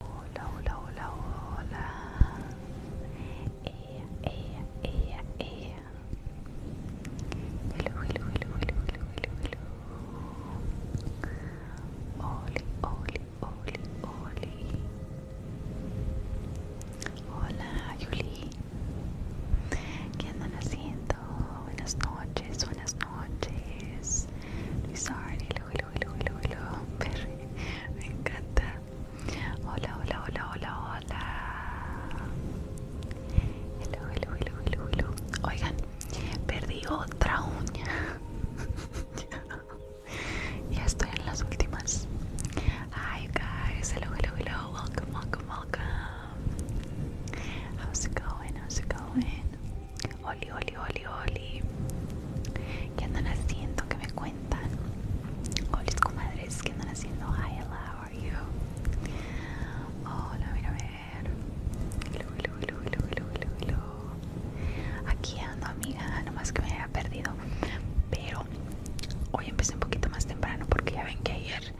Hola, hola, hola, hola. Eh, eh, eh, ella, ella, ella, ella. hilo, hilo, hilo, hilo, hilo, hilo, hilo Oli, oli, oli, oli. Hola, Yuli. ¿Qué andan haciendo? Buenas noches, buenas noches. Lo siento, hello, hello, hello, hello, hello. Perry, me encanta. Hola, hola, hola, hola, hola. Hello, hello, hello, hello, hello. Oigan, perdí otra uña. ya estoy en las últimas. Hi guys, hello, hello, hello. Welcome, welcome, welcome. How's it going? How's it going? Oli, oli, oli, oli. ¿Qué andan haciendo? ¿Qué me cuentan? ¿Hola, comadres, ¿qué andan haciendo? Hi, hello, how are you? Hola, mira, a ver. Hello, hello, hello, hello, hello, hello. Aquí ando, amiga. Nomás que me había perdido. Pero hoy empecé un poquito más temprano porque ya ven que ayer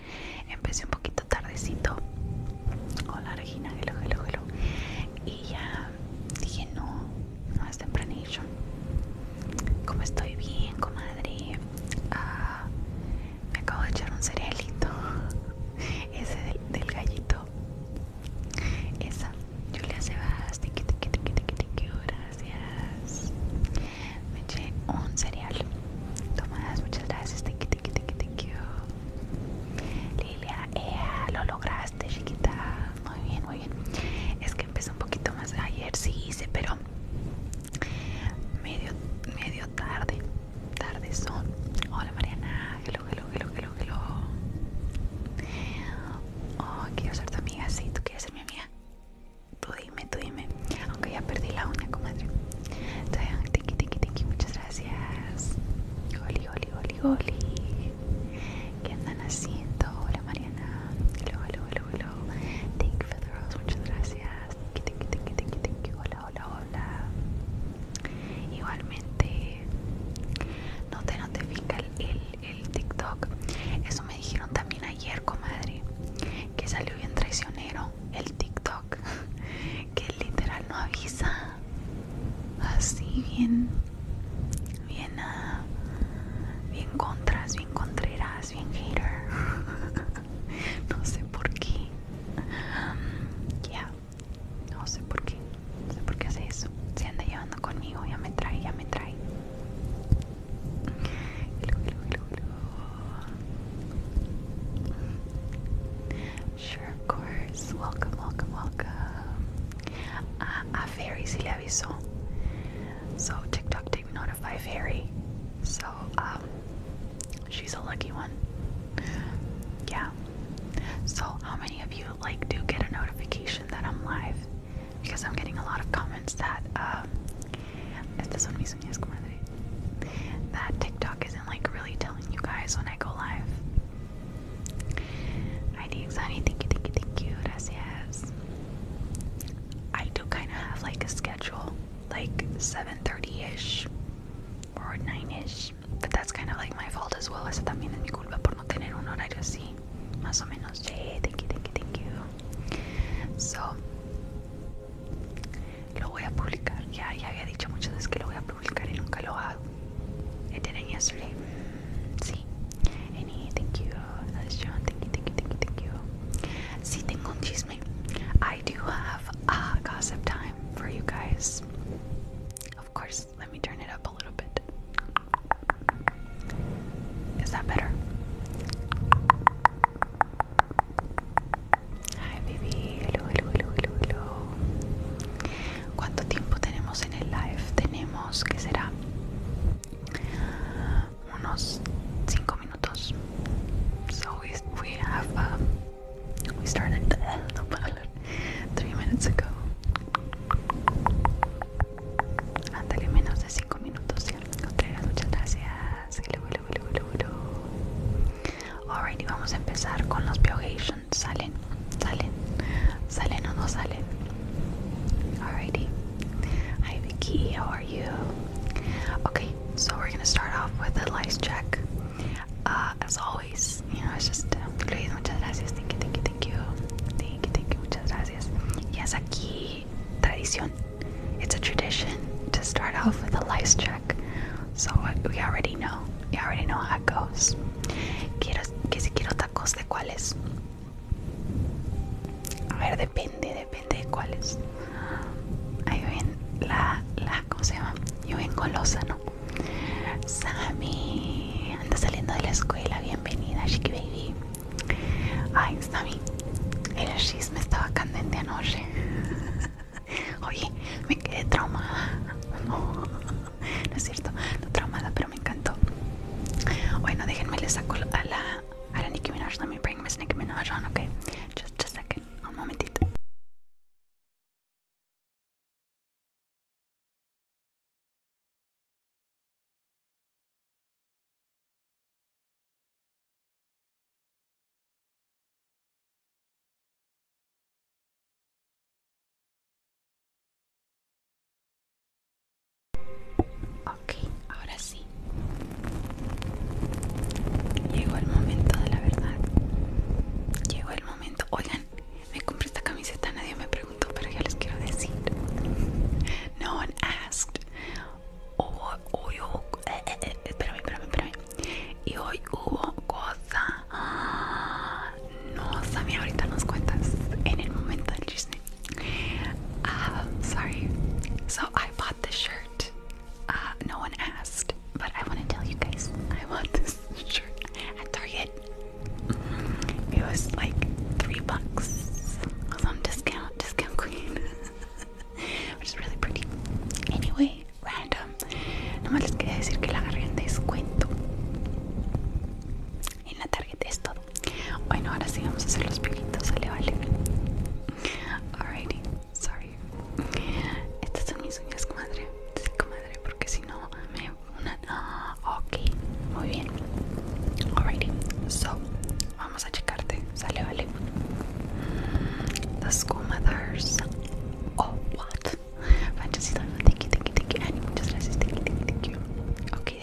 empecé un poquito tardecito. Hola, Regina, hello, hello, hello y ya dije no, no es tempranillo. Como estoy bien, comadre, ah, me acabo de echar un cerealito, ese del, gallito. Esa, Julia Sebasti tiqui tiqui tiqui tiqui tiqui, gracias. Me eché un cereal. Tomadas, muchas gracias, tiqui tiqui tiqui tiqui. Oh. Lilia, ya lo lograste chiquita. Muy bien, muy bien. Es que empezó un poquito más ayer, sí hice, pero medio, medio tarde. Tarde son. Hola, Mariana. Hello, hello, hello, hello, hello. Oh, quiero ser tu amiga. Sí, tú quieres ser mi amiga. Tú dime, tú dime. Aunque ya perdí la uña, comadre. Muchas gracias. Oli, oli, oli, ¿Qué andan haciendo? Hola Mariana. Hola, hola, hola, hola Thank Muchas gracias. Hola, hola, hola. Igualmente, no te notifica el, el, el TikTok. Eso me dijeron también ayer, comadre. Que salió bien traicionero el TikTok. Que literal no avisa. Así bien bien, ah, bien contras, bien contreras, bien hater. no sé por qué. no sé por qué. No sé por qué hace eso. Se anda llevando conmigo, ya me trae, ya me trae. Sure, of course. Welcome, welcome, welcome. A, a Fairy sí So TikTok didn't notify Fairy. So um, she's a lucky one. Yeah. So how many of you like do get a notification that I'm live? Because I'm getting a lot of comments that um, that TikTok isn't like really telling you guys when I go live. ID honey, thank you, thank you, thank you, gracias. I do kind of have like a schedule, like 7.30ish or 9ish, but that's kind of like my fault as well. Esa también es mi culpa por no tener un horario así, más o menos. Hey, thank you, thank you, thank you. So, lo voy a publicar. Ya, ya había dicho muchas veces que lo voy a publicar y nunca lo hago. I didn't yesterday. See, Any, thank you. John. Thank you, thank you, thank you, thank you. Sí, I do have uh, gossip time for you guys. Of course, let me turn it up a little bit. Is that better? Hi, baby. hello, hello, hello, hello. ¿Cuánto tiempo tenemos en el live? Tenemos, que será? Unos 5 minutos. So we, we have, um, we 3 minutes ago. Ándale, menos de 5 minutos. Ya lo muchas gracias. Ok, vamos a empezar con los Biohations. Salen. salen, salen o no salen. Alrighty. Hi Vicky, how are you? Okay, so we're gonna start off with a life check. Uh, as always, you know, it's just uh, Luis, muchas gracias, thank you, thank you, thank you, thank you, thank you, muchas gracias. Yes, aquí tradición. It's a tradition to start off with a life check. So uh, we already know. We already know how it goes. Quiero, que si quiero tacos de cuáles. A ver, depende, depende de cuáles. Ahí ven la, la, ¿cómo se llama? Yo ven colosa ¿no? Sammy, anda saliendo de la escuela, bienvenida, Chiqui Baby. Ay, Sammy, el me estaba candente anoche. Oye, me quedé traumada. No, es cierto, no traumada, pero me encantó. Bueno, déjenme le saco a la, a la Nicki Minaj. Let me bring Miss Nicki Minaj on, okay? just a second, un momentito. Ok, ahora sí. Llegó el momento de la verdad. Llegó el momento. Oigan, me compré esta camiseta, nadie me preguntó, pero yo les quiero decir. No one asked. Hubo, hoy hubo, eh, eh, eh, espérame, espérame, espérame. Y hoy hubo cosa. no, sabía, ahorita nos cuentas en el momento del Disney Um, sorry. So I bought this shirt. Uh, no one asked, but I want to tell you guys I bought this shirt at Target. It was like three bucks. I was on discount, discount queen, which is really pretty. Anyway, random. No quería decir que la agarré en descuento. En la Target esto Bueno, ahora sí vamos a hacer los pelitos, sale, vale. Alrighty, sorry. Estas son mis uñas, comadre. Sí, comadre, porque si no me una. Ah, ok, muy bien. Alrighty, so vamos a checarte, sale, vale. Las comadres. Oh, what? Fantasy, thank you, thank you, thank you. Annie, muchas gracias, thank you, thank you, thank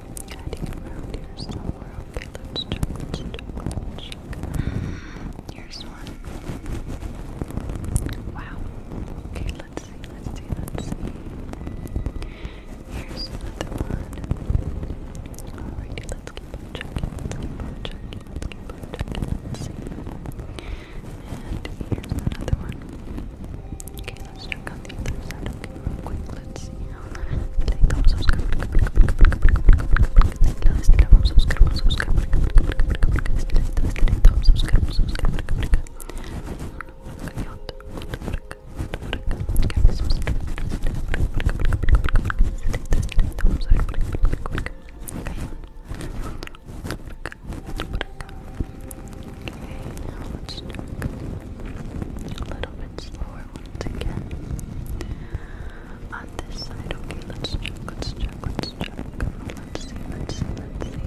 Getting around here somewhere. Okay, let's check, Here's one. Wow. Okay, let's see, let's see, let's see. Here's another one. Alrighty, let's keep checking, let's keep checking, let's keep checking, let's see. And here's another one. Okay, let's check out the other side quick, let's see how that subscribe Okay, now let's do a little bit slower once again. On this side, okay, let's check, let's check, let's check. Let's see, let's see, let's see.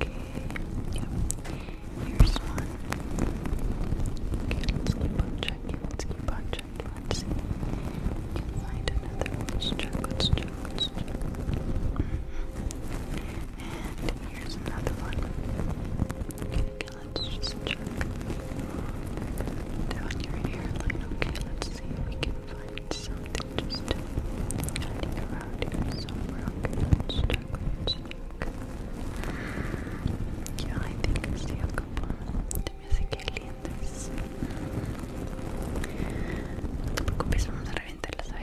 Okay, yep. Here's one. Okay, let's keep on checking, let's keep on checking, let's see. We can find another one. Let's check, let's check, let's check. And here's another one. Okay, Okay, let's just check down your hairline. Okay, let's see if we can find something just hiding around here somewhere. Okay, let check, Yeah, I think I see a couple de mis clientes. No te preocupes, vamos a reventarlas a ver.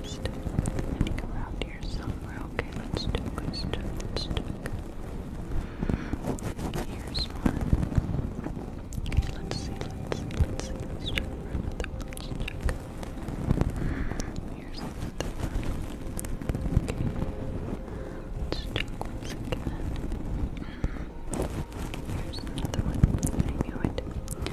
just and go around here Okay, let's do let's Here's one. Okay, let's see, let's let's see, let's check another one. Let's check. Here's another one. Okay. Let's check once again. Here's another one. I knew it.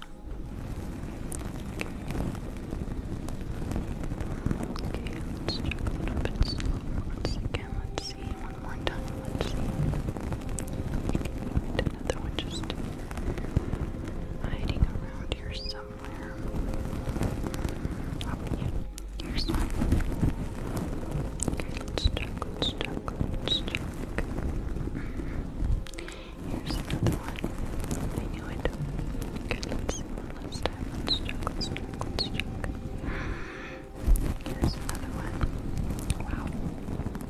Okay, let's try a little bit slower once again. Let's see one more time. Let's see. another one just hiding around here somewhere. Oh, okay, let's check, let's check, let's check. Mm-hmm. Here's another one. I knew it. Okay, let's see one last time. Let's check, let's check, let's check. Here's another one. Wow.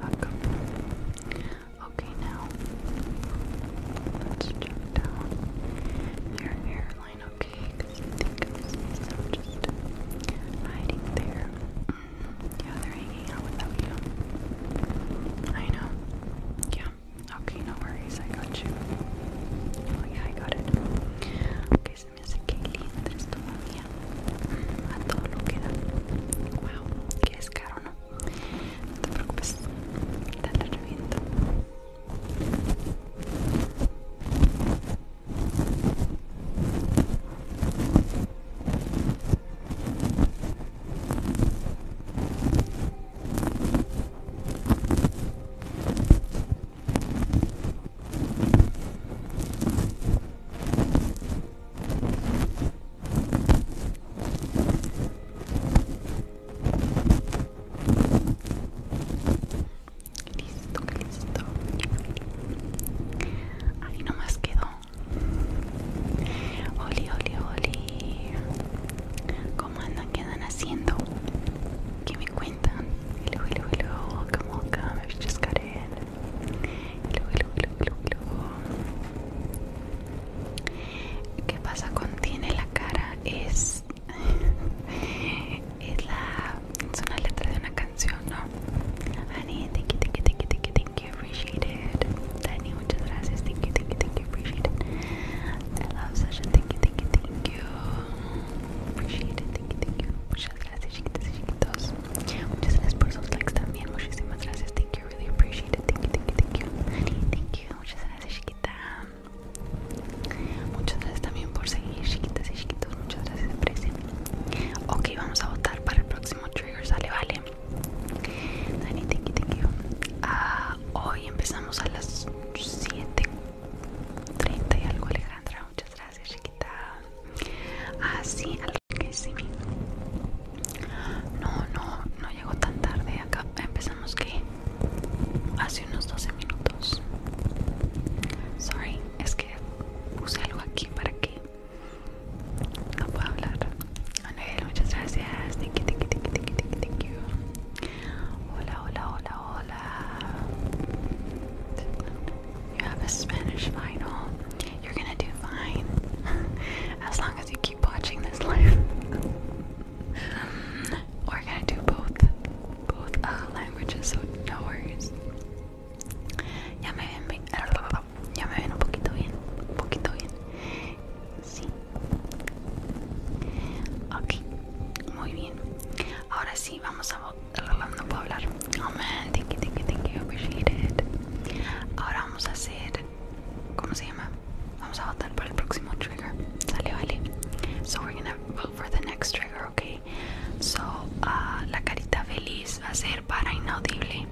Welcome. Okay, now let's check down your hairline, okay? Because I think this is so just hiding there. Mm-hmm. Yeah, they're hanging out without you. I know. Yeah. Okay, no worries, I got you. Oh yeah, I got it. Okay, se me hace que lindo esto, A todo lo que Wow, que es ¿no? No te preocupes, te la Listo, listo. Ahí nomás quedó. Oli, oli, oli. ¿Cómo andan? ¿Qué andan haciendo? ¿Qué me cuentan? Hello, hello, hello. Come on, come. just got in. Hello, hello, hello, hello, hello. ¿Qué pasa con tiene la cara? Es. es la. Es una letra de una canción, ¿no? thank you, thank you, thank you, thank you, thank you. Appreciate it muchas gracias. Thank you, thank you, thank you. Appreciate it. I love Sasha. Thank you, thank you, thank you. Appreciate it. Thank you, thank you. Muchas gracias, chiquitas chiquitos. Muchas gracias por sus likes también. Muchísimas gracias. Thank you. Really appreciate it. Thank you, thank you, thank you. Thank you. Muchas gracias, chiquita. Muchas gracias también por seguir, chiquitas chiquitos. Muchas gracias, Presen. Ok, vamos a votar para el próximo trigger. Sale, vale. Dani, thank you, ah, hoy empezamos a las 7.30 y algo, Alejandra. Muchas gracias, chiquita. Ah, sí, algo que sí. No, no, no llegó tan tarde. Acá empezamos que hace unos 12 minutos. Sorry, es que puse algo aquí para que no pueda hablar. Manuel, muchas gracias. Thank you, thank you, thank you, thank you, thank you, Hola, hola, hola, hola. You have a Spanish final. You're gonna do fine. as long as you keep watching this live. We're gonna do both both uh, languages, so no worries. Ya me ven, ya me ven un poquito bien, un poquito bien. Sí. Ok, muy bien. Ahora sí, vamos a. No puedo hablar. amen, thank you, thank you, thank you. Appreciate it. Ahora vamos a hacer. ¿Cómo se llama? Vamos a votar por el próximo trigger. Sale, vale. So we're gonna vote for the next trigger, okay? So, ah, la carita feliz va a ser para inaudible.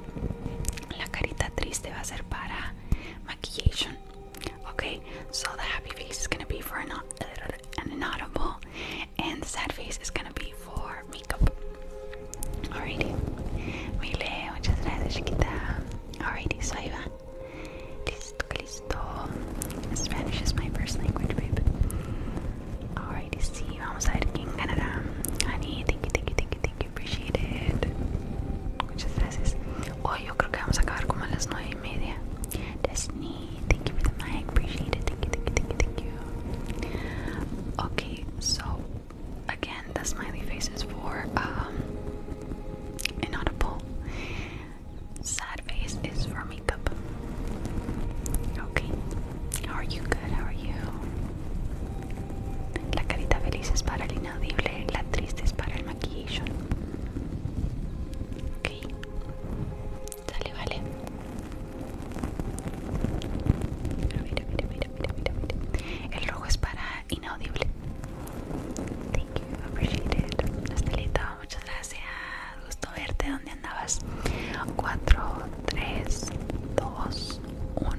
La carita triste va a ser para maquillaje Okay, so the happy face is gonna be for an, an inaudible, and the sad face is gonna be for makeup. Alrighty, Mile, muchas gracias, chiquita. Alrighty, so ahí va. Listo, listo. Spanish is my first language, babe. Alrighty, sí, vamos a ver quién ganará. Honey, thank you, thank you, thank you, thank you, appreciate it. Muchas gracias. Hoy yo creo que vamos a acabar como a las 9 y media. thank you for the mic, appreciate it. Thank you, thank you, thank you, thank you. Okay, so again, the smiley face is for um, inaudible. Sad face is for makeup. Okay, how are you? Good, how are you? La carita feliz es para el inaudible, la triste es para el maquillaje. Ok. Dale, vale. Pero mira, mira, mira, mira, mira, mira. El rojo es para inaudible. Thank you, appreciate muchas gracias. Gusto verte. ¿Dónde andabas? 4, 3, 2, 1.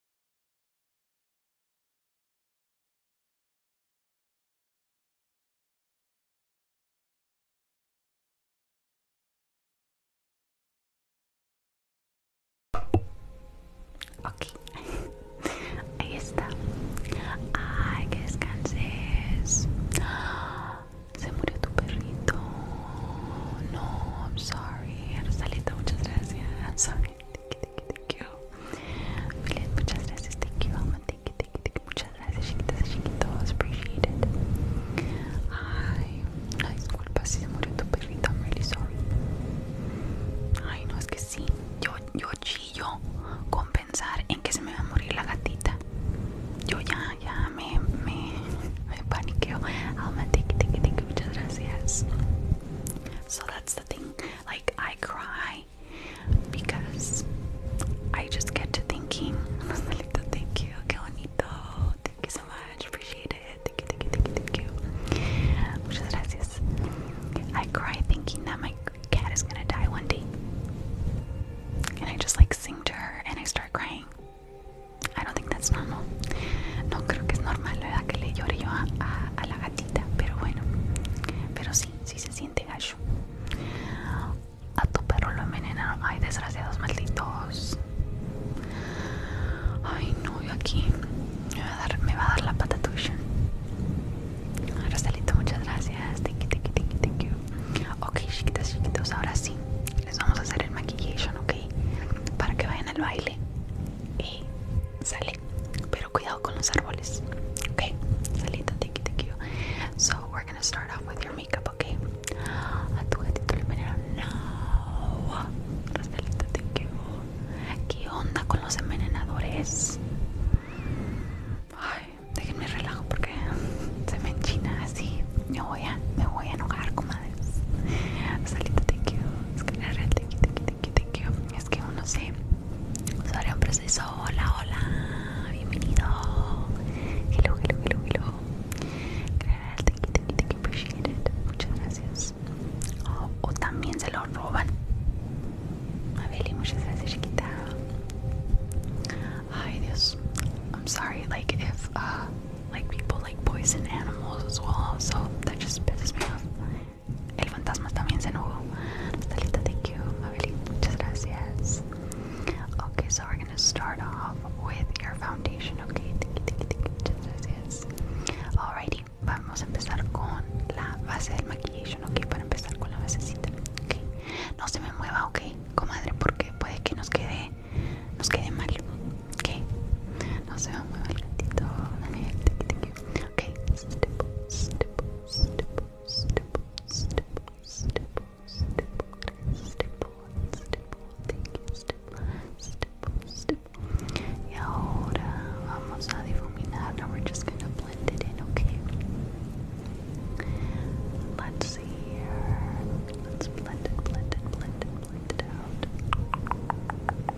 Ok, ahí está. Ay, que descanses. Se murió tu perrito. No, I'm sorry. Rosalita, muchas gracias. I'm sorry thank you. Juliet, muchas gracias, thank you, Alma, thank you, thank you, thank you. Muchas gracias, chiquitos, chiquitos, appreciate Ay, ay, disculpa si se murió tu perrito, I'm really sorry. Ay, no, es que sí, yo, yo chillo con pensar en que se me va a morir la gatita. Yo ya, ya me, me, me paniqueo. Alma, thank you, thank you, thank you, muchas gracias. So that's the thing. Like, I cry because I just get to thinking, thank you, que thank you so much, appreciate it, thank you, thank you, thank you, thank you. Muchas gracias. I cry thinking that my cat is gonna die one day. And I just like sing to her and I start crying. I don't that's normal. No creo que es normal, ¿verdad? Que le llore yo a, la gatita, pero bueno. Pero sí, sí se siente gallo. A tu perro lo envenenaron. Ay, desgraciados malditos. Ay, no, yo aquí me va a dar, la pata tuya. Rosalito, muchas gracias. Thank you, thank you, thank you, thank you. Ok, chiquitas, chiquitos, ahora sí. Les vamos a hacer el maquillation, ok. Para que vayan al baile. Y sale pero cuidado con los árboles okay salita thank you so we're gonna start off with your makeup okay a tu gatito le veneno no Rosalita thank you ¿qué onda con los envenenadores? ay déjenme relajo porque se me enchina así me voy a me voy a enojar comadres Salita, thank you es que la red thank you thank you es que uno se proceso. Hola, hola, bienvenido. Hello, hello, hello, hello. Gracias, Muchas gracias. O también se lo roban. muchas gracias, chiquita. Ay, Dios. I'm sorry, like, if, uh, like, people like poison animals as well, so that just el fantasma también se enojó. Nostalita, thank you. Mabeli, muchas gracias. Okay, so we're gonna start off with your foundation. Okay, muchas gracias. Alrighty, vamos a empezar con la base del maquillaje. Ok, para empezar con la basecita. Okay. No se me mueva, ok, comadre, porque puede que nos quede, nos quede mal. Ok, no se me mueva el gatito. Okay, stipple, Now we're just gonna blend it in, okay? Let's see here. Let's blend it, blend it, blend it, blend it out.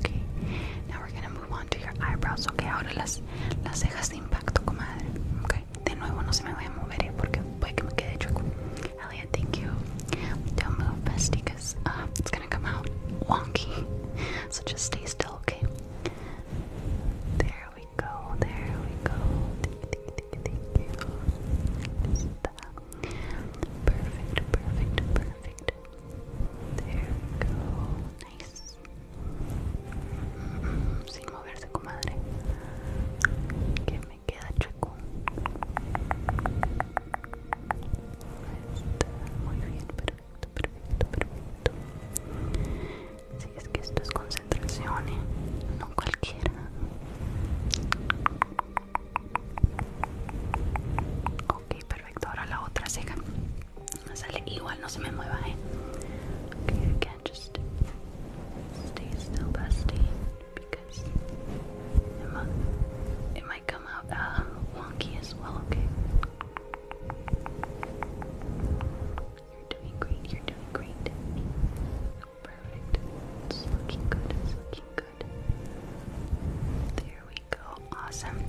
Okay. Now we're gonna move on to your eyebrows. Okay, ahora las, las cejas de impacto, comadre. Okay. De nuevo no se me voy a mover eh, porque puede que me quede chueco. Elliot, thank you. Don't move, bestie, because ah, it's gonna come out wonky. So just stay still, okay? There we go. There we go. Thank you. perfecto, perfecto, perfecto There we go. Nice. Sin moverse, comadre. Que me queda chueco. muy bien, perfecto, perfecto, perfecto. Si es que esto es concentración, ¿eh? no cualquiera. Ok, perfecto. Ahora la otra ceja. Sale igual, no se me mueva, eh. Okay, just stay still, bestie, because it might, come out uh, wonky as well. Okay. You're doing great. You're doing great. Perfect. It's looking good. It's looking good. There we go. Awesome.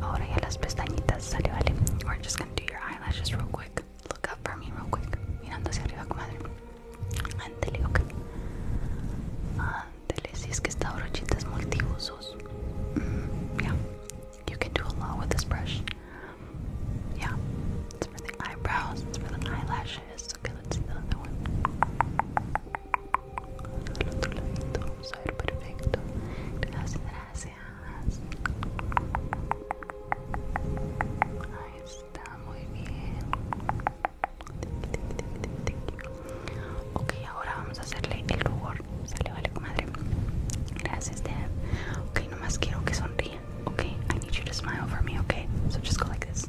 Ahora ya las pestañitas. Sale, We're just gonna do your eyelashes real quick. Look up for me real quick. Mirando hacia arriba, comadre. Ándele, ok. Ándele, si es que esta brochita es multiusos. Mm, yeah. You can do a lot with this brush. Yeah. It's for the eyebrows, it's for the eyelashes. Okay, let's see the other one. Al otro lado. vamos a ver, perfecto. Gracias, gracias. Ahí está, muy bien. okay ahora vamos a hacerle el rubor. Sale, vale, comadre. Gracias, Deb. Ok, nomás quiero que sonríe. okay I need you to smile for me, okay So just go like this.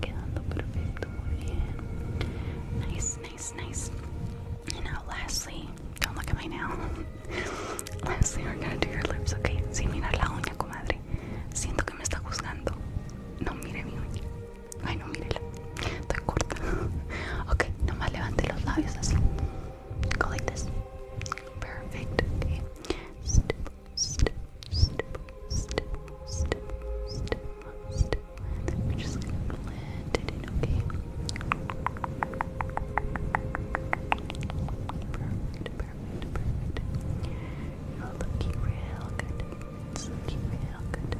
quedando perfecto, Nice, nice, nice. And now, lastly, don't look at my nail. lastly, we're gonna do your lips, okay? Sin mirar la uña, comadre. Siento que me está juzgando. No mire mi uña. Ay, no mírela. Está corta. ok, nomás levante los labios así. Go like this. Perfect, We're just gonna blend it in, okay? Perfect, perfect, perfect. You're looking real good. It's looking real good.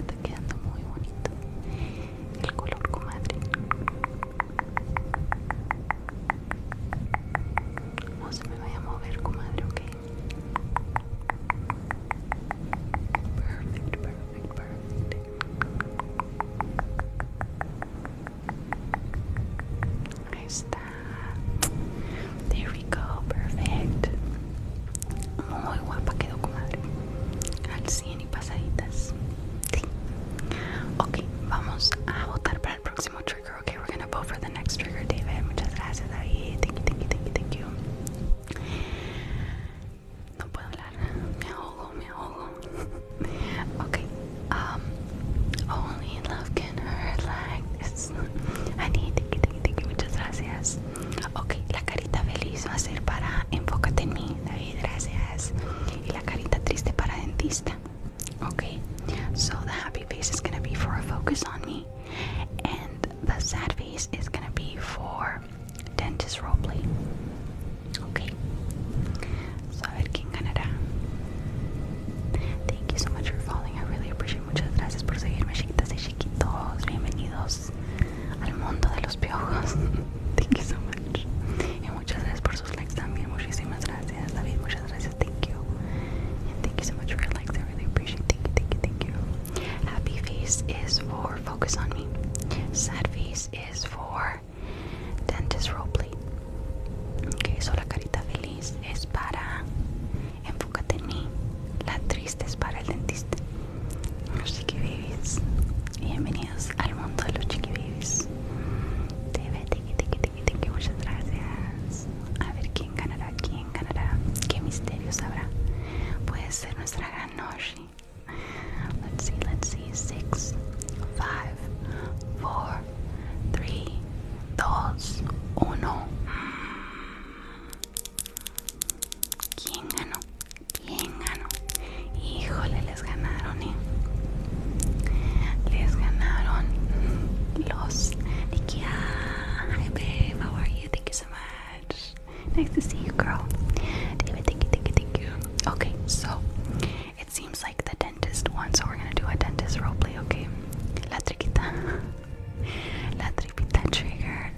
Está quedando muy bonito. El color comadre. No se me vaya a mover, comadre, ok. Perfect, perfect, perfect. Ahí está. There we go, perfect. Muy guapa quedó, comadre. Al 100 y pasaditas. Sí. Ok, vamos a votar para el próximo trigger, ¿ok? we're gonna vote for the next trigger, David. Muchas gracias, David. Thank you, thank you, thank you, thank you. No puedo hablar. Me ahogo, Okay. Um, only love can hurt like this. I need, thank you, thank you, thank you. Muchas gracias. Okay, la carita feliz va a ser para enfócate en mí, David. Gracias. Y la carita triste para dentista. Okay, so the happy face is gonna be for a focus on me. And the sad face is gonna be for Dentist Robley. Okay. So at King Canada. Thank you so much for following. I really appreciate Muchas gracias por seguirme, chiquitas y chiquitos. Bienvenidos al mundo de los piojos. Thank you so much. Y muchas gracias por sus likes también. Muchísimas gracias, David. Muchas gracias. Thank you. And thank you so much for your likes. I really appreciate Thank you, thank you, thank you. Happy face is for focus on me. Sad face is for dentist role play. Okay, so la carita feliz es para enfócate en mí. La triste es para el dentista. Los babies Bienvenidos al mundo de los chiquibabies. Te ve, te, te, te, tiqui, muchas gracias. A ver quién ganará aquí en Canadá. Qué misterios habrá? Puede ser nuestra gran lorry. Let's see, let's see. 6 5 4 3 2 1. ¿Quién ganó? Híjole, les ganaron ¿eh? les ganaron los IKEA. Babe, what are you? Nice to see you, girl. David, thank you, thank you, thank you. Okay, so it seems like the dentist won, so we're gonna do a dentist roleplay, okay? La triquita. La tripita trigger.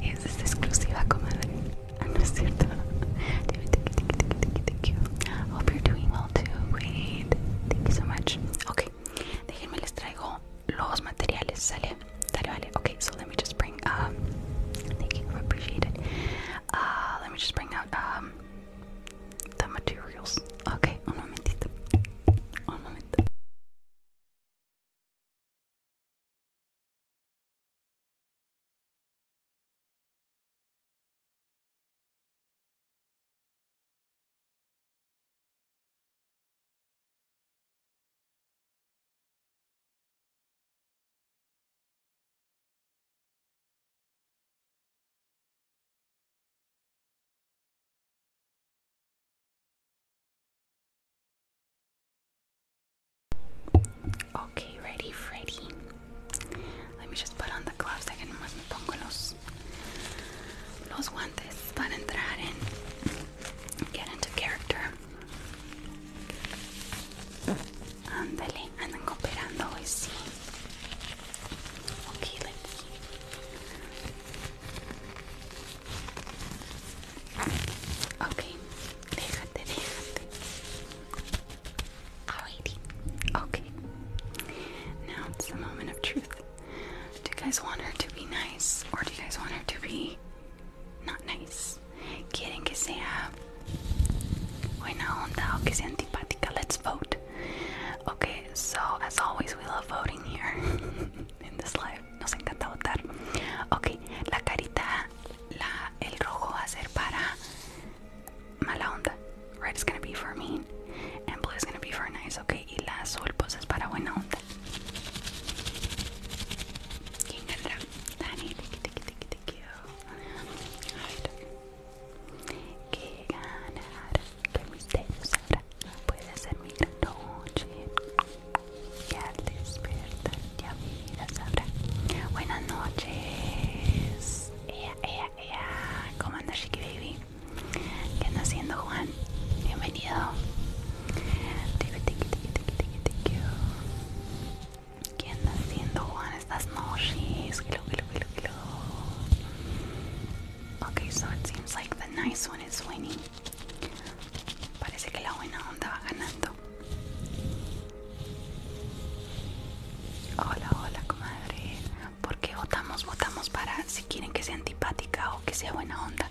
Is this exclusiva, I'm ah, es cierto. David, thank you, thank you, thank you, thank you, thank you. Hope you're doing well too. Great. Thank you so much. Okay, déjenme les traigo los materiales, salen. Okay, so let me just bring, um, thank you, appreciate it. Uh, let me just bring out, um, the materials. Okay, un momentito. Un momento. Okay, ready, Freddy. Let me just put on the gloves. Dejen nomás me pongo los, los guantes para entrar en get into character. Ándale, andan cooperando hoy sí. Okay, let's see. Okay, déjate, déjate. Alrighty. Okay. Now it's the moment of truth. Do you guys want her to be nice or do you guys want her to be not nice. Quieren que sea buena onda o que sea antipática. Let's vote. Okay, so as always, we love voting here in this life. Nos encanta votar. Okay, la carita, la, el rojo va a ser para mala onda. Red is gonna be for mean, and blue is gonna be for nice. Okay, y la azul pues es para buena onda. ¿Quién ganará? Dani, A ver. ¿Qué ganará? ¿Qué misterio será? Puede ser mi gran noche. Ya despierta, ya mira sabrá. Buenas noches. Ea, ea, ea. ¿Cómo anda, Chiqui Baby? ¿Qué anda haciendo Juan? Bienvenido. ¿Qué andas haciendo Juan estas noches? Okay, so it seems like the nice one is winning. Parece que la buena onda va ganando. Hola, hola, comadre. ¿Por qué votamos? Votamos para si quieren que sea antipática o que sea buena onda.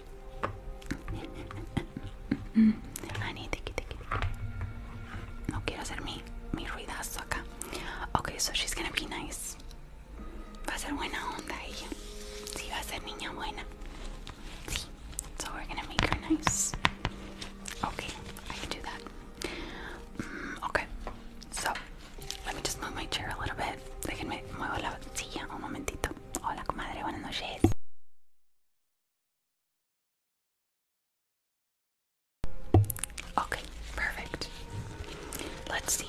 No quiero hacer mi, mi ruidazo acá. Ok, so she's gonna be nice. Va a ser buena onda ella. Sí, va a ser niña buena. Sí. So we're gonna make her nice. Okay, I can do that. Mm, okay. So, let me just move my chair a little bit. Déjenme muevo la silla un momentito. Hola, comadre, buenas noches. Ok, perfect. Let's see.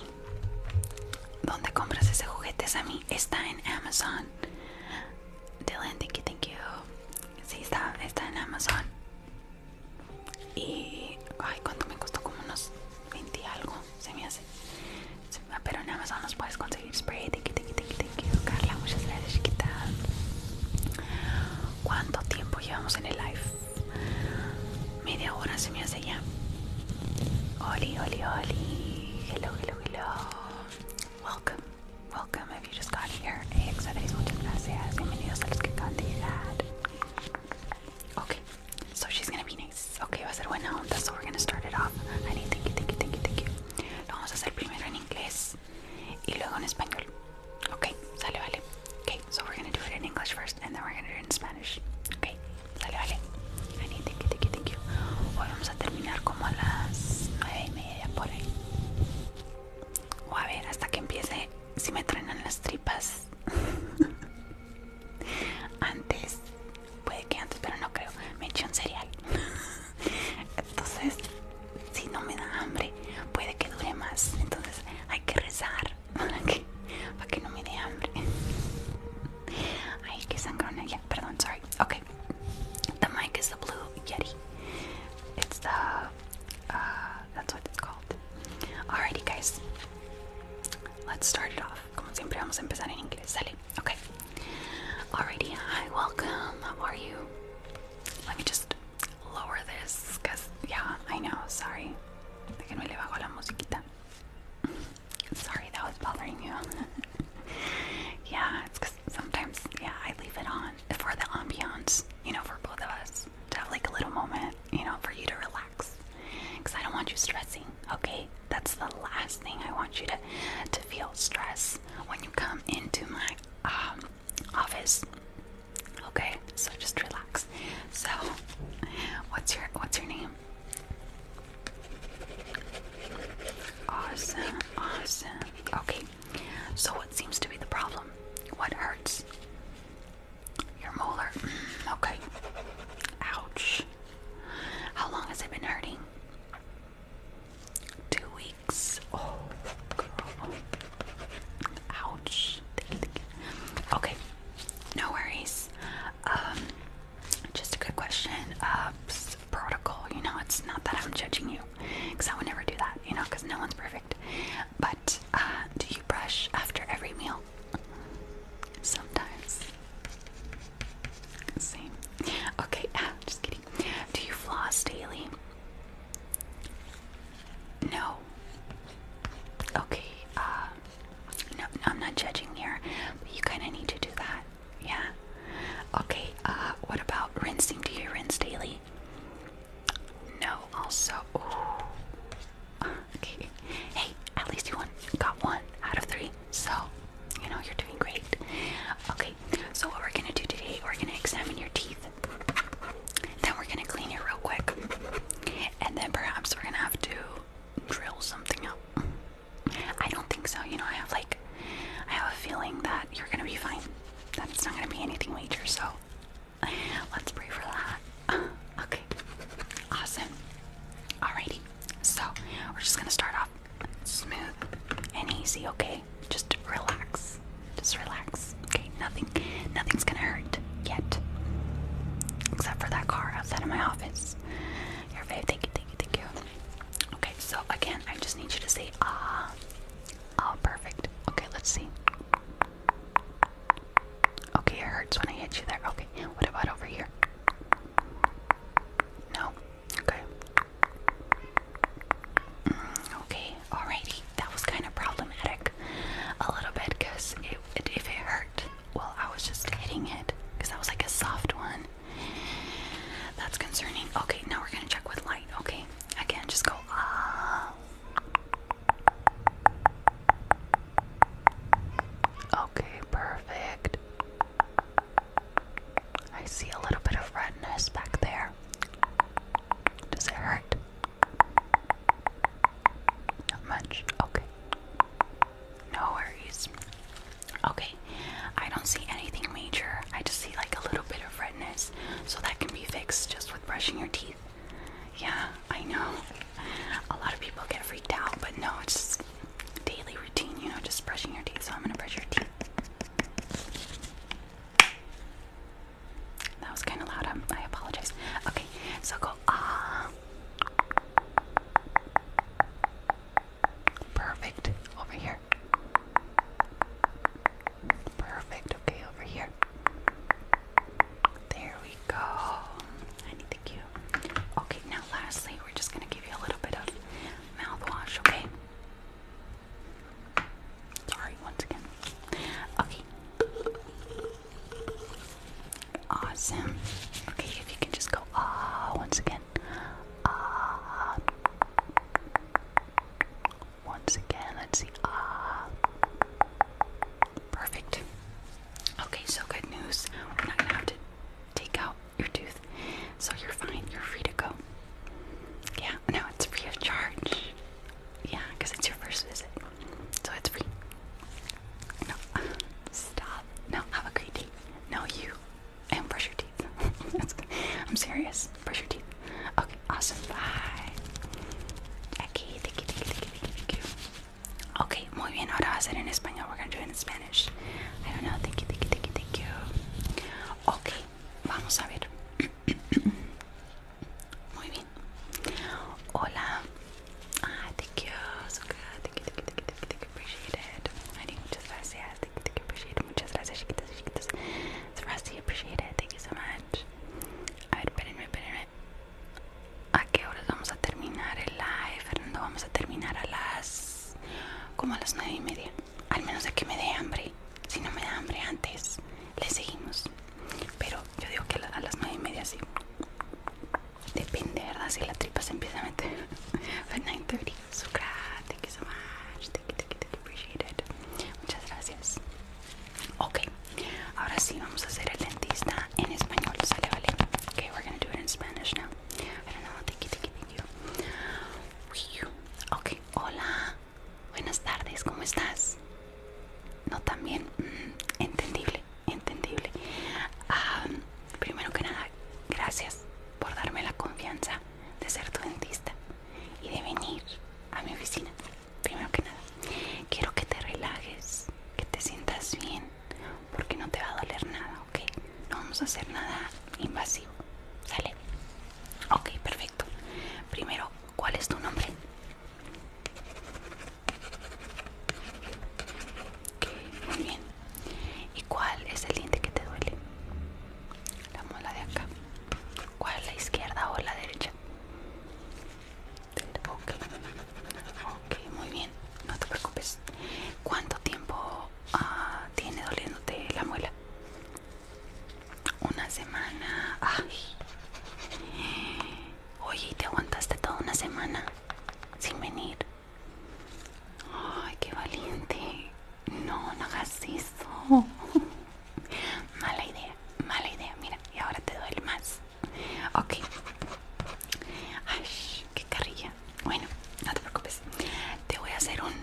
¿Dónde compras ese juguete, Sami? Está en Amazon. Dylan, thank you, Sí, está, en Amazon. Y. Ay, ¿cuánto me costó? Como unos 20 algo se me hace. Pero en Amazon nos puedes conseguir spray. Tiki, tiki, tiki, Carla, muchas gracias, chiquita. ¿Cuánto tiempo llevamos en el live? Media hora se me hace ya. Oli, oli, oli. Hello, hello, hello. Welcome, welcome. If you just got here, excelentes, muchas gracias. Bienvenidos a los que acaban de llegar. Okay, So she's gonna be nice. Ok, va a ser buena onda. So we're gonna start it off. thank you, thank you, thank you, thank you. Lo vamos a hacer primero en inglés y luego en español. Ok, sale, vale. Ok, so we're gonna do it in English first and then we're gonna do it in Spanish. Ok, sale, vale. need thank you, thank you, thank you. Hoy vamos a terminar como a las nueve y media por ahí. O a ver, hasta que empiece si me trenan las tripas. Antes puede que antes, pero no creo, me eché un cereal. Entonces, si no me da hambre, puede que dure más. Entonces, hay que rezar para que, para que no me dé hambre. Hay que sangrar ya. perdón, sorry. Okay. The mic is the blue Yeti. It's the, uh, that's what it's called. Alrighty, guys. Let's start it off. Como siempre vamos a empezar en inglés, ¿sale? Okay. Alrighty, hi, welcome. How are you? Let me just lower this, cause yeah, I know, sorry. Déjenme le bajo la musiquita. Sorry, that was bothering you. yeah, it's cause sometimes, yeah, I leave it on for the ambiance, you know, for both of us to have like a little moment, you know, for you to relax. Cause I don't want you stressing, okay? that's the last thing I want you to to feel stress when you come into my um, office. Okay, so just relax. So, what's your what's your name? Awesome, awesome. Okay, so what seems to be the problem? What hurts? Your molar. Mm, okay. Ouch. How long has it been hurting? Two weeks. Oh, Ouch. Okay, no worries. Um, just a quick question. protocol. You know, it's not that I'm judging you, because I would never do that. You know, because no one's perfect. But uh, do you brush after every meal? Sometimes. Same. Okay, ah, just kidding. Do you floss daily? No. Okay, uh, no, I'm not judging here, you kind of need to do that. Yeah. Okay, uh, what about rinsing? Do you rinse daily? No, also. Ooh. Okay. Hey, at least you won, got one out of three. So, you know, you're doing great. Okay, so what we're gonna do today, we're gonna examine your teeth. Then we're gonna clean it real quick. And then perhaps we're gonna have to drill something out. I don't think so, you know, I have like, I have a feeling that you're gonna be fine. That it's not gonna be anything major, so let's pray for that. Okay, awesome. Alrighty, so we're just gonna start off smooth and easy, okay? Just relax. Just relax. Okay, nothing nothing's gonna hurt yet. Except for that car outside of my office. Your babe, thank you, thank you, thank you. Okay, so again, I just need you to say ah. Oh, perfect. Okay, let's see. Okay, it hurts when I hit you there. Okay, what about over here? No, Okay. Mm, okay, alrighty. That was kind of problematic a little bit because it, if it hurt, well, I was just hitting it because that was like a soft one. That's concerning. Okay, now we're going to check with light. Okay, again, just go ah. Okay, perfect. I see a little bit of redness back there. Does it hurt? Not much. Okay. No worries. Okay. I don't see anything major. I just see like a little bit of redness. So that can be fixed just with brushing your teeth. Yeah, I know. A lot of people get freaked out, but no, it's daily routine, you know, just brushing your teeth. So I'm gonna brush your teeth. That was kind of loud. I'm, I apologize. Okay, so go ah. Perfect. Over here. Perfect. Okay, over here. There we go. I need Okay, now lastly, we're just gonna give you a little bit of mouthwash, okay? Sorry, once again. Okay. Awesome. Okay, if you can just go ah once again. Ah. Once again, let's see. Ah. Perfect. Okay, so good news. We're not gonna have to take out your tooth. So you're fine. You're free to go. Yeah, no, it's free of charge. Yeah, because it's your first visit. So it's free. No, stop. No, have a great day. No, you. And brush your teeth. I'm serious. Brush your teeth. Okay, awesome. Bye. Okay, thank you, thank you, thank you, thank you. Okay, muy bien. Ahora va en español. We're going to do it in Spanish. I Thank you, thank you, thank Ok, vamos a ver. Muy bien. Hola. Ah, thank you. So good. Thank you, thank you, thank you, Appreciate it. muchas gracias. Thank you, thank you, appreciate it. Muchas gracias, appreciate it. Thank you so much. A ver, espérenme, espérenme. ¿A qué horas vamos a terminar el live, Fernando? Vamos a terminar a las... como a las nueve y media al menos de que me dé hambre. Si no me da hambre antes, le seguimos. Pero yo digo que a las nueve y media sí. Depende, ¿verdad? Si la tripa se empieza a meter. But 9.30. So Thank you so much. Thank you, thank you, thank Muchas gracias. Ok. Ahora sí, vamos a hacer el dentista en español. ¿Sale, vale? Ok, we're gonna do it in Spanish now. I don't know. Thank you, thank you, Ok, hola. Buenas tardes, ¿cómo estás? No, también. bien? Mm, entendible, entendible. primero que nada, gracias por darme la confianza de ser tu dentista y de venir a mi oficina. Primero que nada, quiero que te relajes, que te sientas bien, porque no te va a doler nada, ok, no vamos a hacer nada invasivo, ¿sale? Ok, perfecto. Primero, ¿cuál es tu nombre? Ok, muy bien. ¿Y cuál es el diente que te duele? La mola de acá. ¿Cuál, la izquierda o la derecha? Ok, ok, muy bien. No te preocupes. ¿Cuánto tiempo ah, tiene doliéndote la muela? Una semana. Ay. Oye, ¿te aguantaste toda una semana sin venir? Ay, qué valiente. No, no hagas eso. Mala idea, mala idea. Mira, y ahora te duele más. Ok. Ay, qué carrilla. Bueno, no te preocupes. Te voy a hacer un,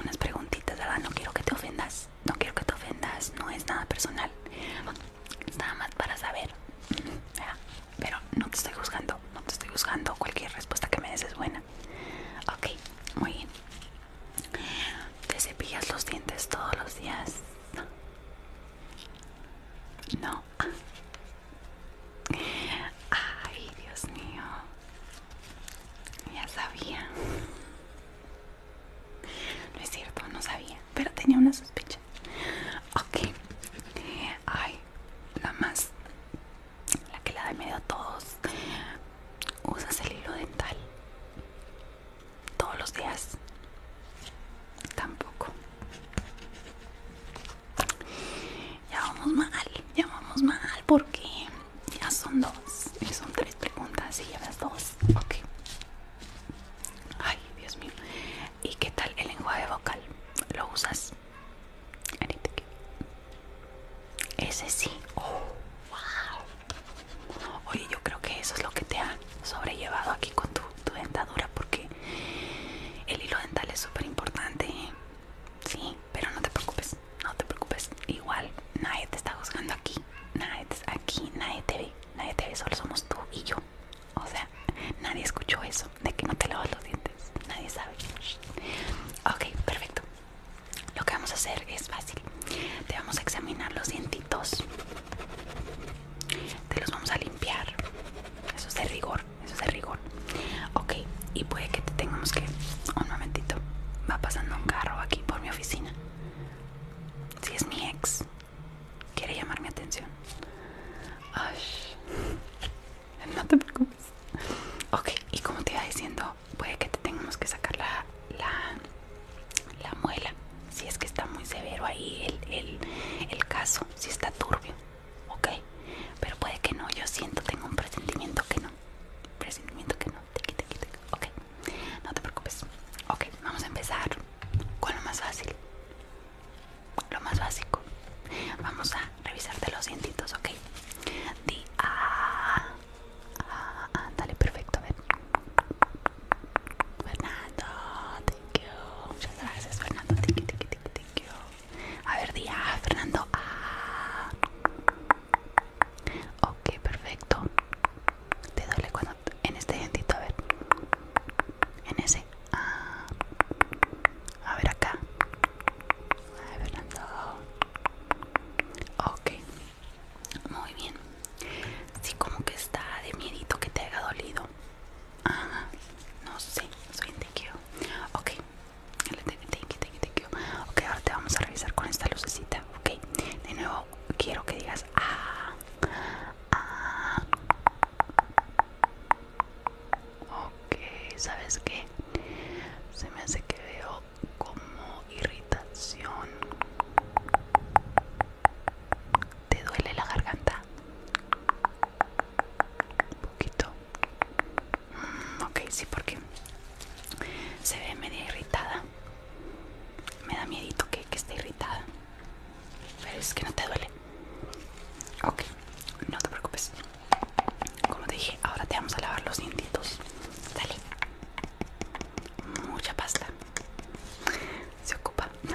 unas preguntitas, ¿verdad? No quiero que te ofendas. No quiero que te ofendas. No es nada personal. Es nada más para saber. Pero no te estoy juzgando. No te estoy juzgando. Cualquier respuesta que me des es buena. Ok, muy bien. ¿Te cepillas los dientes todos los días? No. Ay, Dios mío. Ya sabía. No es cierto, no sabía, pero tenía una sospecha. Ok. Ay, la más. La que la da medio a todos. Usas el hilo dental. Todos los días. Tampoco. Ya vamos mal, ya vamos mal porque ya son dos. Son tres preguntas y llevas dos. Ok. Ay, Dios mío. ¿Y qué tal el lenguaje vocal? ¿Lo usas? Ese sí. Oh, wow. Oye, yo creo que eso es lo que te ha sobrellevado aquí con tu, tu dentadura porque el hilo dental es súper importante. ¿eh? Sí, pero no te preocupes, no te preocupes. Igual nadie te está juzgando aquí, nadie aquí nadie te ve, nadie te ve, solo somos tú y yo. O sea, nadie escuchó eso de que no te lavas los dientes, nadie sabe. Ok, perfecto. Lo que vamos a hacer es fácil. Te vamos a examinar los dientitos. Te los vamos a limpiar. Eso es de rigor, eso es de rigor. Ok, y puede que te tengamos que... Un momentito, va pasando un carro aquí por mi oficina. Si es mi ex, quiere llamar mi atención. Ay, no te preocupes. Ok, y como te iba diciendo, puede que te tengamos que sacar la, la, muela. Si es que está muy severo ahí el, el caso, si está turbio. Ok, pero puede que no, yo siento, tengo un presentimiento que no presentimiento que no tiki, tiki, tiki. ok no te preocupes ok vamos a empezar con lo más fácil lo más básico vamos a revisarte los dientitos ok di a, ah, dale perfecto a ver Fernando thank you muchas gracias Fernando tiki, tiki, tiki, thank you a ver di a, Fernando ah Ok, perfecto. Te duele cuando... En este dientito, a ver. En ese. Ah. A ver acá. A ver, Fernando. Ok. Muy bien. Si como que está de miedito que te haga dolido. Ajá. No sé. Soy indiqueo. Ok, Ok, ahora te vamos a revisar con esta lucecita. Ok, de nuevo quiero que digas ah, ah. Ok, ¿sabes qué? Se me hace que veo como irritación. ¿Te duele la garganta? Un poquito ok, sí, porque se ve media irritada. Me da miedito que, esté irritada. Pero es que no te duele. Ok, no te preocupes. Como te dije, ahora te vamos a lavar los dientitos. Dale. Mucha pasta. Se ocupa. No,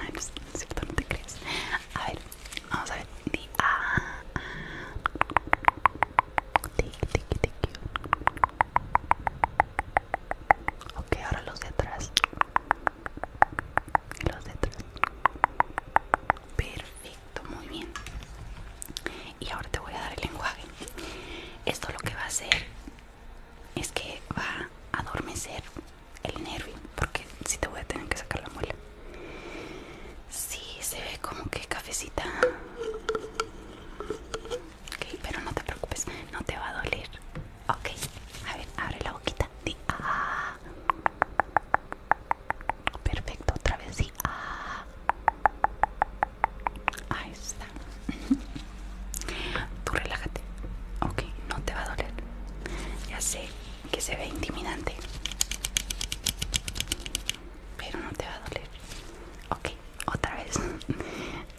te crees. A ver, vamos a ver. Tiki, Ok, ahora los de atrás. Los de atrás. Perfecto, muy bien. Y ahora te voy a dar el lenguaje. Esto lo que va a hacer es que va a adormecer el nervio, porque si te voy a tener que sacar la muela. si se ve como que cafecita. Ok, pero no te preocupes, no te va a doler. Ok, a ver, abre la boquita. Ah. Perfecto, otra vez di, ah. Ahí está. Tú relájate. Ok, no te va a doler. Ya sé que se ve intimidante. Pero no te va a doler. Ok, otra vez.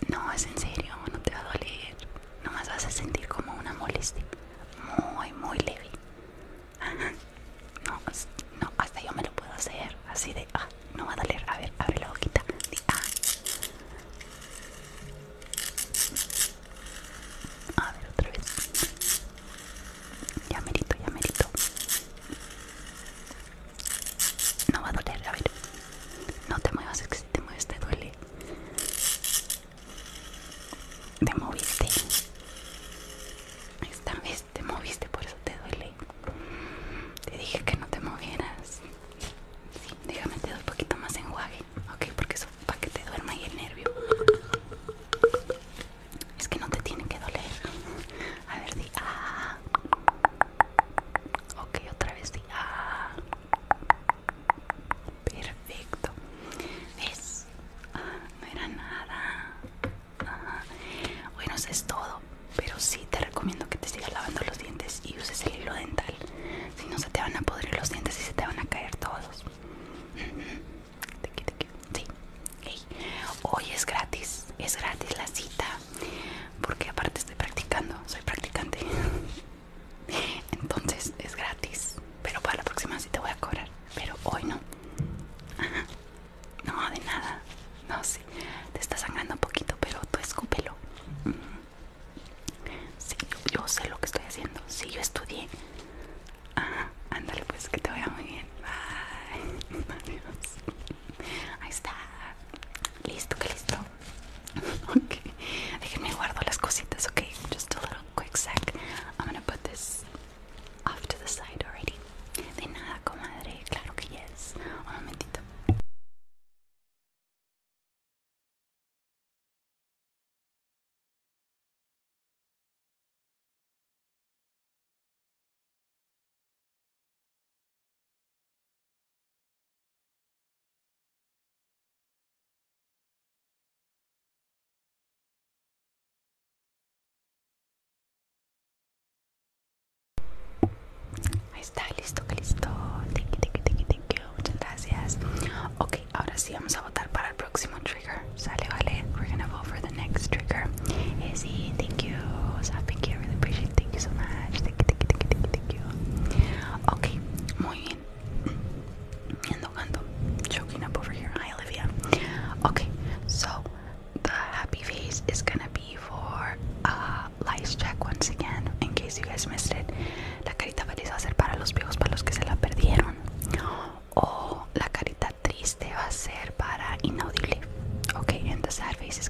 No, es en serio, no te va a doler. Nomás vas a sentir como una molestia. Muy, muy leve. No, no, hasta yo me lo puedo hacer. Así de, ah, no va a doler. A ver, abre la boquita. ah. A ver, otra vez. Ya merito, ya no va a doler, a ver. No te muevas, es que si te mueves te duele. Te moviste. Esta vez te moviste, por eso te duele. Te dije que no te movieras. Sí, déjame te doy un poquito más enjuague, ok, porque eso para que te duerma ahí el nervio. Es que no te tiene que doler. A ver, si Ok, otra vez sí. Ah. Perfecto. ¿Ves? Ah, no era nada. Bueno, eso es todo. Pero sí te recomiendo que te sigas lavando los dientes y uses el hilo dental. Si no, se te van a podrir los dientes y se te van a caer todos. Sí hoy es gratis, es gratis la cita, porque aparte estoy practicando, soy practicante, entonces es gratis, pero para la próxima sí te voy a cobrar, pero hoy no, Ajá. no de nada, no sí. te está sangrando un poquito, pero tú escúpelo. Sí, yo sé lo que estoy haciendo. Sí, yo estudié. ándale, pues que te vaya muy bien. Bye. Adiós. Ahí está. Listo, que listo. ok, déjenme guardo las cositas, ok? Just a little quick sec. I'm gonna put this off to the side already. De nada, comadre, claro que yes. Un momentito. Ahí está, listo, listo. Thank you, thank you, thank you, Muchas gracias. Ok, ahora sí vamos a votar para el próximo trigger. Sale, vale. We're gonna vote for the next trigger. Izzy, eh, thank you. Thank you, I really appreciate it. Thank you so much. Thank you, thank you, thank you, thank you, thank Okay, muy bien. Ando, ando, choking up over here. Hi, Olivia. Okay, so the happy face is gonna be for uh, Lice Check once again, in case you guys missed it. La carita feliz va a ser para los viejos, para los que se la perdieron. O la carita triste va a ser para inaudible. Okay, and the sad face is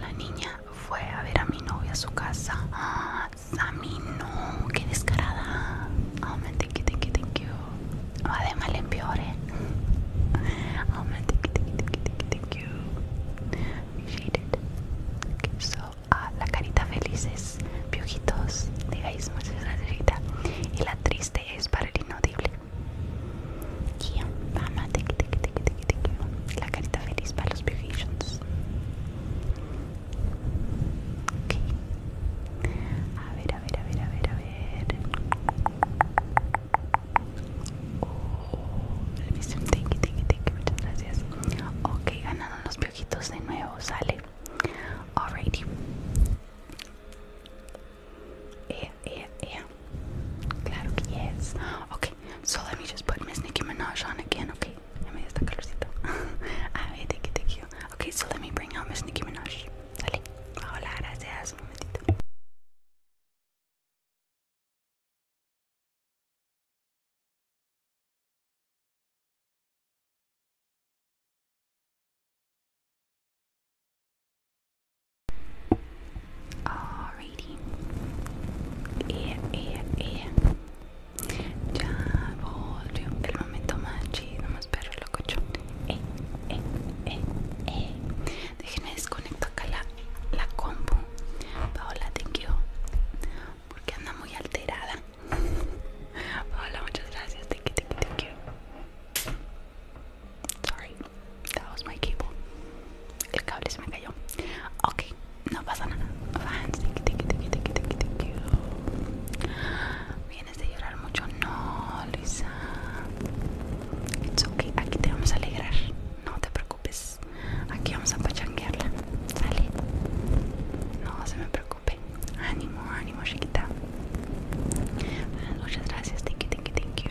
La niña fue a ver a mi novia a su casa. Ah, Sammy, no, qué descarada. Oh, de mal en you, ah, la carita felices, piojitos, digáis muchas Y la triste es para el inaudible. Kia, mamá, La carita feliz para los piojitos. Ok. A ver, a ver, a ver, a ver, a ver. Oh, el visión, thank you, Muchas gracias. Ok, ganaron los piojitos de nuevo, sale. Alrighty. Yeah, yeah, yeah. Claro yes. Okay, so let me just put Miss Nicki Minaj on again, okay? I mean, está calorcito. A ah, ver, thank you, thank Okay, so let me bring out Miss Nicki Minaj. Dale. Hola, gracias. Un momentito. Alrighty. Ya volvió el momento más chido, más perro loco. Eh, eh, eh, eh. Déjenme desconectar acá la, la compu. Paola, thank you. Porque anda muy alterada. Paola, muchas gracias. Te quiero Sorry, that was my cable. El cable se me cayó. Ok, no pasa nada. Vienes de llorar mucho. No, Lisa. It's okay, aquí te vamos a alegrar. No te preocupes. Aquí vamos a pachanguearla. Sale. No se me preocupe. Ánimo, ánimo, chiquita. Muchas gracias, thank you, thank you, thank you.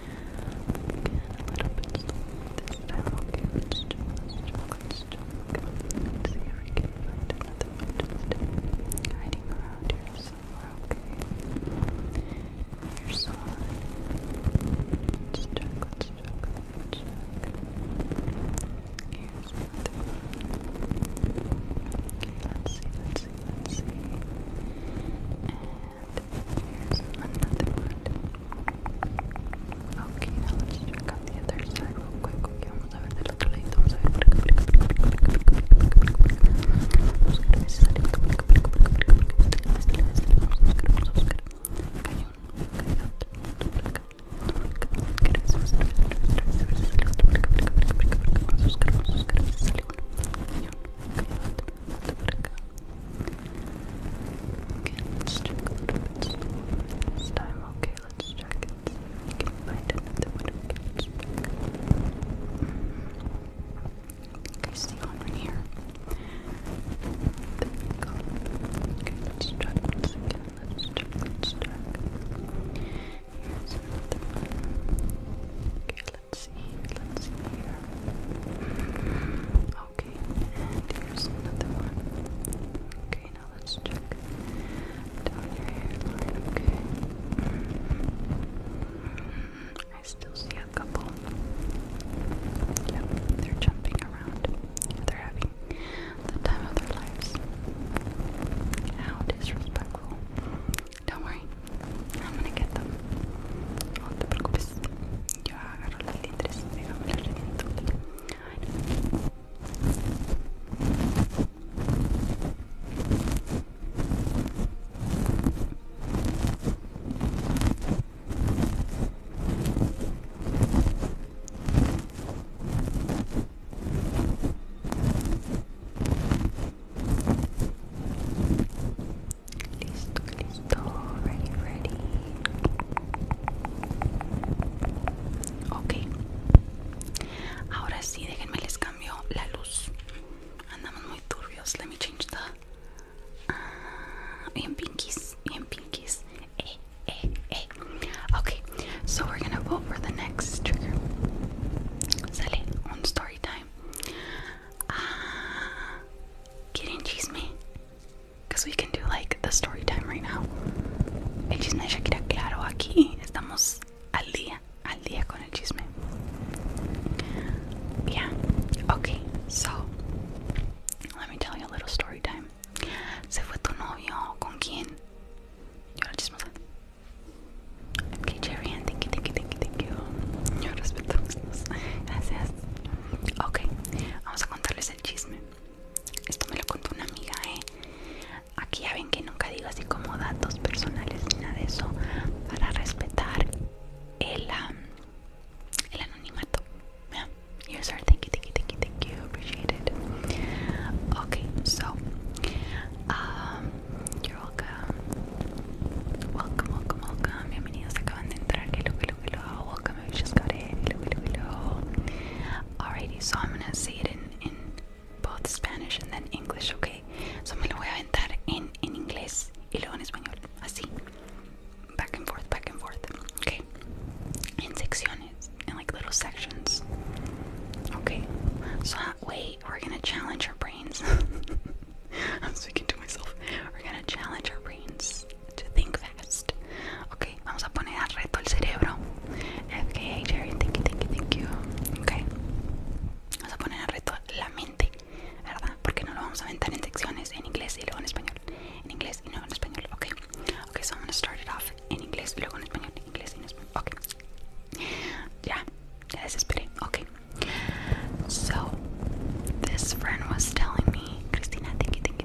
little bit this time. Okay, let's do, let's do, let's do. Let's see if we can find another one hiding around here somewhere. Okay, here's one. Let's check, let's check, let's check. Here's another one. let's see, let's see, let's see here's another one. Okay, let's check the other side real quick. Okay, vamos a ver a ver por let's check a little bit this time. Okay, let's check it. Okay, see on right here. Okay, let's check once again. Let's check, let's check. Here's another one. Okay, let's see. Let's see here. Okay, here's another one. Okay, now let's check down your okay? I still see a couple. Yep, they're jumping around. They're having the time of their lives. How disrespectful. Don't worry, I'm gonna get them. Ya agarró las letras y pegamos las letras en el Listo, already ready. Ok. Ahora sí, déjenme les cambio la luz. Andamos muy turbios. Let me change the. Uh, bien pinkies. Bien pinkies. Eh, eh, eh. Okay, so we're gonna vote for the next trigger. Sale on story time. Ah, uh, quieren chisme. Because we can do like the story time right now. El chisme de Shakira, claro, aquí estamos al día, con el chisme. Yeah, okay, so let me tell you a little story time. Se fue tu novio, ¿con quién? Yo la chismosa. Okay, Jerry, thank you, thank you, thank you, thank you. Yo respeto. Gracias. Ok, vamos a contarles el chisme. Esto me lo contó una amiga, ¿eh? Aquí ya ven que nunca digo así como datos personales ni nada de eso para respetar el, el anonimato. Yeah. Thank you, thank you, thank you, thank you. Appreciate it. Okay, so, um, you're welcome. Welcome, welcome, welcome. Bienvenidos. Acaban de entrar. Que lo que lo que lo hago. Alrighty, so I'm gonna say it in, in both Spanish and then English, okay? So I'm gonna aventar en, in inglés y luego en español, así. Back and forth, back and forth, okay? In secciones, in like little sections. Okay, so wait, we're gonna challenge our brains. I'm speaking to myself. We're gonna challenge our brains to think fast. Ok, vamos a poner al reto el cerebro. Okay, Jerry, thank you, thank you, thank you. Ok, vamos a poner al reto la mente, ¿verdad? Porque no lo vamos a aventar en secciones en inglés y luego en español. En inglés y luego en español. Ok, ok, so I'm gonna start it off in English, luego en español. inglés y español. Ok, ya, ya desesperé. Ok, so this friend was telling me. Cristina, thank you, thank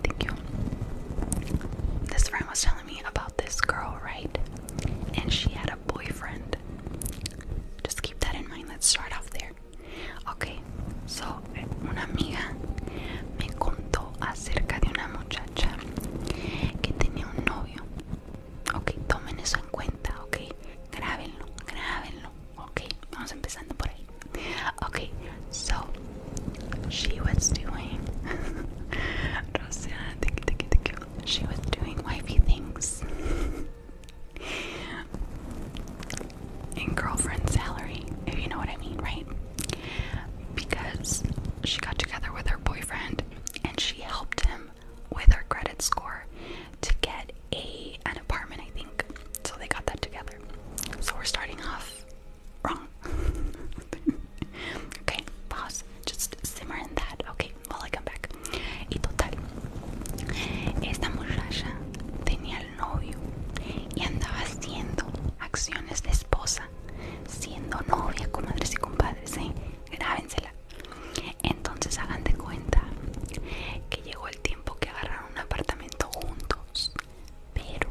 This friend was telling me about this girl, right? And she had a boyfriend. Just keep that in mind. Let's start off there. Okay, so una amiga me contó acerca de una muchacha que tenía un novio. Ok, tomen eso en cuenta, ok. Grábenlo, grábenlo. Ok, vamos empezando por ahí. Okay, so she was doing She was doing wifey things. and girlfriend salary, if you know what I mean, right? Because she got together with her boyfriend and she helped him with her credit score to get a an apartment, I think. So they got that together. So we're starting off wrong. okay, pause. Just simmer that. Okay, while I come back. Y total, esta muchacha tenía el novio y andaba haciendo acciones de esposa, siendo novia, con madres y compadres, ¿eh? Grábensela. Entonces hagan de cuenta que llegó el tiempo que agarraron un apartamento juntos pero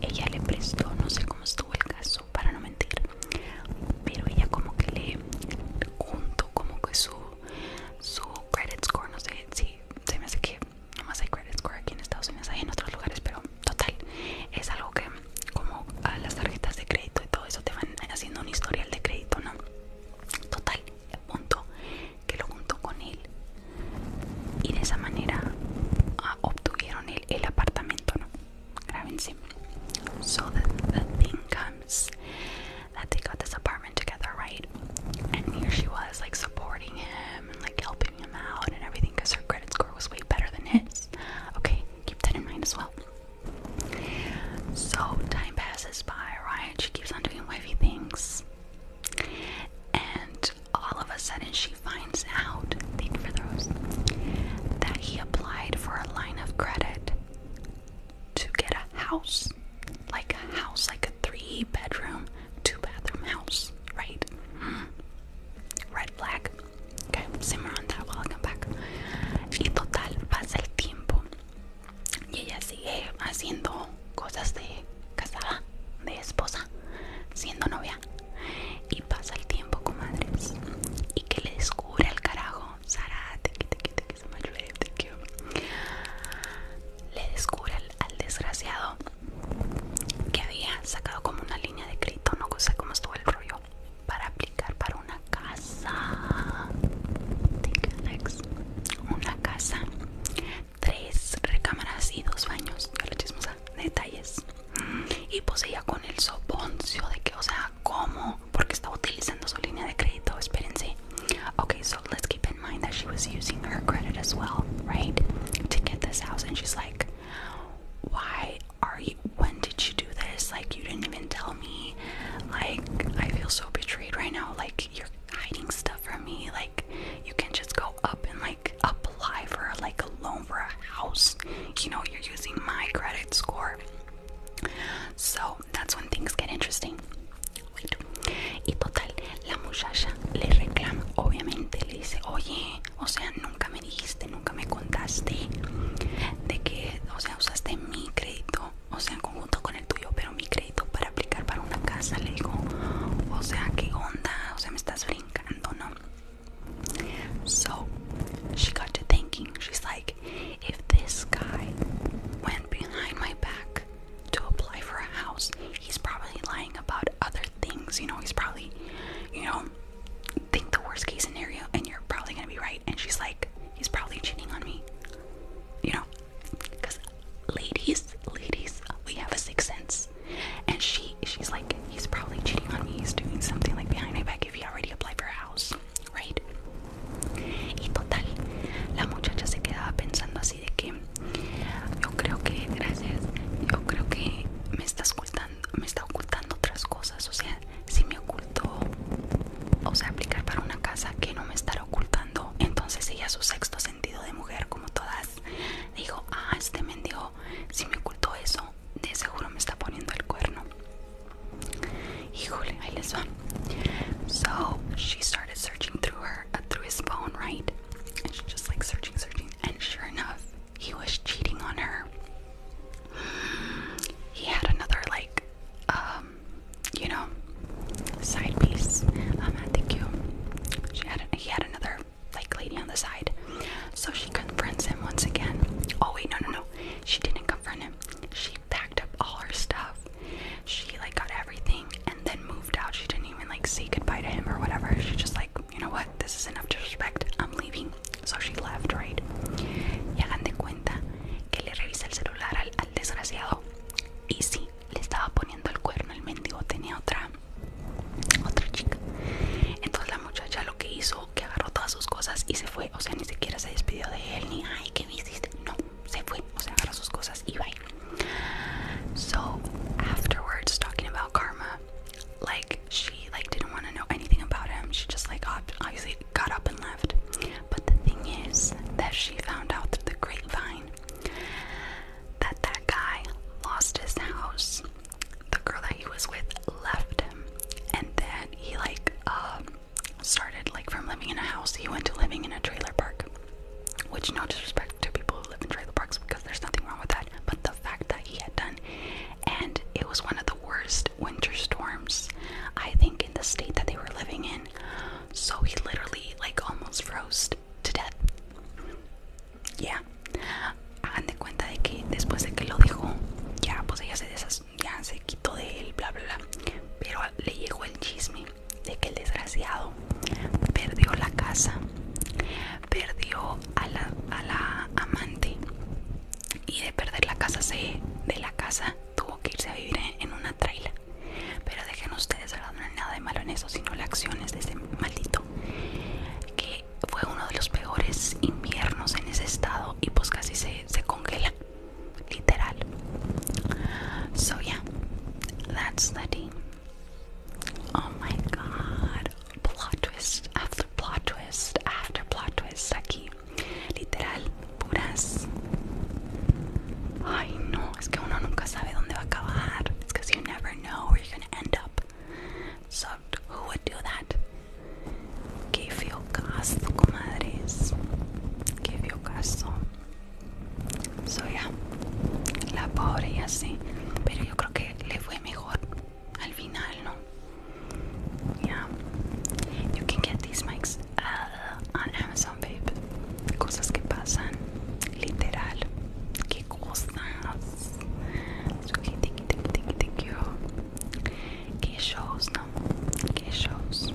ella le prestó, no sé cómo estuvo el caso, para no mentir, pero ella como que le junto como que su, su credit score, no sé si se me hace que nomás hay credit score aquí en Estados Unidos, hay en otros lugares, pero total, es algo que como a las tarjetas de crédito y todo eso te van haciendo un historial de crédito, ¿no? Total, punto que lo juntó con él And de esa manera uh, obtuvieron el, el So the, thing comes that they got this apartment together, right? And here she was, like supporting him and like helping him out and everything because her credit score was way better than his. Okay, keep that in mind as well. So time passes by, right? She keeps on doing wifey things. And all of a sudden, she finds out, that he applied for a line of credit to get a house. Like a house, like a three bedroom, two bathroom house, right? Hmm. Red flag. Okay, simmer on back. Y total, pasa el tiempo. Y ella sigue haciendo cosas de casada, de esposa, siendo novia. Y pasa el tiempo, madres Y que le descubre al carajo. Le descubre al, desgraciado que había sacado como una línea de crédito, no sé cómo estuvo el rollo, para aplicar para una casa. Una casa Three recameras and two baños, a la chismosa, detalles. Y poseía con soponcio de que, o sea, ¿cómo? Porque estaba utilizando su línea de crédito, espérense. Okay, so let's keep in mind that she was using her credit as well, right? To get this house, and she's like, why are you, when did you do this? Like, you didn't even tell me. Like, I feel so betrayed right now. Like, you're hiding stuff from me. Like, you can just go up and like apply for a loan for a house you know you're using my credit score so that's when things get interesting Wait. y total la muchacha le reclama obviamente le dice oye o sea nunca me dijiste nunca me contaste de que o sea usaste mi crédito o sea conjunto con el tuyo pero mi crédito para aplicar para una casa le digo o sea qué onda o sea me estás brincando no So she got to thinking, she's like, if this guy went behind my back to apply for a house, he's probably lying about other things. You know, he's probably, you know, think the worst case scenario and you're probably gonna be right. And she's like, he's probably cheating on me. You know, ladies, ladies, we have a sixth sense. And she's like, he's cheating on me. doing something behind my back if he already applied for a house, Y total, la muchacha se quedaba pensando así de que yo creo que, gracias, yo creo que me está ocultando, me está ocultando otras cosas. O sea, si me ocultó, o sea, aplicar para una casa que no me estará ocultando, entonces ella su sexto sentido de mujer como todas So she started searching through her, uh, through his phone, right? And she just like searching, searching, and sure enough, he was cheating on her. He had another like, um, you know, side piece. Um, I you. She had. He had another like lady on the side. So she confronts him once again. Oh wait, no, no, no. She didn't confront him. She packed up all her stuff. She like got everything and then moved out. She didn't even like say goodbye to him or whatever. She just like, you know what? This is enough disrespect. I'm leaving. So she left, right? Llegan de cuenta que le revisa el celular al desgraciado. Y sí, le estaba poniendo el cuerno, el mendigo tenía otra so afterwards, talking about karma, like she like didn't want to know anything about him. She just like obviously got up and left. But the thing is that she found out through the grapevine that that guy lost his house the girl that he was with left him and then he like um started like from living in a house he went to living in a trailer park which no disrespect to people who live in trailer parks because there's nothing wrong with that but the fact that he had done and it was one of the worst winter storms i think in the state that they were living in so he literally like almost froze to death ya hagan de cuenta de que después de que lo dijo ya pues ella se desas ya se quitó de él bla bla bla pero le llegó el chisme de que el desgraciado perdió la casa perdió a la, a la amante y de perder la casa se de la casa tuvo que irse a vivir en, una traila pero dejen ustedes no nada de malo en eso sino la acciones de ese maldito que fue uno de los peores inviernos en ese estado y pues casi se, congela literal so yeah that's the team oh my god plot twist after plot twist after plot twist aquí literal puras ay no es que uno nunca sabe dónde va a acabar it's cause you never know where you're gonna end up So who would do that? Que feo caso, comadres. Que feo caso. So yeah, la pobre y así. Pero yo creo que le fue mejor al final, ¿no? Yeah. You can get these mics uh, on Amazon, babe. Cosas que pasan, literal qué cosas. que thank Qué shows, no? Qué shows.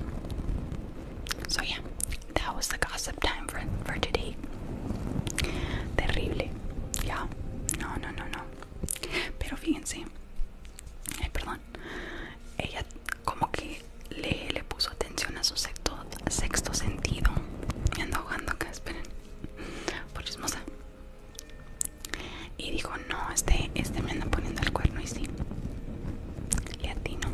So yeah, that was the gossip time for for today. Terrible, yeah. No, no, no, no. Pero fíjense, ay, eh, perdón. Ella como que le, le puso atención a su sexto, sexto sentido. Me ando ahogando que esperen. Por chismosa. Y dijo, no, este, este me anda poniendo el cuerno y sí. Le atino.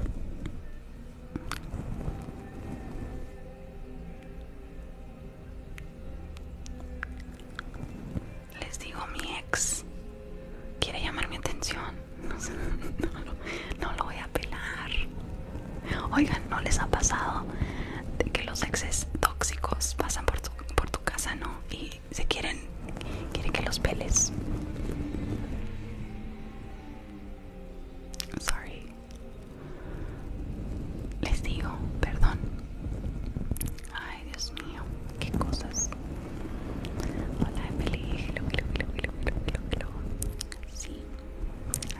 Les digo, mi ex quiere llamar mi atención. No, lo, voy a pelar. Oigan, ¿no les ha pasado de que los exes tóxicos pasan por por tu casa, ¿no? Y se quieren, quieren que los peles. Sorry. Les digo, perdón. Ay, Dios mío, qué cosas. Hola, Emily. Sí,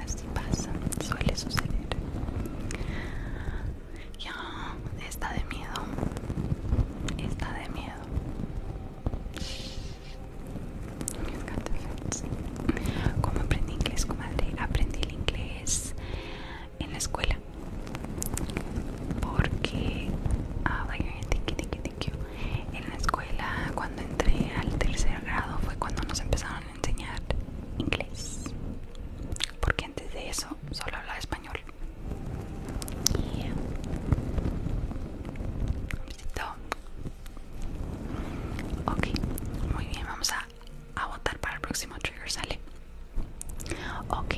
así pasa, suele suceder. Ya, está de miedo. Está de miedo. Como ¿Cómo aprendí inglés, comadre? Aprendí el inglés en la escuela. Porque, ah, en la escuela, cuando entré al tercer grado, fue cuando nos empezaron enseñar inglés porque antes de eso solo hablaba español ok muy bien vamos a, votar para el próximo trigger sale ok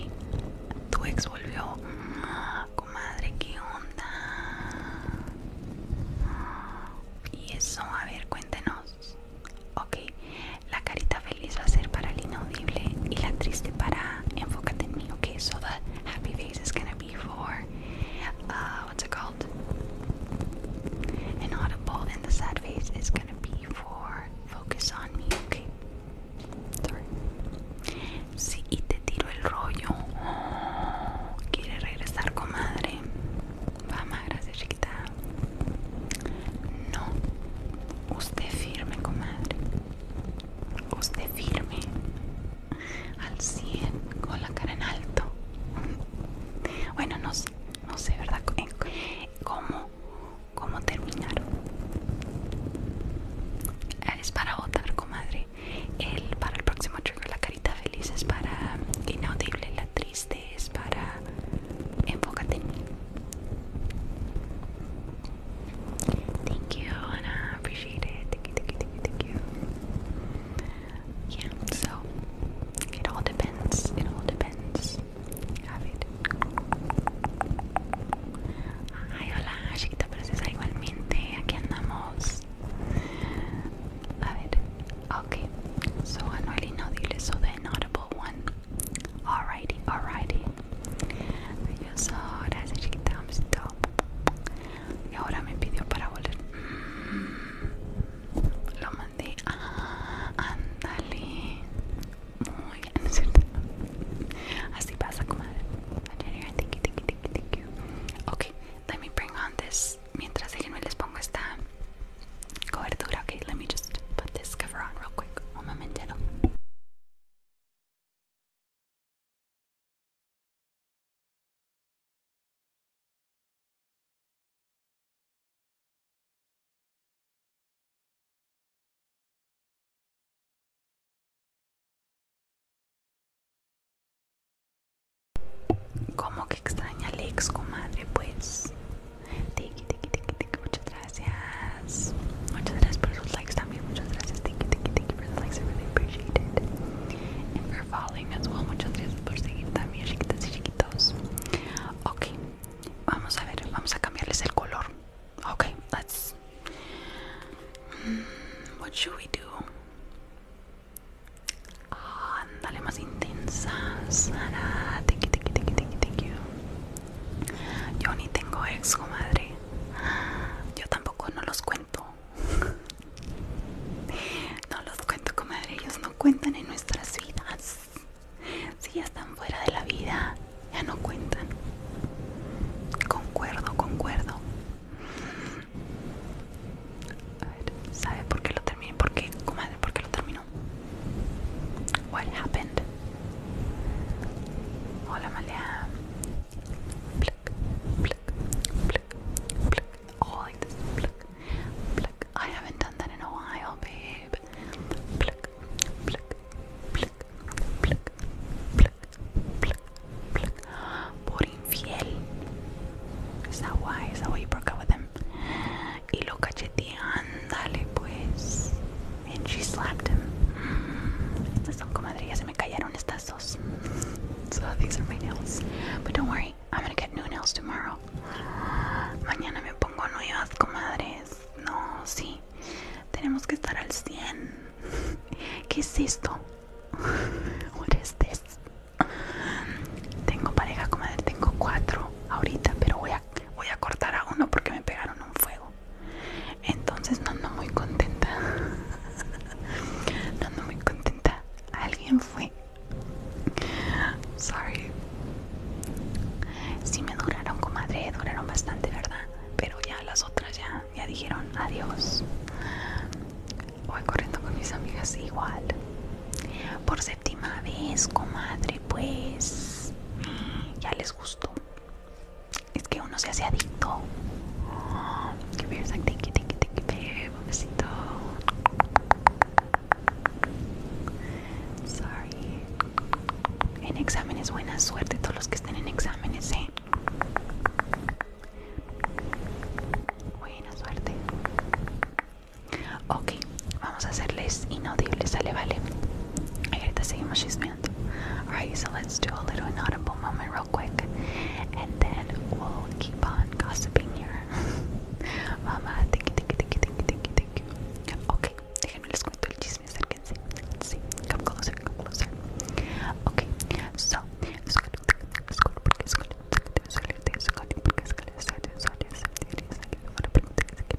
tu ex volvió ah, comadre qué onda ah, y eso a ver cuéntenos Okay, la carita feliz va a ser para el inaudible y la triste para enfócate en mí. Ok, so the happy face is gonna be for uh, what's it called? Inaudible, and the sad face is gonna be for focus on me. okay? sorry. Sí, y te tiro el rollo. Quiere regresar, comadre. Va, no. Usted firme, comadre. Usted firme. Al 100, con la cara en alto. Bueno, no sé, ¿verdad? Eh, ¿Cómo? ¿Cómo terminaron? Es para votar, comadre. El, para el próximo truco la carita feliz es para inaudible, la triste Thank you, and appreciate it. Thank you, thank you, thank you, thank you. Yeah, so it all depends. It all depends. Have it. hola, chiquita princesa, igualmente. Aquí andamos. A ver, okay. So, Anueli, no diles so the inaudible one. Alrighty, alrighty. Adiós, gracias chiquita, stop. Y ahora me pidió para volver. Mm, lo mandé. Andale ah, Muy bien, cierto? Así pasa, comadre. Thank you, thank you, thank you, thank Ok, let me bring on this. Mientras déjenme les pongo esta Go ahead, and do it. Okay, let me just put this cover on real quick. One Como que extraña Lex, comadre, pues. muchas gracias. Muchas gracias por los likes también. Muchas gracias. Thank you, thank you, for the likes. really appreciate it. And Muchas gracias por seguir también, y chiquitos. Ok, vamos a ver. Vamos a cambiarles el color. Ok, let's. Mm, what should we do? más intensas. thank you, thank you, thank you. Yo ni tengo ex, comadre. Yo tampoco no los cuento. No los cuento, comadre. Ellos no cuentan en nuestras vidas. Si ya están fuera de la vida, ya no cuentan. Concuerdo, concuerdo. A ver, ¿sabe por qué lo terminé? ¿Por qué, comadre? ¿Por qué lo terminó? What happened? All oh, like this. Pluck, I haven't done that in a while, babe. Pluck, infiel. Is that why? Is that why you broke up with him? y lo cacheteé, Ándale, pues. And she slapped him. Mm, estas son ya se me cayeron estas dos. So these are my nails. But don't worry, I'm gonna get new nails tomorrow. Mañana me pongo nuevas, comadres. No, sí. Tenemos que estar al 100. ¿Qué es esto? What is this? Tengo pareja, comadre. Tengo cuatro ahorita, pero voy voy a cortar a uno porque me pegaron un fuego entonces no ando muy contenta no ando muy contenta alguien fue sorry si sí me duraron comadre duraron bastante verdad pero ya las otras ya ya dijeron adiós voy corriendo con mis amigas igual por séptima vez comadre pues ya les gustó es que uno se hace adicto. Que Sorry. En exámenes, buena suerte todos los que estén en exámenes, eh. Buena suerte. Ok, vamos a hacerles inaudibles, sale, vale. Ahorita seguimos chisme Alright, so let's do a little inaudible moment real quick, and then we'll keep on gossiping here. Mama, thank you, thank you, thank you, thank you, thank you, thank you. Okay, déjenme les cuento el chisme, acérquense. Let's see, come closer, come closer. Okay, so,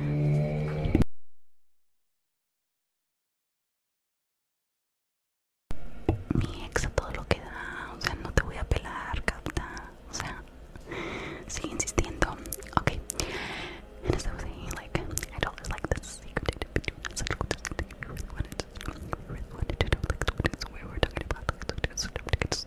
Mi ex a todo lo que da, o sea, no te voy a pelar, capta. O sea, sigue insistiendo. Ok. And as I saying, like, I don't like the secret. So I wanted to know, like, what it is, we were talking about, this.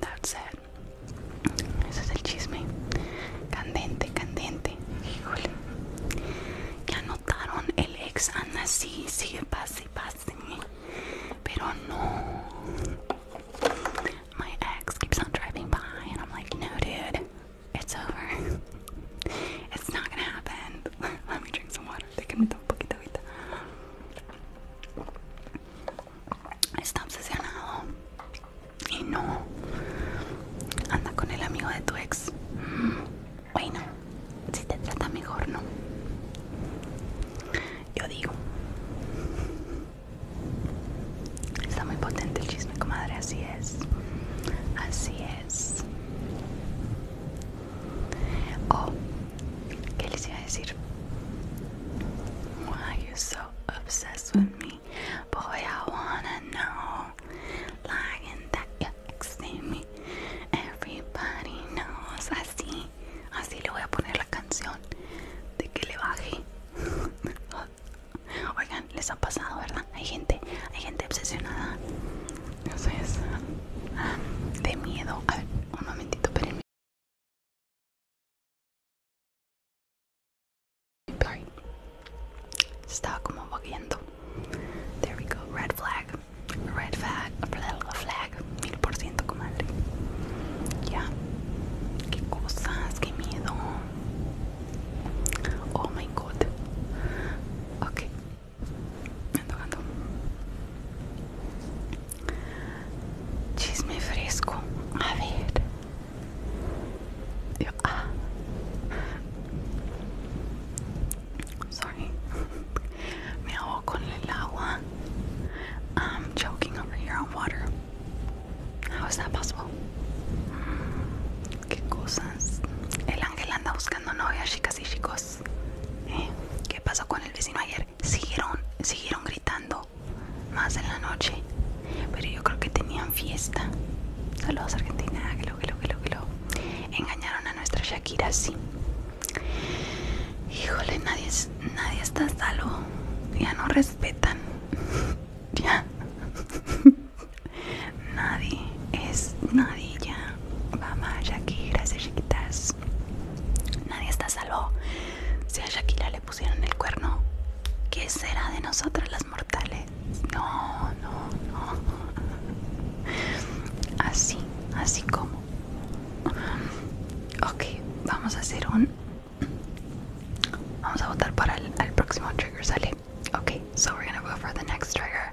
that's it. Ese es el chisme. Candente, candente. Híjole. Ya notaron, el ex anda sí, sigue pase, pase. Pero no. My ex keeps on driving by, and I'm like, no, dude, it's over. It's not gonna happen. Let me drink some water. está obsesionado y no anda con el amigo de tu ex. Bueno, si te trata mejor, no. Yo digo. Está muy potente el chisme, comadre, así es. Así es. Oh, ¿Qué les iba a decir? Why are you so obsessed with me? Boy, I wanna know. Lying that you're exing me. Everybody knows. Así, así le voy a poner la canción de que le baje. Oigan, les ha pasado, ¿verdad? Hay gente, hay gente obsesionada. Entonces, ah, de miedo. A ver, un momentito, espérenme. Está estaba como vagueando. There we go. Red flag. Red flag. Red flag. Mil por ciento, comadre. Ya. Qué cosas. Qué miedo. Oh my god. Ok. Me ando, ando. Chisme fresco. A ver. Yo, ah. Sorry. Me ahogo con el agua. I'm choking over here on water. How is that possible? Qué cosas. El ángel anda buscando novias, chicas y chicos. ¿Eh? ¿Qué pasó con el vecino ayer? siguieron, siguieron gritando más en la noche, pero yo creo que tenían fiesta. Saludos Argentina, que lo, que lo, que lo, que lo. Engañaron a nuestra Shakira, sí. Híjole, nadie, nadie está salvo. Ya no respetan. ya. nadie es nadie ya. Mamá, Shakira, se chiquitas Nadie está salvo. Si a Shakira le pusieron el cuerno, ¿qué será de nosotras las mortales? No, no, no. Así, así como. Ok, vamos a hacer un... Vamos a votar para el, próximo trigger, ¿sale? Okay, so we're to go for the next trigger.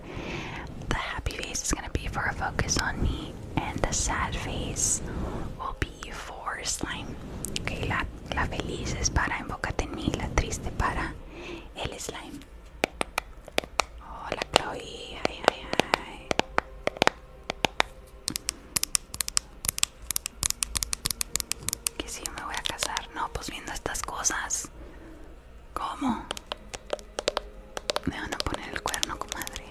The happy face is to be for a focus on me, and the sad face will slime. la, la feliz es para Enfócate en mí, la triste para el slime. Hola Chloe, ay, ay, ay. Que si yo me voy a casar, no, pues viendo estas cosas. ¿Cómo? Me van a poner el cuerno, comadre.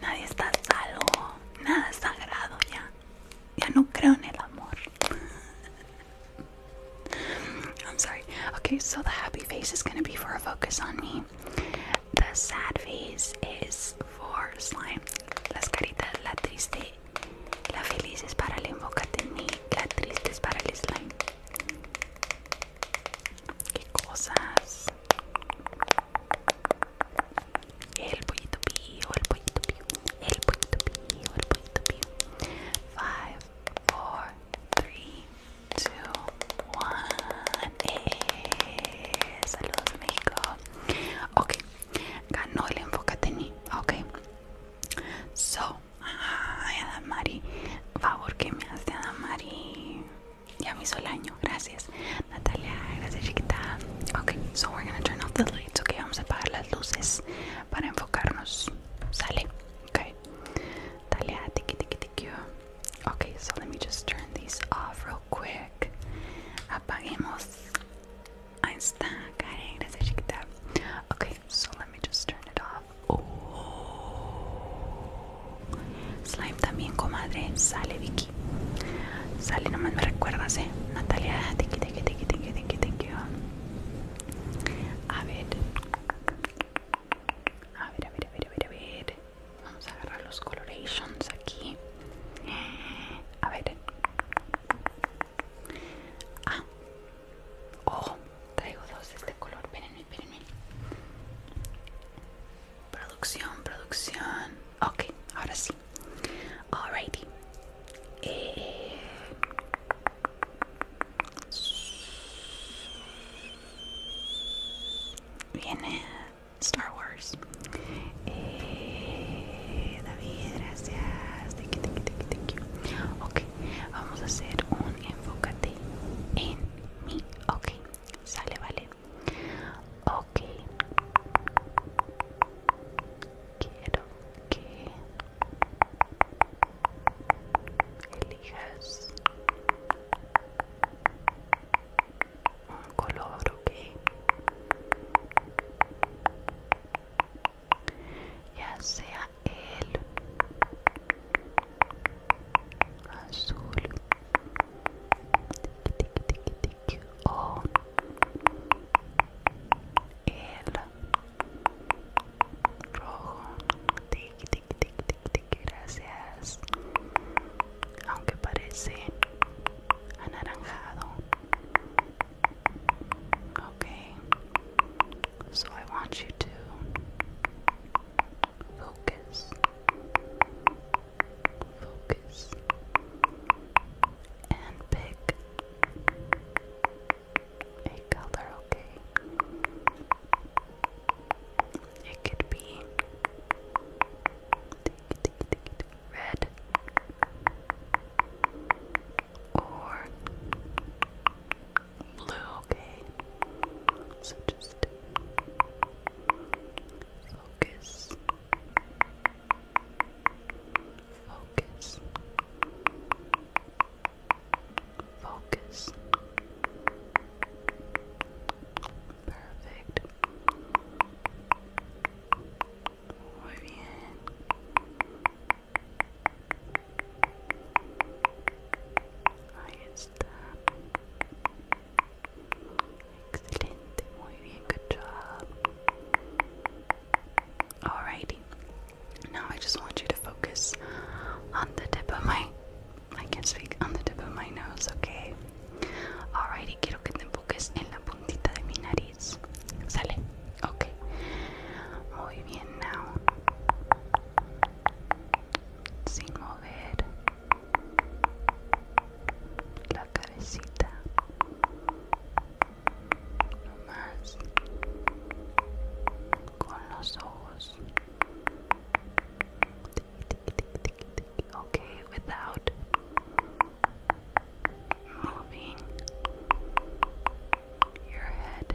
Nadie está salvo, nada sagrado ya. Ya no creo en el amor. I'm sorry. Okay, so the happy face is gonna be for a focus on me. The sad face is for slime. Las caritas, la triste, la feliz es para el enfócate en la triste es para el slime. Qué cosas. El pollito pío, el pollito el pollito el pollito eh, saludos México. Ok, ganó el ni Ok. So, ay Adamari, favor que me hace Adamari. Ya me hizo el año. Gracias. Natalia, gracias chiquita. Okay, so we're gonna turn off the lights. Okay, vamos a apagar las luces para enfocarnos. Sale. Okay. Natalia, ah, tiki tiki tiki. Okay, so let me just turn these off real quick. Apaguemos. Ahí está, gracias chiquita. Okay, so let me just turn it off. Oh. Slime también, comadre. Sale Vicky. Sale, nomás me recuerdas, eh. Natalia, que que que A ver. A ver, a ver, a ver, a ver, Vamos a agarrar los colorations aquí. A ver. Ah. Oh, traigo dos de este color. ven Producción, producción. Ok, ahora sí. Alrighty. Eh... Viene Star Wars. Eh, David, gracias. Thank you, thank Ok, vamos a hacer un enfócate en mí. Ok. Sale, vale. okay Quiero que elijas un color, ok. Ya sea el azul tic, tic, tic, tic. o el rojo tic, tic, tic, tic, tic. gracias aunque parece anaranjado okay so I want you to focus Focus and big. a color, okay? It could be red or blue, okay? So just Focus. Focus. Focus. Perfect. Muy bien. Ahí está. Excelente, muy good job. Alrighty. Now I just want you to focus on the tip of my I can speak on the tip of my nose, okay? Alrighty, quiero que te enfoques en la puntita de mi nariz. Sale. Okay. Muy bien now. Sin mover la cabecita más con los ojos okay without moving your head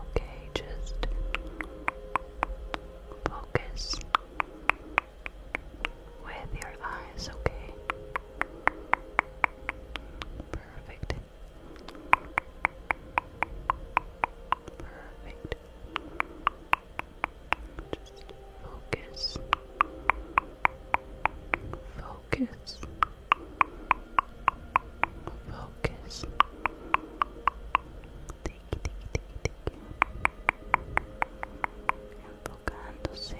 okay just focus with your eyes, okay? Perfect. Perfect. Just focus. Focus. Focus. tiki, tiki, tiki, tiki. Enfocándose,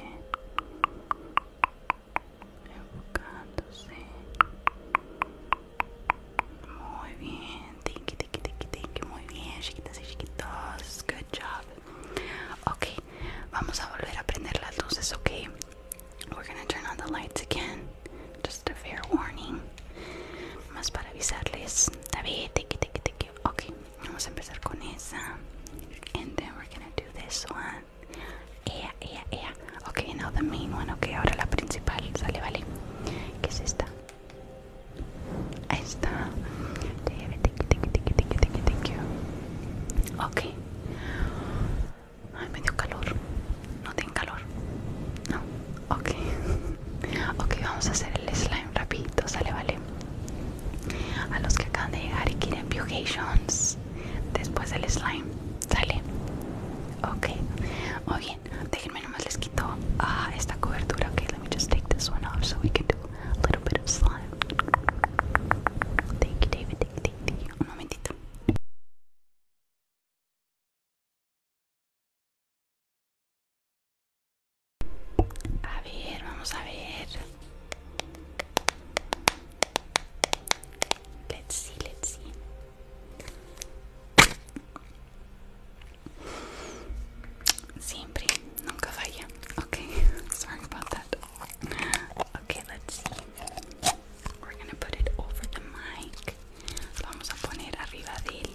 enfocándose. Muy bien, tiki, tiki, tiki, tiki. Muy bien, chiquitas y chiquitos. Good job. Ok, vamos a volver a prender las luces, ok. We're gonna turn on the lights again. Just a fair warning más para avisarles David, tiki tiki tiki Okay vamos a empezar con esa and then we're gonna do this one Yeah Yeah Yeah Okay now the main one, Okay ahora la principal sale, vale, ¿qué es esta ahí está David, tiki tiki tiki tiki tiki tiki ok ay, me medio calor no tiene calor no Ok, ok, vamos a hacer el slime rapidito, sale, vale. A los que acaban de llegar y quieren vacations, después del slime, sale. Ok, muy bien, déjenme nomás les quito ah, esta cobertura. Ok, let me just take this one off so we can do a little bit of slime. Thank you, David. Un momentito. A ver, vamos a ver. Let's see, let's see. Siempre, nunca falla. Okay, sorry about that. Okay, let's see. We're gonna put it over the mic. vamos a poner arriba del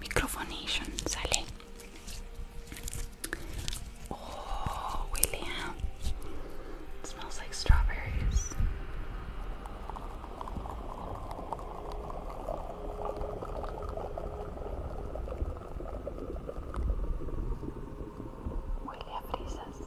Microfonation, Sally. Oh, William. smells like strawberries. William Jesus.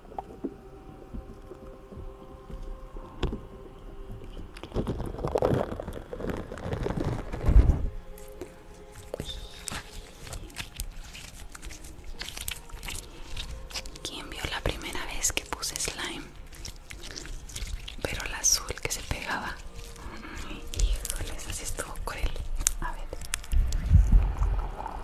¿Quién vio la primera vez que puse slime? Pero el azul que se pegaba. Híjoles, así estuvo cruel. A ver.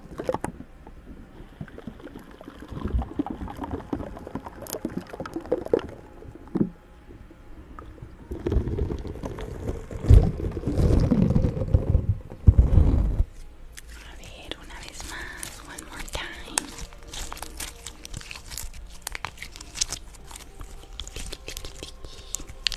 A ver, una vez más, one more time. Tiki, tiki, tiki.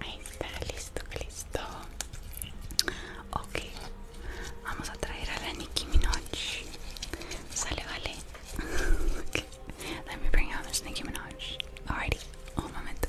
Ahí está, listo, listo. Ok, vamos a traer a la Nicki Minaj. Sale, vale. Ok Let me a la Nicki Minaj. Alrighty, un momento.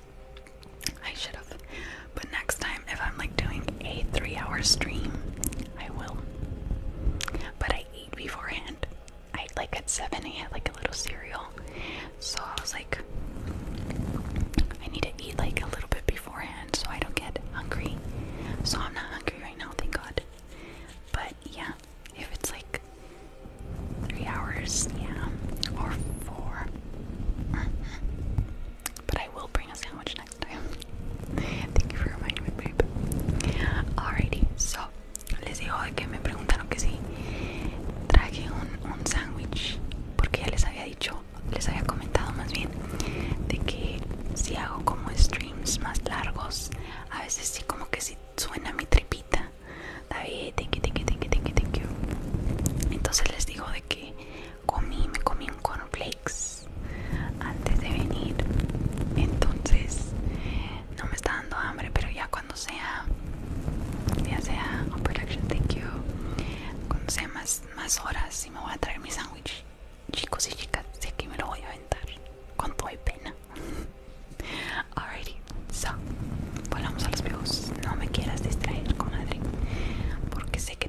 I should have. But next time, if I'm like doing a three hour stream, I will. But I ate beforehand. I like at 7, I had like a little cereal. So I was like, I need to eat like a little bit beforehand so I don't get hungry. So I'm not hungry right now, thank God. But yeah, if it's like three hours, yeah, or four. pero I will bring a sandwich next time. Thank you for reminding me, Alrighty, so les digo que me preguntaron que si traje un, sándwich, porque ya les había dicho, les había comentado más bien, de que si hago como streams más largos, a veces sí como que si suena mi tripita. David, thank you, thank Entonces les digo de que comí, me comí un cornflakes antes de venir. Entonces no me está dando hambre, pero ya cuando sea, ya sea un oh, production, thank you. Cuando sea más, más horas y me voy a traer mi sándwich, chicos y chicas, sé que me lo voy a aventar con todo y pena. Alrighty, so volvamos a los videos, No me quieras distraer, comadre, porque sé que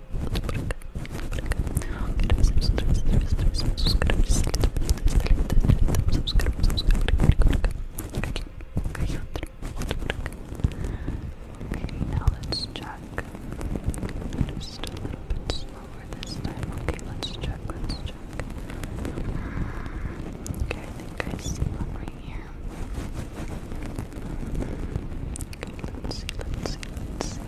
Okay, now let's check. Just a little bit slower this time. Okay, let's check, let's check. Okay, I think I see one right here. Okay, let's see, let's see, let's see.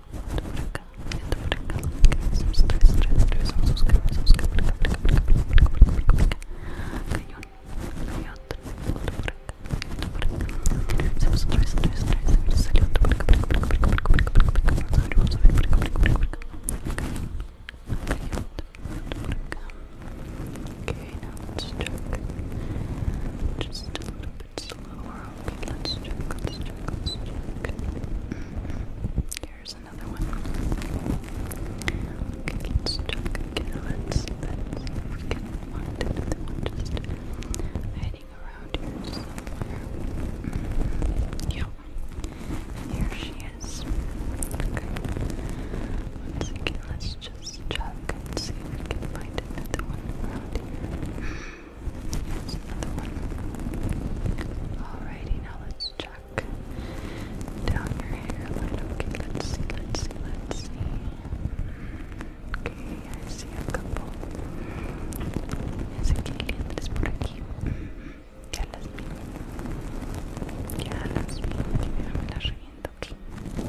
Okay, now let's check just a little bit let's check, check, mm-hmm. Here's another one. let's check Let's, see if we can find another one just hiding around here somewhere. Mm-hmm. Yep. Here she is. Okay. let's just check see if we can find another one around here. That's another Alrighty, now let's check down your hairline. Okay, let's let's let's see. Okay, I see a couple. Ese que entres por aquí. Ya las vi. Ya las vi. Mira, me las reviento aquí. Okay.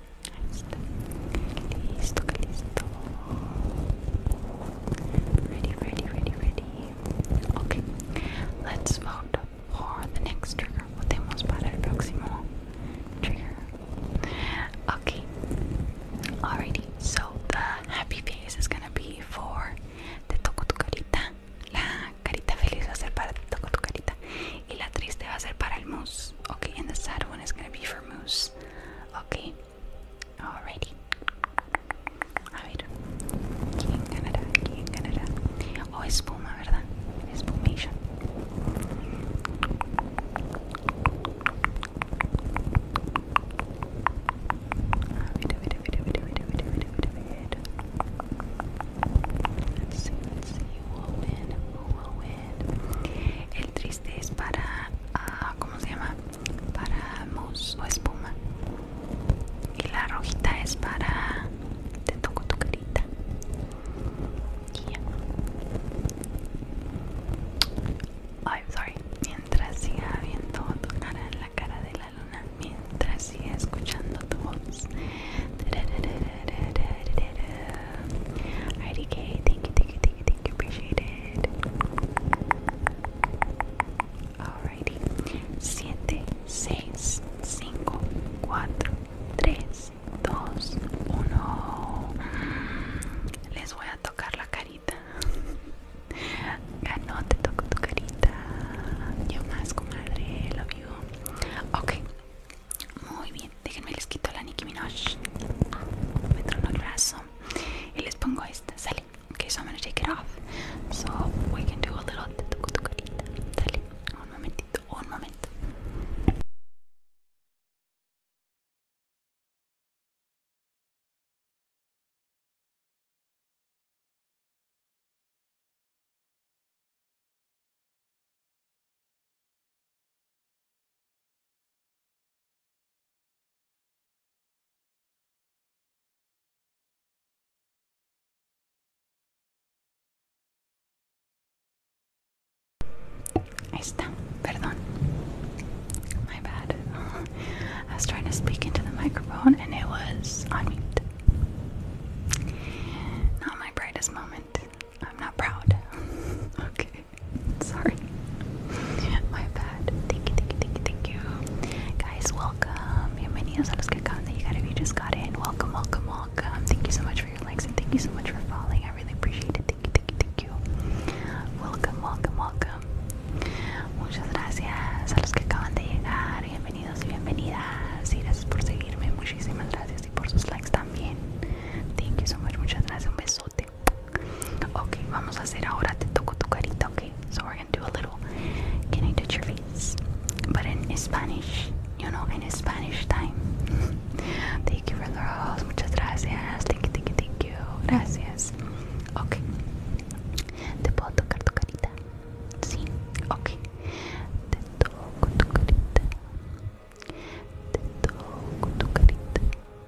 Listo, Ready, ready, ready, ready. Ok, let's vote for the next trigger. Votemos para el próximo trigger. Ok, alrighty. So the happy face is gonna be for the toco tu carita. La carita feliz va a ser para toco tu carita. Y triste va a ser para el moose. Ok, and the sad one is gonna be for moose. Okay, Alrighty. A ver, ¿quién ¿Quién oh, espuma, ¿verdad? este es para ah, ¿cómo se llama? para mousse o espuma y la rojita es para te toco tu carita y I'm sorry mientras siga viendo tu cara en la cara de la luna mientras siga escuchando tu voz thank you, Thank you, appreciate it. Alrighty. 7, 6, 5, 4, 3, 2, 1. Les voy a tocar la carita. no te toco tu carita. Yo más, comadre. lo you. Ok. Muy bien. Déjenme les quito la Nicki Minaj. Me trono el brazo. y les pongo esta, sale. Okay, so I'm gonna take it off. So we can do a little tucutucarita. Sale. Un momentito, un momento. está, perdón. My bad. I was trying to speak into the microphone and it was on mute. Not my brightest moment. I'm not proud. okay. Sorry. My bad. Thank you, thank you, thank you, thank you. Guys, welcome. Bienvenidos a los que acaban de llegar you just got in. Welcome, welcome, welcome. Thank you so much for your likes and thank you so much for following. I really appreciate it. Thank you, thank you, thank you. Welcome, welcome, welcome. Muchas gracias a los que acaban de llegar. Bienvenidos y bienvenidas. gracias por seguirme. Muchísimas gracias y por sus likes también. Thank you so much. Muchas gracias. Un besote. Okay, vamos a hacer ahora te toco tu carita. Okay, so we're gonna do a little, can I touch your face? But in Spanish, you know, in Spanish time. Thank you for the muchas gracias. Thank you, thank you, thank you. Gracias. Okay. Te puedo tocar tu carita. Sí. Okay. Te toco tu carita. Te toco tu carita.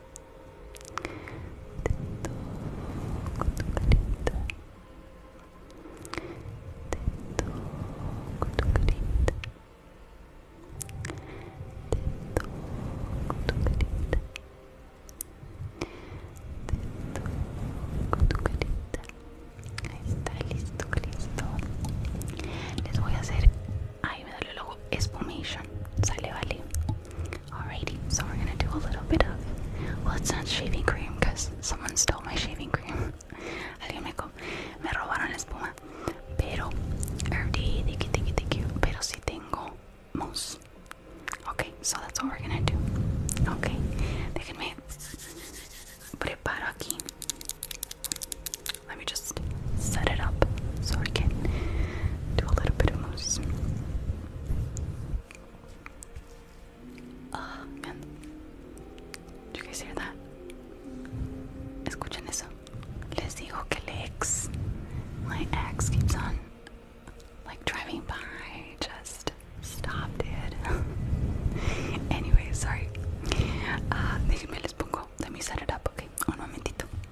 de todo tu carita de todo tu carita de tu tu Ahí está listo, listo. Les voy a hacer Ahí me salió el logo Espumation. Sale, vale. Alrighty, so we're gonna do a little bit of. Well, it's not shaving cream because someone stole my shaving cream. Alguien me, me robaron la espuma. Pero, RD, thank you, thank you, thank you. Pero si tengo mousse. Okay, so that's what we're gonna do. Okay, déjenme preparo aquí. Let me just set it up so I can do a little bit of mousse. oh, ah, man. Do you guys hear that? Escuchen eso. Les digo my ex, keeps on like driving by. Just stop, dude. anyway, sorry. Uh, déjenme les pongo. Let me set it up, okay? Un momentito.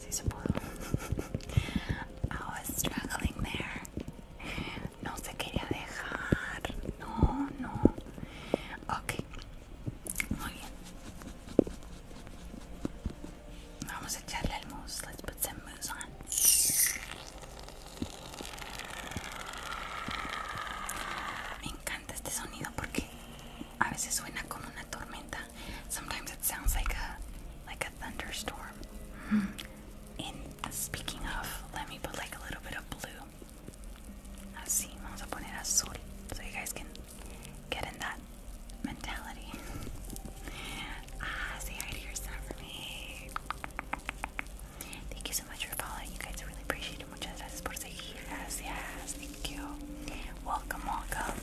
Sí se pudo. I was struggling there. No se quería dejar. No, no. Ok. Muy bien. Vamos a echarle el mousse. Let's put some mousse on. I encanta este sonido porque a veces suena Sometimes it sounds like a like a thunderstorm. Mm speaking of, let me put like a little bit of blue. Así, vamos a poner azul, so you guys can get in that mentality. ah, say hi to yourself Thank you so much for following. You guys really appreciate it. Muchas gracias por Thank you. Welcome, welcome.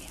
Yeah.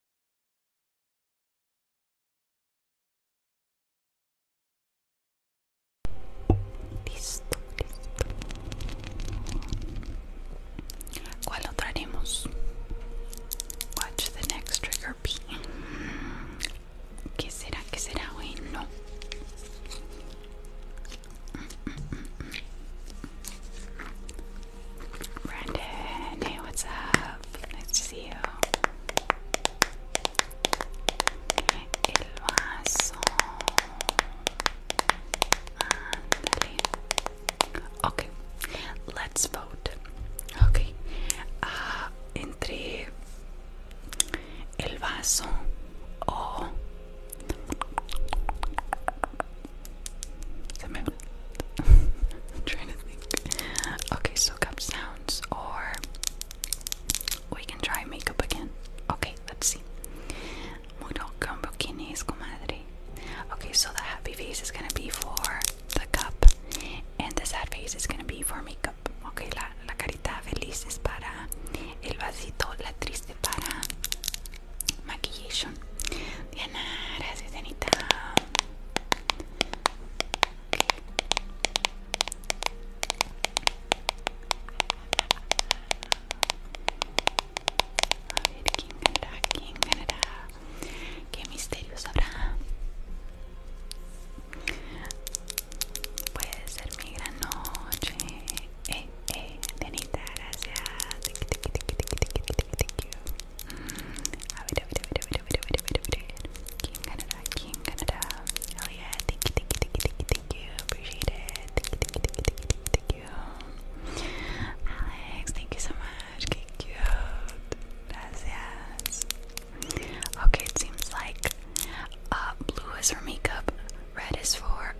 Listo, ¿Cuál otra haremos? Watch the next trigger be. ¿Qué será? ¿Qué será? Hoy no. Brandon, hey, what's up? Nice to see you. Okay, let's vote. Okay, uh, entre el vaso o. Okay, so cups down or we can try makeup again. Okay, let's see. Muro con bikinis, comadre. Okay, so the happy face is gonna be for the cup, and the sad face is gonna be for makeup. Okay, la, la carita feliz es para el vasito, la triste para maquillaje. Diana, gracias, Anita. A quién ganará, quién ganará, qué misterios habrá. Puede ser mi gran noche. Eh, eh, Denita, gracias. Thank you. Mm, a ver King Canada, King Canada. Hell yeah, thank you, thank you, thank you, thank you, Appreciate it. Thank you, thank you, thank you, thank you, thank you. Alex, thank you so much. Que cute. Gracias. Okay, it seems like blue is for makeup, um, red is for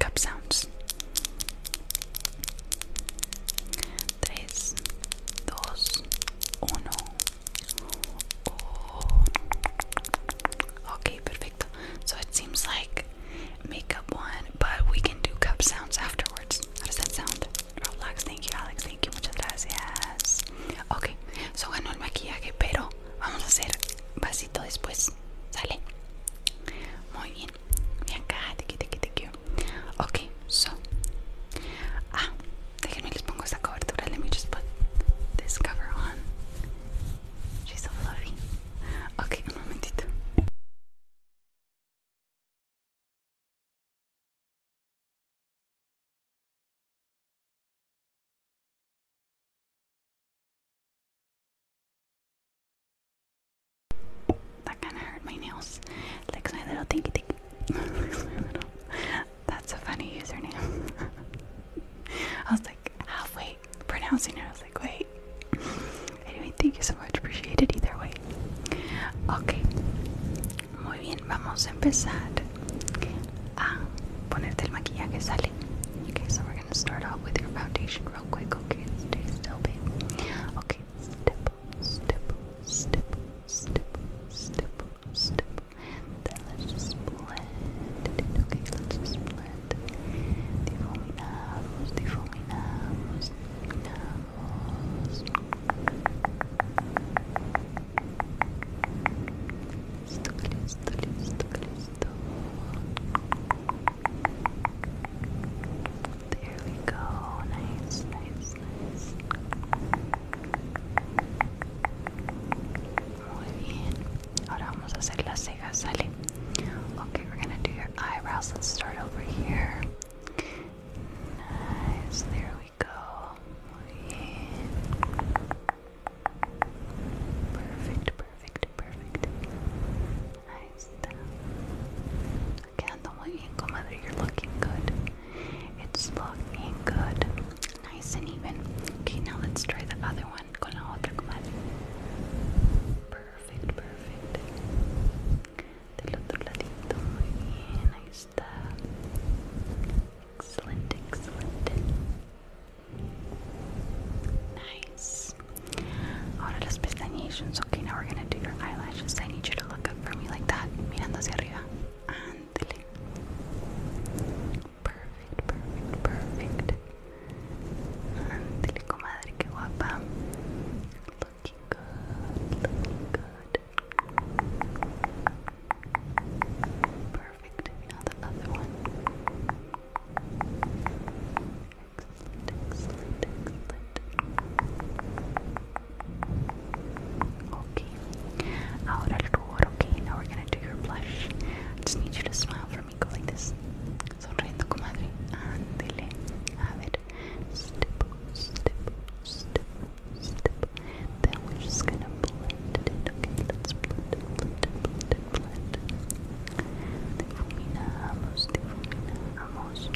cup sounds. Tres, Okay, perfecto. So it seems like makeup one, but we can do cup sounds afterwards. How does that sound? Roblox, thank you, Alex, thank you, muchas gracias. Okay, so ganó el maquillaje, pero vamos hacer vasito después. Sale. Muy bien. Bien Okay, so. Ah, let me just put this cover on. She's so fluffy. Ok, un momentito. That kind of hurt my nails. Like my little tinky tinky. my little that's a funny username. I was like ah, "Wait, pronouncing it. I was like, wait. Anyway, thank you so much. Appreciate it either way. Ok. Muy bien, vamos a empezar a ponerte el maquillaje, sale. Okay, so we're gonna start off with your foundation real quick. Okay, stay still, babe. Okay, step, step, step, step, step, just blend. Let's blend Okay, let's blend. Difuminamos, difuminamos, difuminamos. There we go. Nice, nice, nice. Okay, we're gonna do your eyebrows. Let's start over here. Nice. There we go. Perfect, perfect, perfect. Ahí está. Quedando muy bien, comadre. You're looking good. It's looking good. Nice and even. Okay, now let's try the other one. Con la otra, comadre. Perfect, perfect. Del otro ladito. Muy bien, ahí Excellent, excellent. Nice. Ahora las pestañas. Okay, now we're gonna do your eyelashes. I need you to look up for me like that. Mirando hacia arriba. Ah monthly. Perfect, perfect, perfect. Monthly, comadre, que guapa. Looking good, looking good. Perfect. Now other one. Excellent, excellent, excellent. Okay. Ahora el rubor. Okay, now we're gonna do your blush. I just need you to smile for me. Go like this. Sonriendo, comadre. Ándele. A ver. Step, step, step, step. Then we're just gonna blend it. Okay, let's blend it, blend it, blend it, blend it. Difuminamos, difuminamos.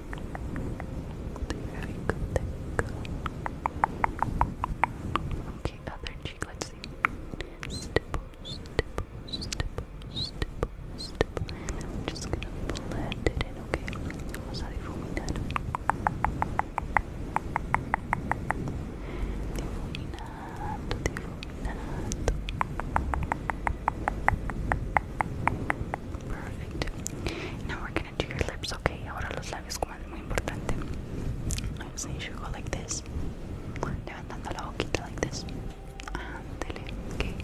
Very good, Okay, other cheek, let's see. just gonna blend it in, okay? Perfect. Now we're gonna do your lips, okay? Ahora los labios como muy importante. So you should like this. Levantando la boquita like this. Andele, okay?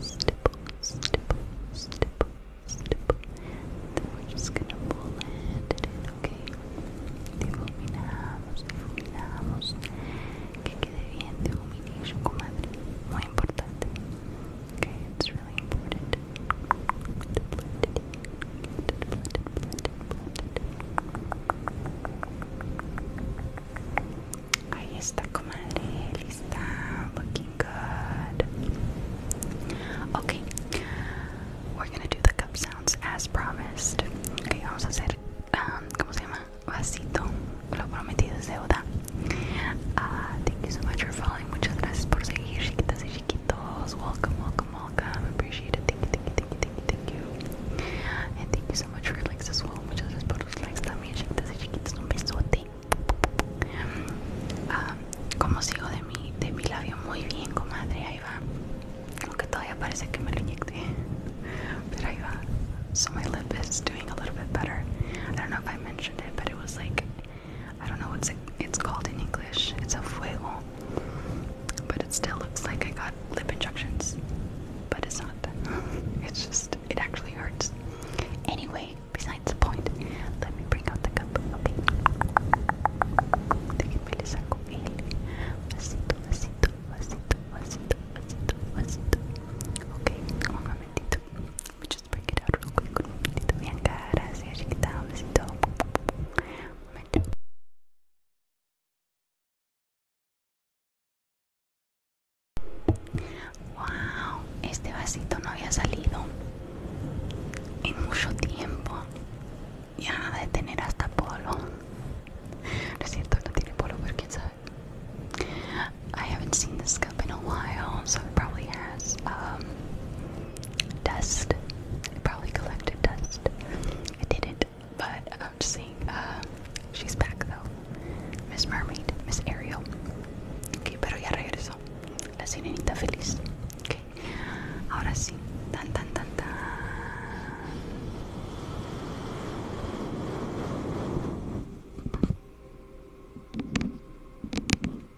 Stipple, stipple, stipple, stipple. we're just gonna pull it okay? Difuminamos, difuminamos. Que quede bien, difumination, comadre. Muy importante. Okay, really important. Blended, blended, blended, blended, Ahí está, comadre. Lista. Looking good. Okay. We're gonna do the cup sounds as promised. Okay, vamos a hacer. Um, ¿Cómo se llama? Vasito. Lo prometido es deuda. Uh, thank you so much for following. Muchas gracias por seguir, chiquitas chiquitos. Welcome, welcome, welcome. Appreciate Thank you, thank you, thank you, thank you, thank you. And thank you so much for likes as well. Muchas gracias por los likes también, chiquitas y chiquitos. Un besote. Um, como sigo de mi, de mi labio muy bien, comadre, ahí va. Aunque todavía parece que me lo inyecté. But ahí va. So my lip is doing a little bit better. I don't know if I mentioned it, but it was like I don't know what's it's called in English. It's a fuego, but it still looks like I got lip injections, but it's not. it's just it actually hurts. Anyway, besides the point, let me bring out the cup. Okay. Déjenme voy break it out real con Un momentito, Bianca. Gracias, chiquita. Un besito. Un momento. Wow, este vasito no había salido en mucho tiempo. Ya de tener hasta polo. No es no tiene polo, pero quién sabe. I haven't seen this cup in a while, so it probably has um, dust. It probably collected dust. I didn't, but I'm just seeing. Uh, she's back though. Miss Mermaid, Miss Ariel. Okay, pero ya regresó. La sirenita feliz. Okay. Ahora sí. Tan tan tan tan.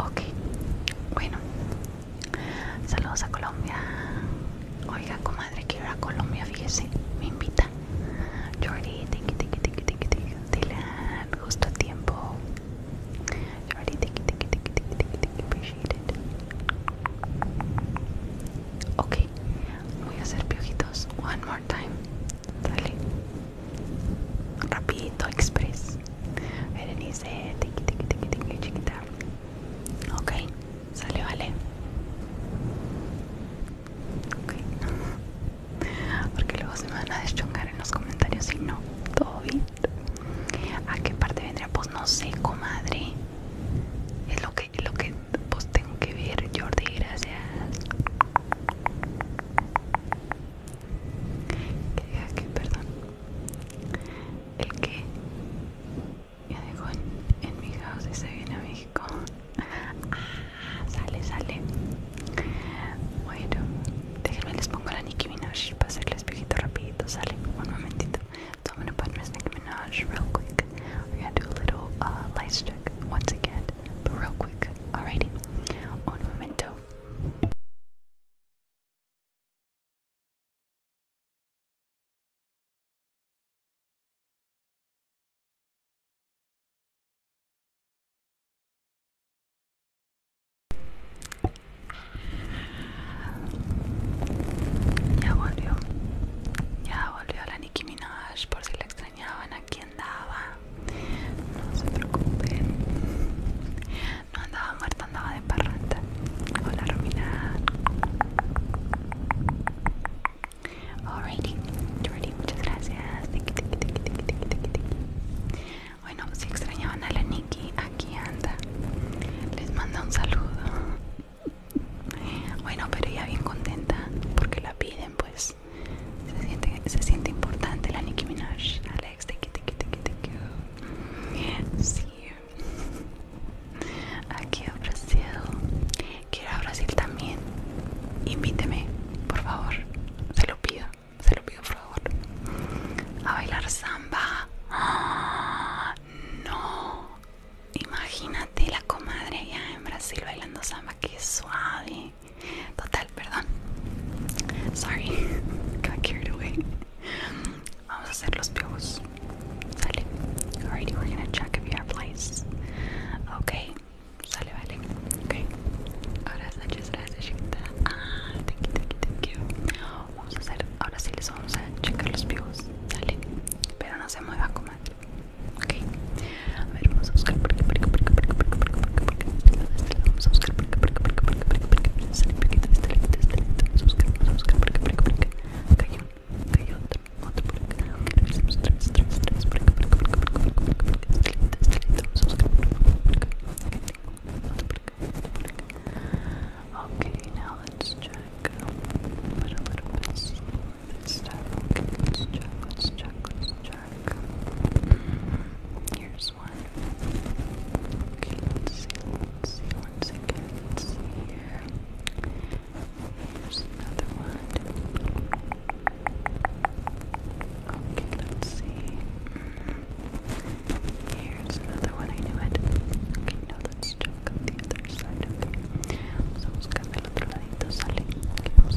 Okay, bueno, saludos a Colombia. Oiga, comadre, que ir a Colombia, fíjese, me invita. Jordi, tiki tiki tiki tiki tiki, Dylan, ah, justo a tiempo. Jordi, tiki tiki tiki tiki tiki tiki, appreciate it. voy a hacer piojitos one more time sale Rapidito, express. Berenice, tiki tiqui, tiqui, tiqui, chiquita. Ok, sale, vale. Ok. Porque luego se me van a deschongar en los comentarios si no. Todo bien. ¿A qué parte vendría? Pues no sé, comadre. Es lo que, lo que pues tengo que ver, Jordi, gracias que perdón el que ya dejó en, mi casa y se viene a México ah, sale sale bueno déjenme les pongo la Nicki Minaj para hacerles viejito rapidito sale un momentito todo el gonna put Miss Nicki Minaj real quick voy a hacer un little uh, light check once again pero real quick alrighty un momento ya volvió, ya volvió la Nicki Minaj por si la extrañaban, aquí andaba. No se preocupen. No andaba muerta, andaba de parranda. Hola, Romina. Alrighty, Jordi, muchas gracias. Bueno, si extrañaban a la Nikki, aquí anda. Les manda un saludo. Bueno, pero ella bien contenta porque la piden, pues. Se siente, se siente importante la Nicki Minaj. Alex, te quiero Aquí a Brasil. Quiero a Brasil también. Invíteme, por favor. Se lo pido, se lo pido, por favor. A bailar samba. No. Imagínate la comadre allá en Brasil bailando samba. Qué suave. Total, perdón. Sorry, got carried away. Vamos a hacer los pibos, Sale. we're gonna check if you have Okay. Sale, vale. Okay. Ahora Vamos a hacer, ahora sí les vamos a checar los Sale. Pero no se mueva, comadre. A vamos a buscar por por por Okay, now let's check. Put a little bit slower this time. Okay, let's check, let's check, let's check. Here's one. Okay, let's see, let's see once again. Here's another one. Okay, let's see. Here's another one. I knew it. Okay, now let's check the other side. Okay, vamos a buscar del otro ladito. Sale. Okay, vamos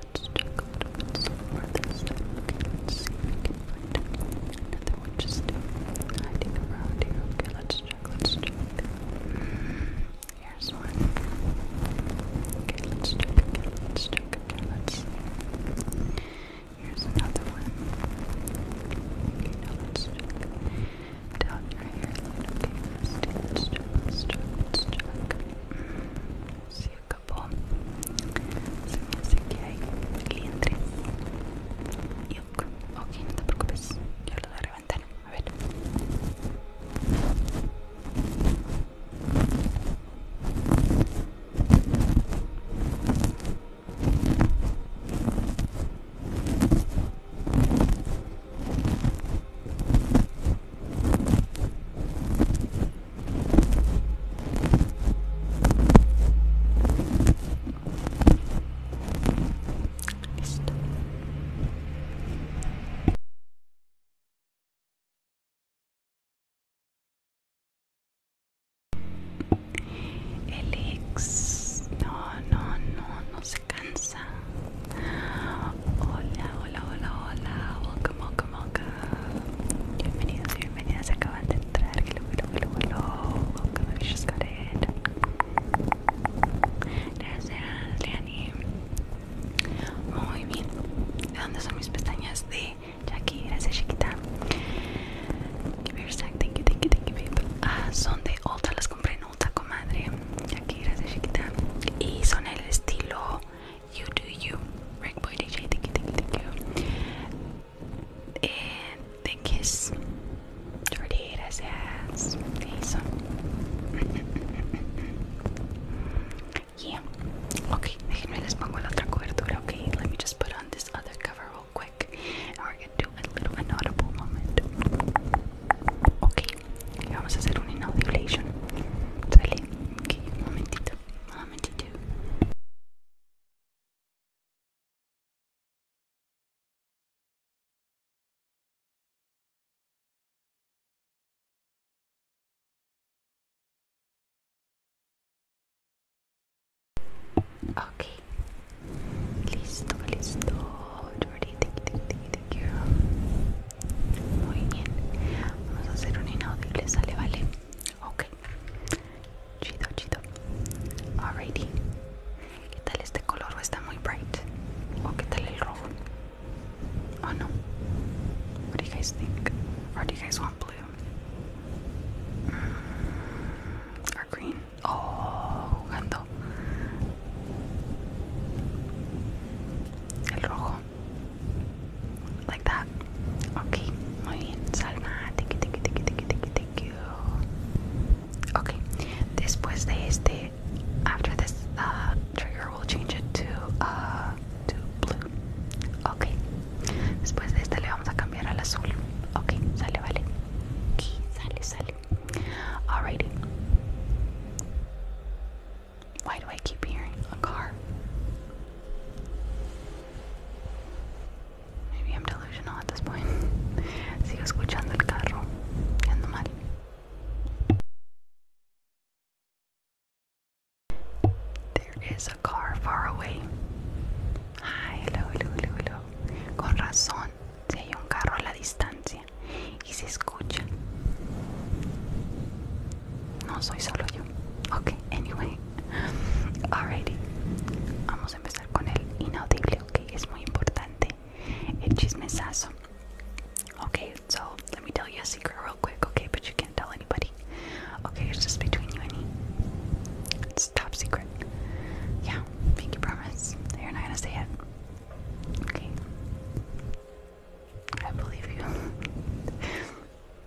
let's check a little bit slower this time. Okay, let's see if we can find another one just hiding around here. Okay, let's check, let's check. Here's one. Okay, let's check again, let's check again, let's see. Here's another one. Okay, now let's check. Down your hairline. Okay, let's do, let's check, let's check, let's check. See a escapó. Se me hace que hay liendres. Yuck. Ok, no te preocupes. Yo lo voy a reventar. A ver. Listo. El ex no, no, no, no se cansa. Hola, hola, hola, hola. Welcome, welcome, welcome. Bienvenidos y bienvenidas, acaban de entrar. got Muy bien. ¿De dónde son mis pestañas? De Jackie, gracias, chiquita. thank you, ah, son de Ulta, las compré en Ulta, comadre. Jackie, gracias, chiquita. Y son el estilo You do you. Rick DJ, thank you, thank you, thank you. And the kiss. Jordi yes. Okay, Let me just put on this other cover real quick. And we're gonna do a little inaudible moment. Okay, vamos a hacer un inaudilation. Sale. Okay, momentito. um, do. Ok, listo, listo, Jordi, Muy bien, vamos a hacer un inaudible, sale, vale. Ok, Chido, chido. Alrighty. ¿Qué tal este color? está muy bright? ¿O qué tal el rojo? Oh no. What do you guys think? Or do you guys want blue? Mm, ¿O green? Oh, jugando. El rojo. Like that. Okay, muy bien. thank you, thank you, thank you, thank you, thank you, Okay, después de este, after this uh, trigger, we'll change it to, uh, to blue. Okay, después de este le vamos a cambiar al azul. Okay, sale, vale. Okay, sale, sale. Alrighty. Why do I keep hearing a car? Maybe I'm delusional at this point. Sigo escuchando el carro. Y mal. There is a car far away. Ay, hello, hello, hello, hello. Con razón, si hay un carro a la distancia y se escucha. No soy solo yo. Okay, anyway. Alrighty, vamos a empezar con el inaudible, ok, It's very important. importante, el chismesazo. Okay, so let me tell you a secret real quick, okay, but you can't tell anybody. Okay, it's just between you and me. It's top secret. Yeah, pinky promise. You're not gonna say it. Okay. I believe you.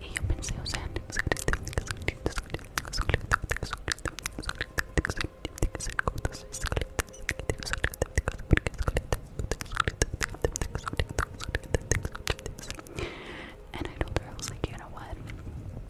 Y yo pensé, o sea, and I told her, I was like, you know what?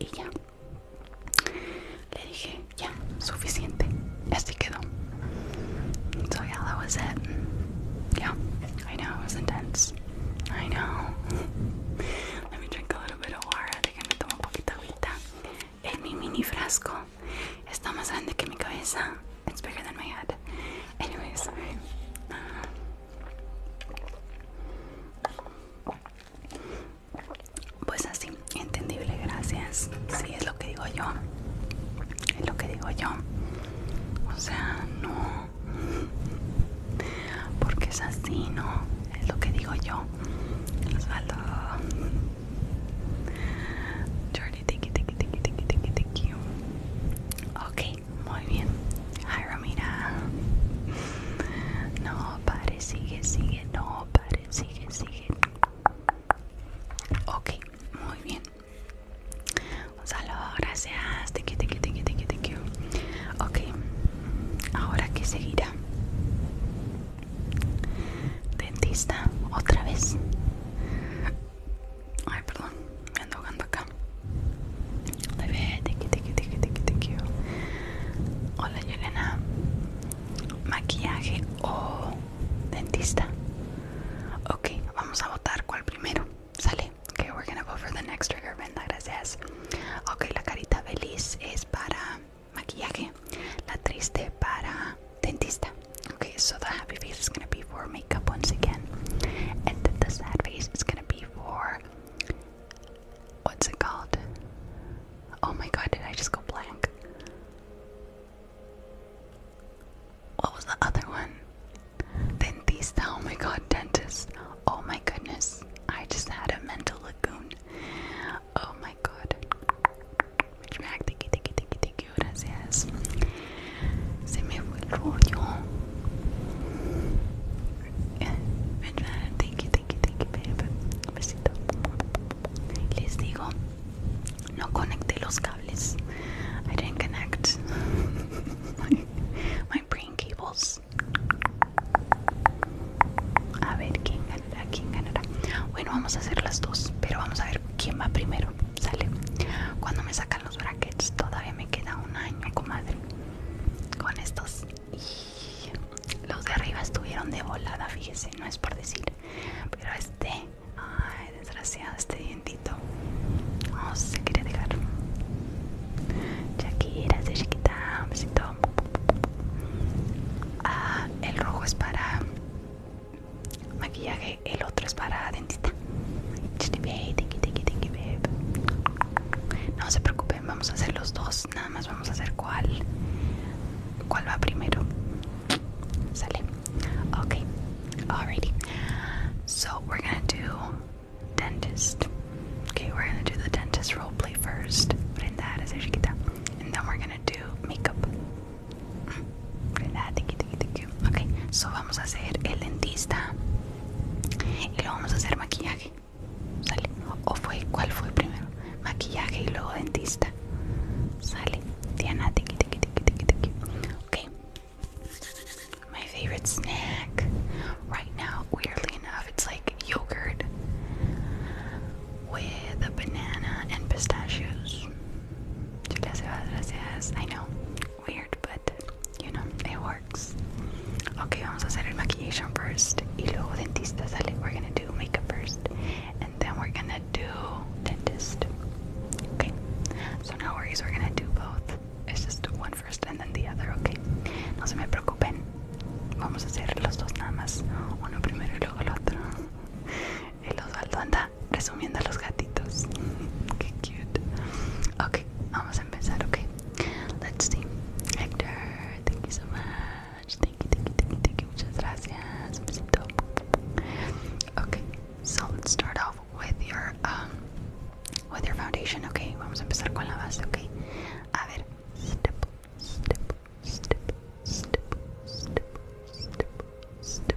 y ya le dije ya suficiente así quedó so yeah that was it yeah I know it was intense I know let me drink a little bit of water déjenme tomar un poquito de agua en mi mini frasco está más grande que mi cabeza It's bigger than my head. anyways uh, Pues así, entendible, gracias. Sí, es lo que digo yo. Es lo que digo yo. O sea, no. Porque es así, no. Es lo que digo yo. Osvaldo. Jordi, tiki, tiki, tiki, tiki, tiki, tiki. Ok, muy bien. Jairo, Romina. No, pare, sigue, sigue. No, pare, sigue, sigue. Ok, muy bien. Un saludo, gracias. Thank you, thank you, thank you, Ok, ahora que seguirá. Dentista, otra vez. Ay, perdón, me ando jugando acá. Hola, Yelena. ¿Maquillaje o dentista? Ok, vamos a votar cuál primero. Sale. Ok, we're gonna go for the next trigger, gracias. Ok, la carita feliz es para maquillaje, la triste para dentista. Okay, so the happy face is gonna be for makeup once again, and the sad face is gonna be for what's it called? Oh my god, did I just go blank? What was the other one? Dentista, oh my god, dentist. Oh my goodness, I just had a mental lagoon. Oh my god. Gracias. Se me fue el rollo. Eh, thank you, thank you, thank you, Un besito. Les digo, no conecté los cables. I didn't connect my, brain cables. A ver quién ganará, quién ganará. Bueno, vamos a hacer las dos, pero vamos a ver quién va primero. Sale. Cuando me saca los brackets. Todavía me queda un año, comadre. Con estos. los de arriba estuvieron de volada, fíjese, no es por decir. Pero este, ay, desgraciado, este dientito. No se quiere dejar. Shakira, de chiquita, besito. Ah, el rojo es para maquillaje, el otro es para dentista. No se preocupen, vamos a hacer los dos, nada más vamos a hacer cuál, cuál va primero. Sale. Okay, alrighty. So we're gonna do dentist. Okay, we're gonna do the dentist role play first. Brenda, chiquita. And then we're gonna do makeup. Mm. ¿verdad? Ok, so vamos a hacer el dentista y luego vamos a hacer maquillaje. ¿Sale? ¿O fue cuál fue primero? Maquillaje y luego dentista. ¿Sale? Diana, tiki, tiki, tiki, tiki, tiki. Ok. My favorite snack right now, weirdly enough, it's like yogurt with a banana and pistachios. Gracias, gracias. I know. weird, but you know, it works. Okay, vamos a hacer el maquillation first. Y luego dentista We're gonna do makeup first. And then we're gonna do dentist. Okay. So no worries, we're gonna do both. It's just one first and then the other, okay? No se me preocupen. Vamos a hacer los dos nada más. Uno primero y luego el otro. El Osvaldo anda resumiendo los gatitos. Qué cute. Ok, vamos a empezar, ok. Let's see. Hector, thank you so much. Thank you, thank you, thank you, thank you. Muchas gracias. Ok, so let's start off with your um with your foundation, ok. Vamos a empezar con la base, ok. A ver, step, step, step, step, step, step,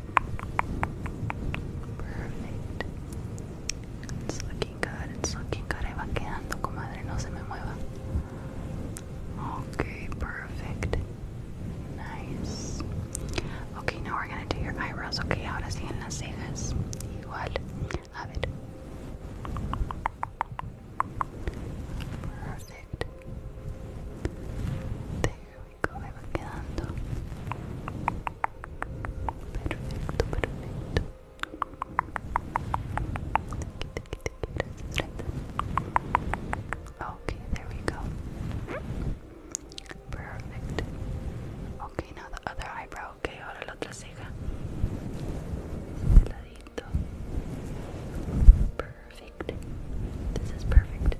Perfect. It's looking good, it's looking good. Ahí va quedando, comadre, no se me mueva. Okay, perfect. Nice. Okay, now we're gonna do your eyebrows. Okay, ahora sí en las cejas. Igual. A Okay, there we go. Perfect. Okay, now the other eyebrow. Okay, ahora la otra ceja. Este ladito. Perfect. This is perfect.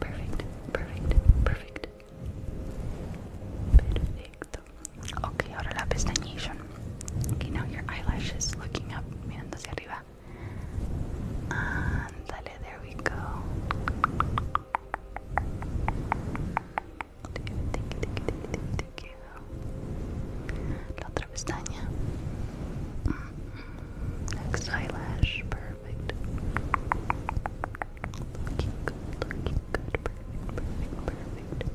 Perfect, perfect, perfect. Perfecto. Ok, ahora la pestañilla. Ok, now your eyelashes looking up, mirando hacia arriba. Andale, there we go. Thank you, thank you, thank you, thank you, thank you. La otra pestaña. Mm -hmm. Next eyelash, perfect. Perfect. Looking good, looking good. Perfect, perfect, perfect.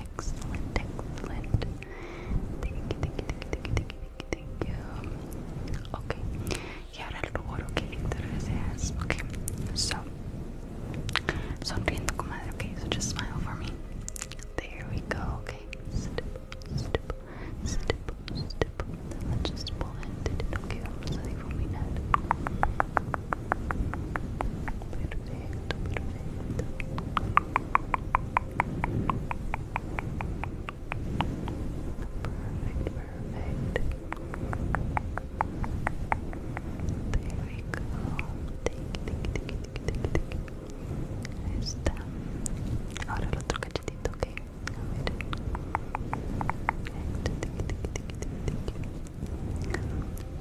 Excellent, excellent. Thank you, thank you, thank you, thank you, thank you, thank you. Okay. Y ahora el rubor que te deseas. Okay. So. Sonriendo, comadre. Okay. So just smile for me. There we go. Okay. Stipple, stipple, step, step. That's just de lo que vamos a difuminar. Perfecto, perfecto. Perfect, There we go. está. Ahora el otro cachetito, ¿ok? Perfect,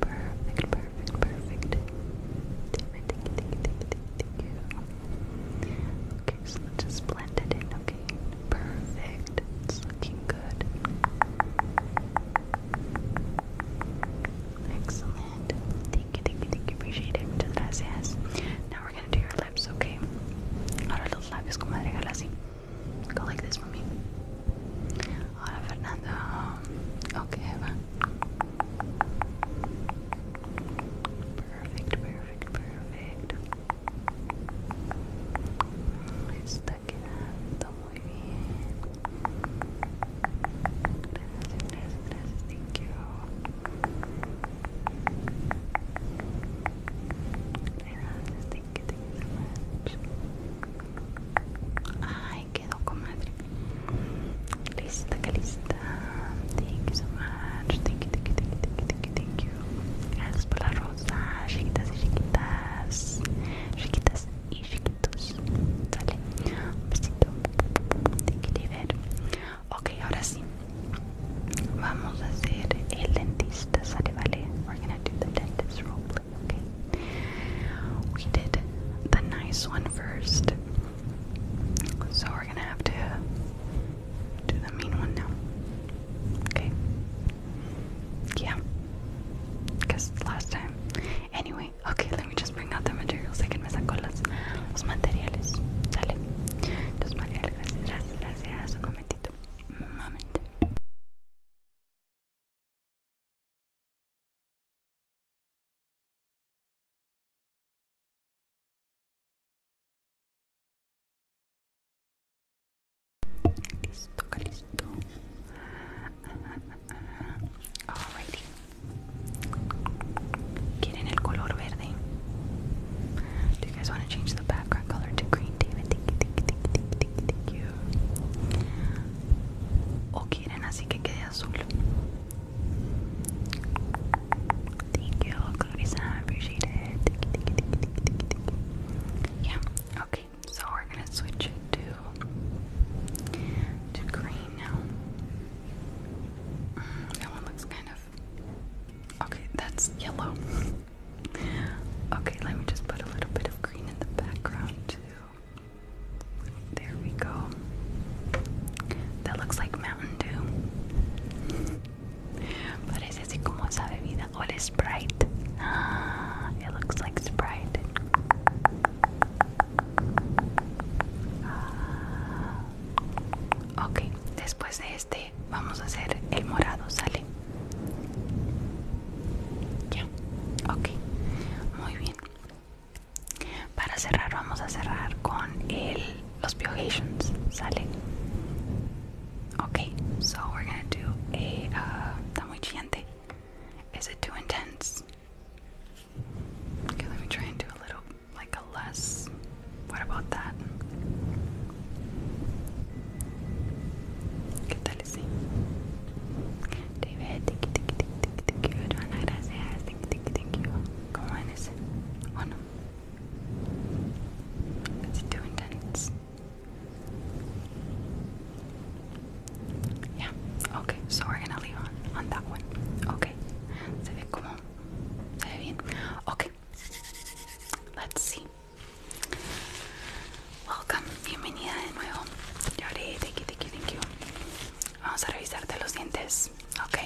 perfect, perfect. Okay, so let's blend it in, okay? Perfect. It's looking good. Excellent. Thank you, thank you, thank you. Appreciate it. Muchas gracias. Now we're gonna do your lips, okay? Ahora los labios, como regala así. Go like this for Okay, Eva. Perfect, perfect, perfect. Está quedando muy bien. Gracias, gracias, gracias. Thank Gracias, Ay, quedó comadre. Lista, Thank you so much. Thank you, thank you, thank you, por la rosa, chiquitas y chiquitas. Chiquitas y chiquitos. Un besito. Thank you, Ok, ahora sí. We're gonna do the dentist role play, okay? We did the nice one first. So we're gonna have to do the mean one now. Okay? Yeah. Because last time. Anyway, okay, let me just bring out the materials. I can me saco los, los momento, un Listo, listo. Ah, ah, ah, ¿Quieren el color verde? Do you guys want to change the background color to green, Thank you, thank you, thank you, thank you, thank you. ¿O oh, quieren así que quede azul? Thank you, thank you, thank you, thank you, thank you. Yeah, okay. So we're going to switch it to, to green now. Mm, that one looks kind of Okay, that's yellow. okay, let me just put a little bit of green in the background too. There we go. That looks like Mountain Dew. Parece como esa bebida. Sprite. Ah, it looks like Sprite. Ah. Okay, después de este vamos a hacer el morado, ¿sale? Ya, ok, muy bien. Para cerrar vamos a cerrar con el, los piogations, ¿sale? Okay, so we're gonna do a uh, muy chiante. Is it too intense? Okay, let me try and do a little like a less. What about that? ¿Qué tal sí? Te ve, tiki tiki tiki tiki, Joana, gracias, tiki tiki tiki. ¿Cómo es? ¿O no? It's too intense. Yeah, okay, so we're gonna leave on, on that one. Okay, se ve como, se ve bien. Okay, let's see. Welcome, bienvenida de nuevo. thank you, thank you, thank Vamos a revisarte los dientes, ok.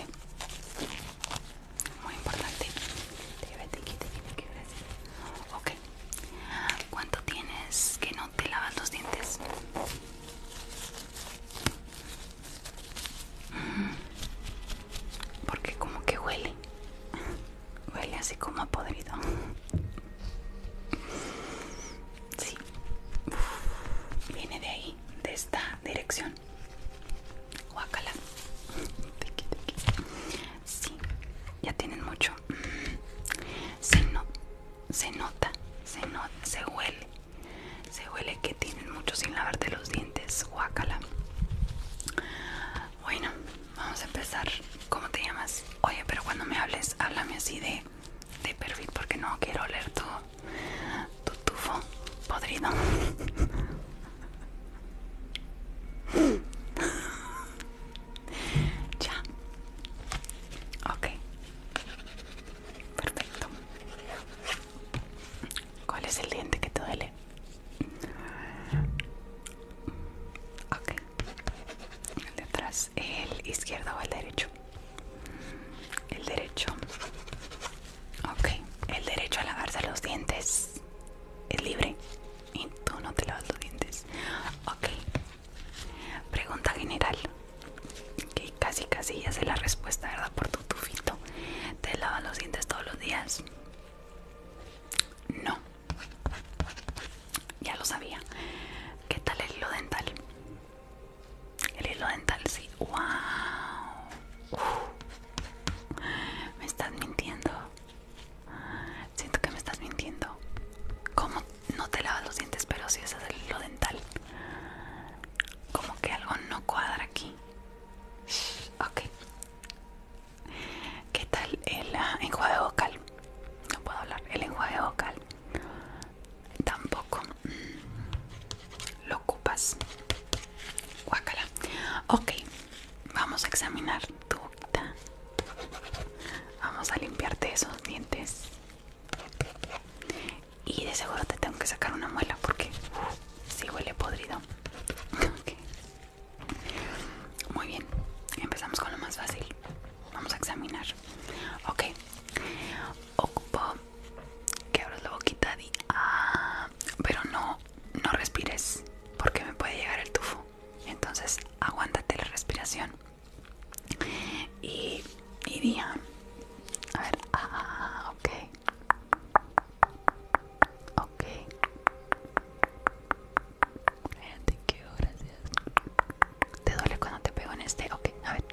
Muy importante. Ok. ¿Cuánto tienes que no te lavas los dientes? Mm. Porque como que huele. Huele así como ha podrido. Sí. viene de ahí, de esta dirección. Guácala. Sí, ya tienen mucho. Mm, se, nota, se nota, se, se huele. Se huele que tienen mucho sin lavarte los dientes. Guácala. Bueno, Vamos a empezar. ¿Cómo te llamas? Oye, pero cuando me hables, háblame así de, de perfil porque no quiero oler tu, tu tufo podrido. ya. Ok. Perfecto. ¿Cuál es el diente que te duele? Ok. El de atrás, el izquierdo o el derecho. El derecho. Ok. El derecho a lavarse los dientes es libre. Y tú no te lavas los dientes. Ok. Pregunta general. Que casi casi ya sé la respuesta, ¿verdad? Por tu tufito. ¿Te lavas los dientes todos los días? No. Ya lo sabía. ¿Qué tal el hilo dental? El hilo dental, sí. ¡Wow! Me estás mintiendo. Siento que me estás mintiendo. ¿Cómo no te lavas los dientes, pero si es el hilo dental? Como que algo no cuadra aquí. Ok, ¿Qué tal el ah, enjuague vocal? No puedo hablar. El enjuague vocal tampoco mm, lo ocupas. Guácala. Ok, vamos a examinar tu boca. Vamos a limpiarte esos dientes. Y de seguro te tengo que sacar una muela porque uh, si huele podrido. Muy bien, empezamos con lo más fácil. Vamos a examinar. Ok, ocupo que abras la boquita di Ah, pero no, no respires porque me puede llegar el tufo. Entonces, aguántate la respiración. Y, y día. Ah, a ver, ah, ok. Ok. Fíjate que gracias. ¿Te duele cuando te pego en este? Ok, a ver.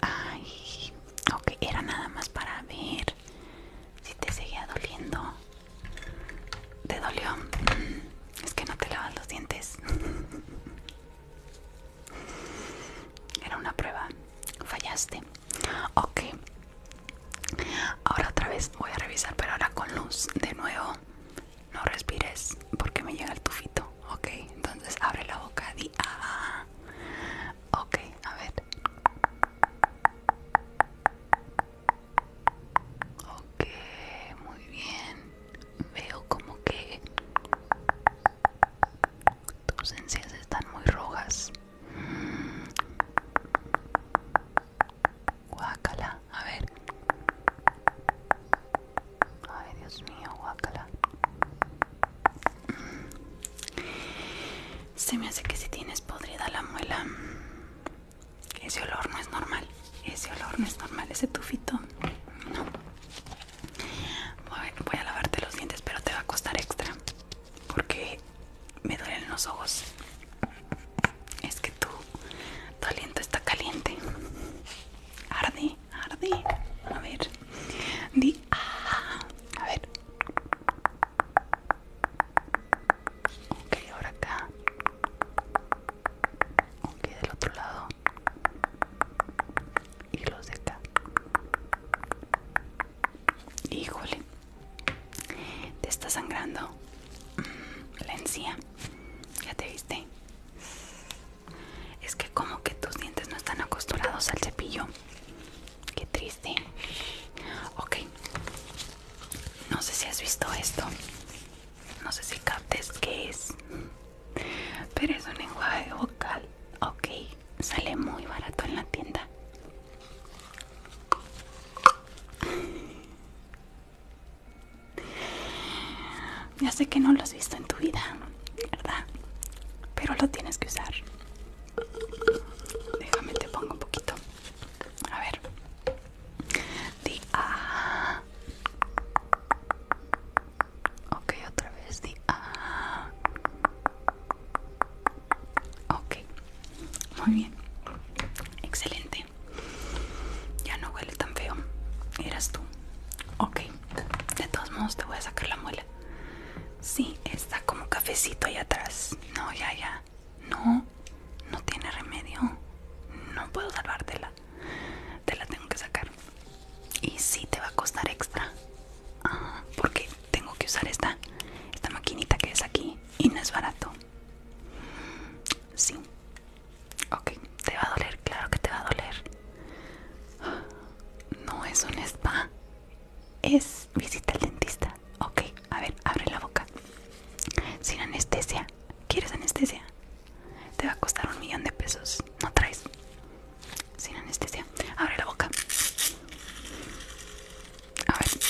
Ay, ok, era nada más para ver si te seguía doliendo. ¿Te dolió? Mm, es que no te lavas los dientes. Era una prueba. Fallaste. Ok, Ahora otra vez voy a revisar, pero ahora con luz de nuevo. No respires porque me llega el tufito. Ok, entonces abre la boca. Di, ah. Ok, a ver. Ok, muy bien. Veo como que tus encías están muy rojas. Guacala, a ver. Ay, Dios mío, guacala Se me hace que si tienes podrida la muela. Ese olor no es normal. Ese olor no es normal, ese tufito. No. Voy a lavarte los dientes, pero te va a costar extra porque me duelen los ojos. Es que tú, tu aliento está caliente. Ardi, Ardi, A ver. Di. a ver. Ok, ahora acá. Ok, del otro lado. Y los de acá. Híjole. Te está sangrando la encía. Ya te viste. Es que como que tus dientes no están acostumbrados al cepillo. Qué triste. Ok. No sé si has visto esto. No sé si captes qué es. Pero es un enjuague vocal. Ok. Sale muy barato en la tienda. Ya sé que no lo has visto en tu vida, ¿verdad? Pero lo tienes que usar. Déjame te pongo un poquito. A ver. Di a. Ok, otra vez di a. Ok. Muy bien. Excelente. Ya no huele tan feo. Eras tú. Ok. De todos modos te voy a sacar la muela. Sí, está como cafecito ahí atrás. No, ya, ya. No, no tiene remedio. No puedo salvártela. Te la tengo que sacar. Y sí te va a costar extra. Ah, porque tengo que usar esta, esta maquinita que es aquí. Y no es barato. Sí. Ok, te va a doler, claro que te va a doler. No es un spa. Es visita al dentista. Ok, a ver, abre la boca. Sin anestesia. ¿Quieres anestesia? Te va a costar un millón de pesos. No traes. Sin anestesia. Abre la boca. A ver.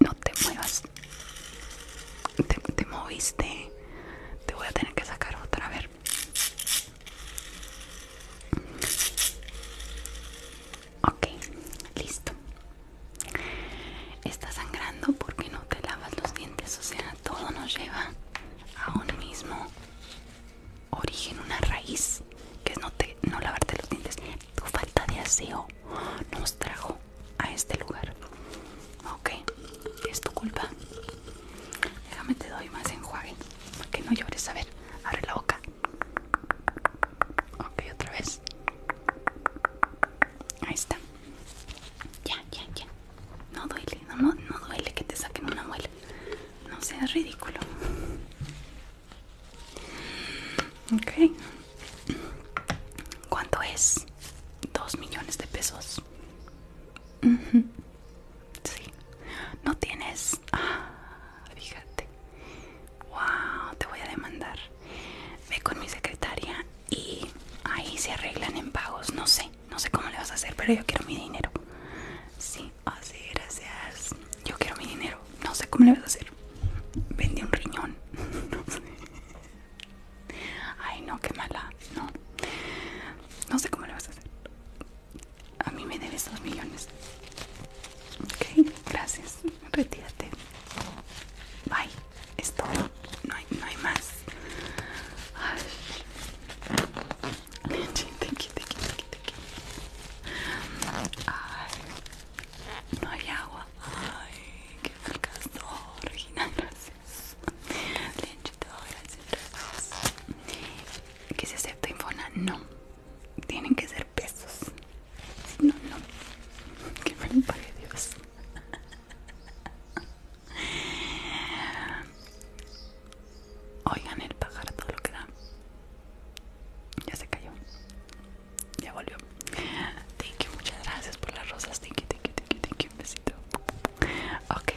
No te muevas. Te, moviste. Te voy a tener que sacar otra. A ver. Ok, listo. Está sangrando porque no te lavas los dientes. O sea, todo nos lleva a un mismo origen, una raíz, que es no, no lavarte los dientes tu falta de aseo nos trajo a este lugar. Ok, es tu culpa. Déjame te doy más enjuague para que no llores. A ver, abre la boca. Ok, otra vez. Ahí está. Ya, ya, ya. No duele, no, no duele que te saquen una muela. No seas ridículo. ¿Cuánto es? Dos millones de pesos. Sí. No tienes. Ah, fíjate. Wow, te voy a demandar. Ve con mi secretaria y ahí se arreglan en pagos. No sé, no sé cómo le vas a hacer, pero yo quiero mi dinero. Sí, así, gracias yo quiero mi dinero, no sé cómo le vas a hacer. Vende un riñón, no sé. Ay, no, qué mala, no. No sé cómo le vas a hacer. A mí me debes dos millones. Ok, gracias. Retírate. Bye. Es todo. No hay, más. Ay. Thank Ay, no hay agua. Ay, qué fracaso. Regina, gracias. gracias, gracias. ¿Que se acepta Infona? No. Tienen que ser pesos. Si no, no. Que me lo pague Dios. Oigan el pájaro todo lo que da. Ya se cayó. Ya volvió. Thank you, muchas gracias por las rosas. Thank you, thank you, thank you, Un besito. Ok.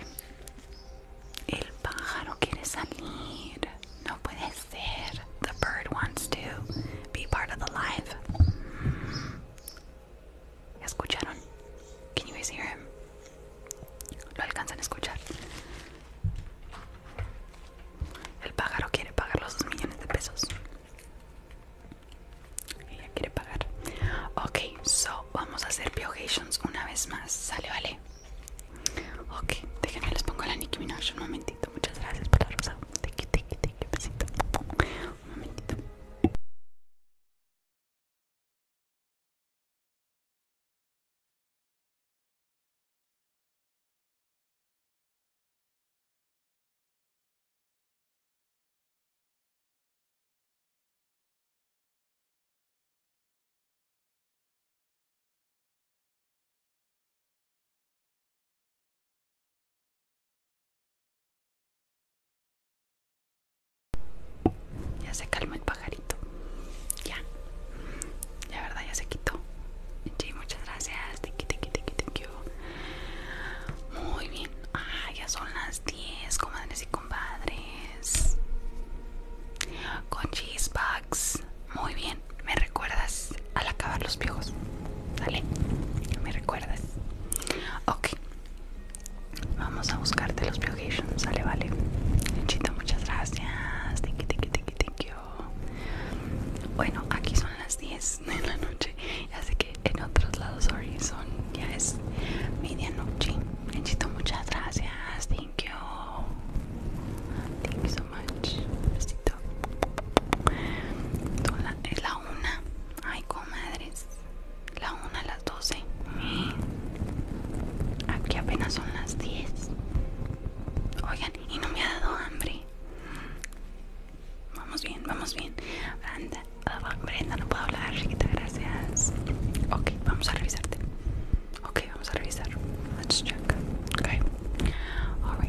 El pájaro quiere salir. No puede ser. The bird wants to be part of the live. ¿Escucharon? Can you guys hear him? ¿Lo alcanzan a escuchar? El pájaro quiere pagar los 2 millones de pesos. Ella quiere pagar. Ok, so vamos a hacer Piogations una vez más. Sale, vale. Ok, déjenme les pongo la Nicki Minaj un momentito. Muchas gracias por la rosa. Te te Un momentito. Ya se calma el pajarito. Ya. La verdad, ya se quitó. muchas gracias. Muy bien. Ah, ya son las 10, comadres y compadres. Con cheese bags. Muy bien. ¿Me recuerdas al acabar los viejos? ¿Sale? ¿Me recuerdas? Ok. Vamos a buscarte los piojitos, Sale, vale. Chito, muchas gracias. Bueno, aquí son las 10 de la noche. Así Ya que en otros lados sorry, ya es medianoche. Necesito muchas gracias. Thank you. Thank you so much. Besito es la una. Ay, comadres. La una a las doce. Aquí apenas son las diez. Oigan, y no me ha dado hambre. Vamos bien, vamos bien. Brenda, no puedo hablar, chiquita, gracias. Ok, vamos a revisarte. Ok, vamos a revisar. Let's check. Okay. Vamos a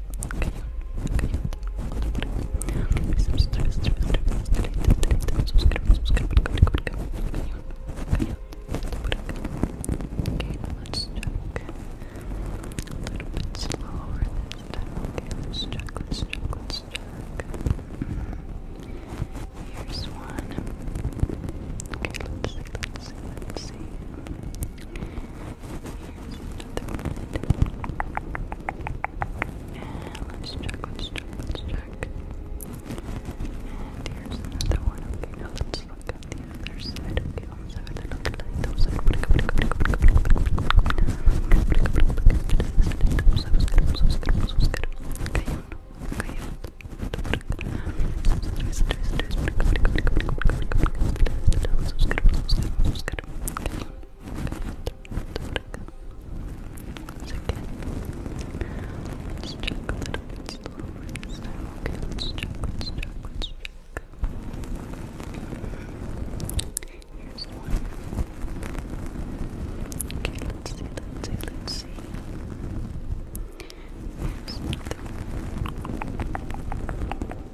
let's check a little bit slower this time. Okay, let's check, let's check, let's check. Here's one. Okay, let's see, let's see, let's see. And let's check, let's check, let's check. And here's another one. Okay, now let's look at the other side. Okay, on the side, look at the other side. Okay, once again, let's check a little bit slower this time. Okay, let's check, let's check, let's check. Here's one. Okay, let's see, let's see, let's see. Here's another one.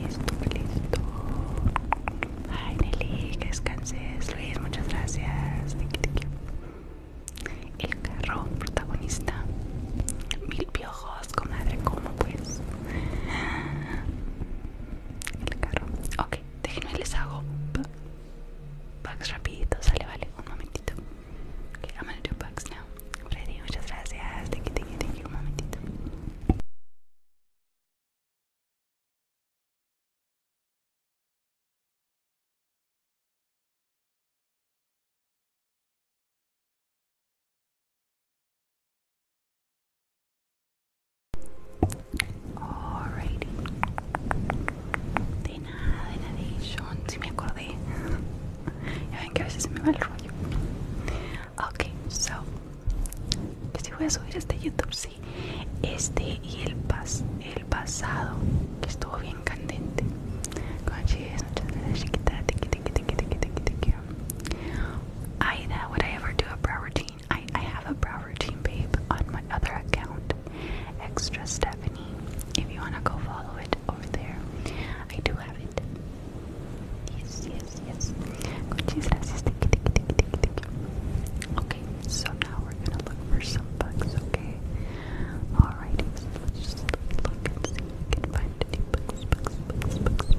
Listo, listo. Ay, Nelly, que descanses. Luis, muchas gracias. El carro protagonista. Mil piojos, comadre, ¿cómo pues? El carro. Ok, déjenme les hago bugs rapidito, sale, vale, un momentito. Que I'm gonna do bugs now. gracias muchas gracias. Thank you, thank you. Un momentito. Alrighty. De nada, de nada, John, si me acordé. ya ven que a veces se me va el rollo. Okay, so. Pues sí voy a subir este YouTube, sí. Este y el, pas el pasado, que estuvo bien candente. Conscious, muchas gracias, chiquita. Tiki, tiki, tiki, tiki, tiki, tiki. Aida that would I ever do a brow routine? I, I have a brow routine, babe, on my other account, Extra Stephanie. If you wanna go follow it over there, I do have it. Yes, yes, yes. Okay, so now we're gonna look for some bugs, okay? Alrighty, so let's just look and see if we can find any bugs, bugs, let's look for some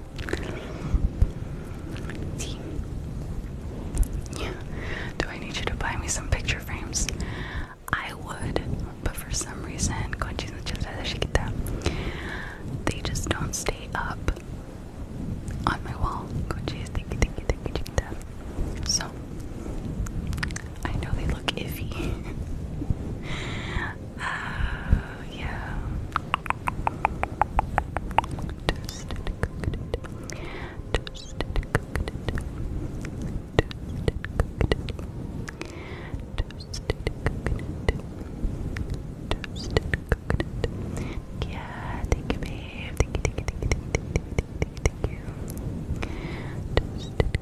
Do I need you to buy me some picture frames? I would, but for some reason, they just don't stay up on my wall. So, I know they look iffy. Uh, yeah. Yeah, thank you, babe. Thank you, thank you, thank you, thank you, thank you, thank you. Toasted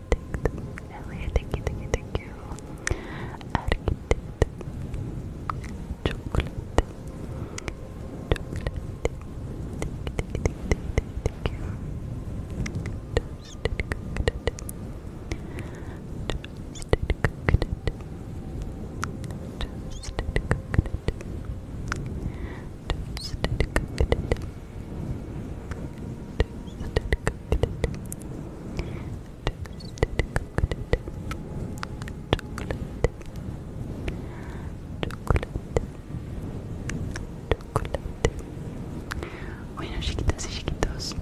Elliot, thank you, thank you, thank you. Architect, chocolate, chocolate, thank you, thank you, thank you. Toasted coconut, toasted coconut, toasted coconut, toasted coconut. Toasted coconut, Bueno, chiquitos y chiquitos,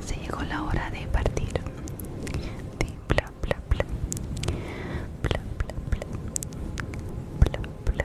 se llegó la hora de partir. De bla bla bla. Bla bla bla. Bla bla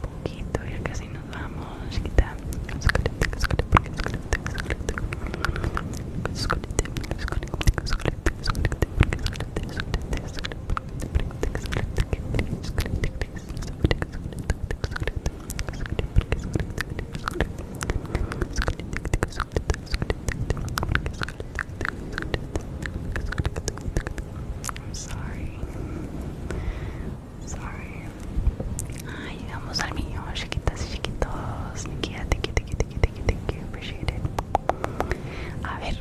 poquito, ya casi nos vamos, sorry. Sorry. Ah, llegamos al mío. chiquitas y chiquitos. niquita, thank you, thank you, thank you, Appreciate it. A ver.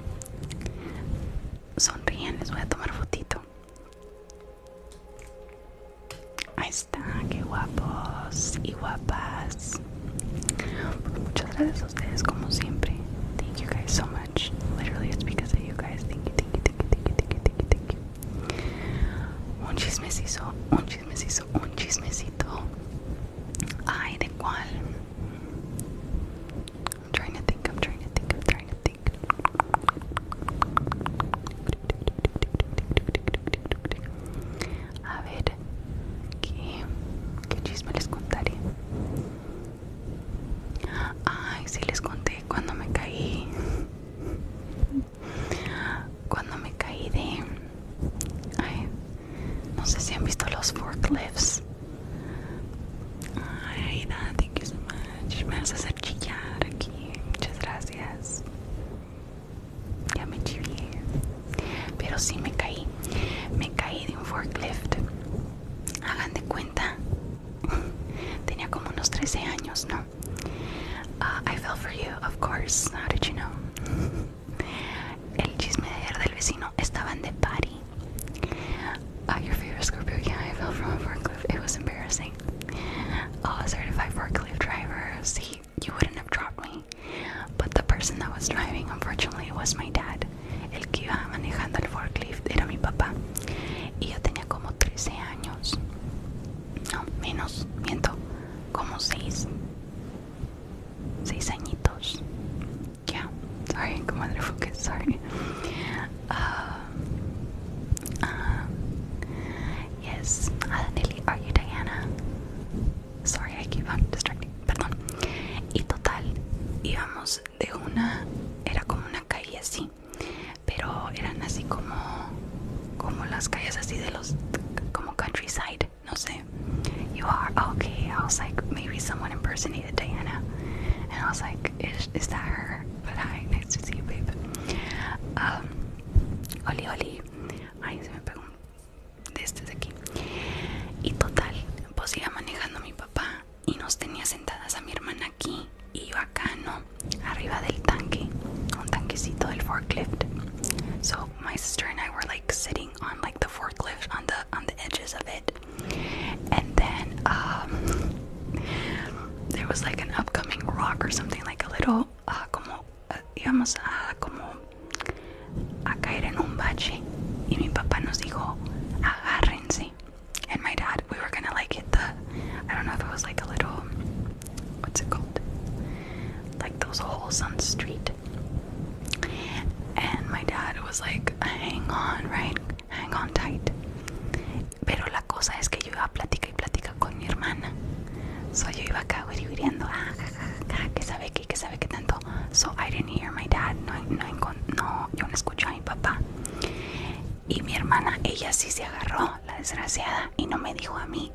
Sonríen, les voy a tomar fotito. Ahí está, qué guapos y guapas. muchas gracias a ustedes como siempre. Thank you guys so much. Literally, it's because of you guys. Thank you, thank you, thank you, thank you, thank you, thank you, thank you. Un chismecito, un chismecito, un chismecito. Ay, de cual. I'm trying to think, I'm trying to think, I'm trying to think. A ¿qué, qué chisme contaré? Ay, si les conté cuando me caí. Cuando me caí de... Ay, no sé si han visto los forklifts. Ay, thank you so much. Me vas a hacer chillar aquí. Muchas gracias. Ya me chillé. Pero sí me caí. Me caí de un forklift. Hagan de cuenta Tenía como unos 13 años, ¿no? Ah, I fell for you, of course. How did you know? El chisme de ayer del vecino estaban de party. Ah, your favorite Scorpio, yeah, I fell from a forklift. It was embarrassing. Oh, certified forklift driver. See, you wouldn't have dropped me. But the person that was driving, unfortunately, was my dad. El que iba manejando el forklift era mi papá y yo tenía como 13 años no menos miento como 6 6 añitos ya yeah. sorry comadre Fouquet sorry ah, ah, yes adanelli ah, are you Diana sorry I keep on distracting perdón y total íbamos de una era como una calle así pero eran así como como las calles así de los como countryside no sé you are ah, okay I was like maybe someone impersonated Diana and I was like is, is that her but hi nice to see you babe um, oli oli ay se me pegó de de aquí y total pues iba manejando mi papá y nos tenía sentadas a mi hermana so my sister and I were like sitting on like the forklift on the on the edges of it and then um there was like an upcoming rock or something like a little uh, como uh, íbamos a como a caer en un bache y mi papá nos dijo agárrense and my dad, we were gonna like hit the, I don't know if it was like a little, what's it called? Like those holes on the street. And my dad was like, hang on, right? Hang on tight. Pero la cosa es que yo iba plática y plática con mi hermana. So yo iba acá wiriwiriando, ah, ja, ja, ja, que sabe que, que sabe que tanto. So I didn't hear my dad, no, no, no, No, yo no escuché a mi papá. Y mi hermana, ella sí se agarró, la desgraciada, y no me dijo a mí.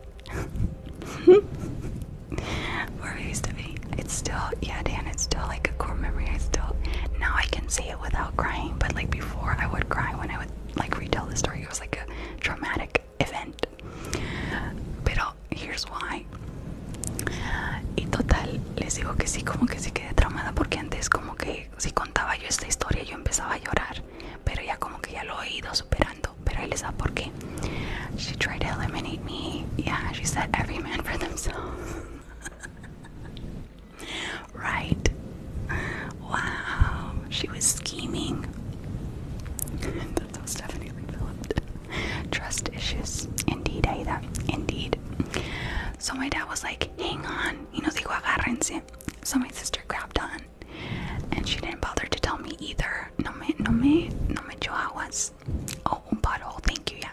Where used to be. It's still, yeah, Dan, it's still like a core memory. I still, now I can say it without crying, but like before I would cry when I would like retell the story. It was like a traumatic event. Pero here's why. Y total, les digo que sí, como que sí quedé traumada porque antes como que si contaba yo esta historia yo empezaba a llorar, pero ya como que ya lo he ido superando. Pero él sabe por qué. She tried to eliminate me. Yeah, she said every man for themselves. right? Wow, she was scheming. That's how Stephanie trust issues. Indeed, Aida. Indeed. So my dad was like, hang on. Y nos dijo, agárrense. So my sister grabbed on, and she didn't bother to tell me either. No me, no me, no me was. Oh, but oh, thank you, yeah.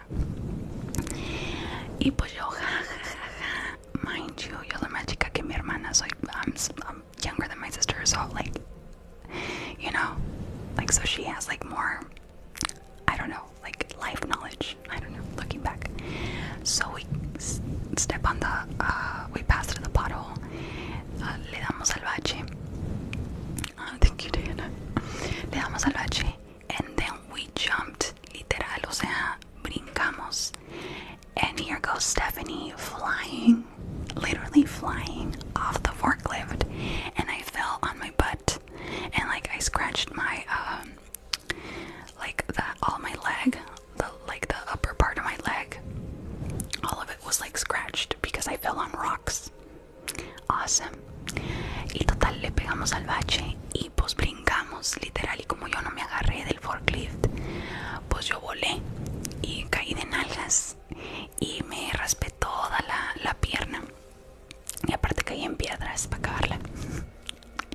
Y pues yo, ja, ja, Mind you, yo la más chica que mi hermana, so i I'm younger than my sister, so like, you know, like, so she has like more, I don't know, like life knowledge. I don't know. Looking back, so we step on the. Uh, we pass through the pothole. Uh, le damos al bache. Uh, thank you, Diana. Le damos al bache, and then we jumped. Literal, o sea, brincamos. And here goes Stephanie flying, literally flying off the forklift, and I fell on my butt, and like I scratched my um, like that all my leg, like the upper part of my leg, all of it was like scratched because I fell on rocks. Awesome. Y total le pegamos al bache y pues brincamos, literal, y como yo no me agarré del forklift, pues yo volé y caí de nalgas y me raspé toda la, la pierna. Y aparte caí en piedras para acabarla.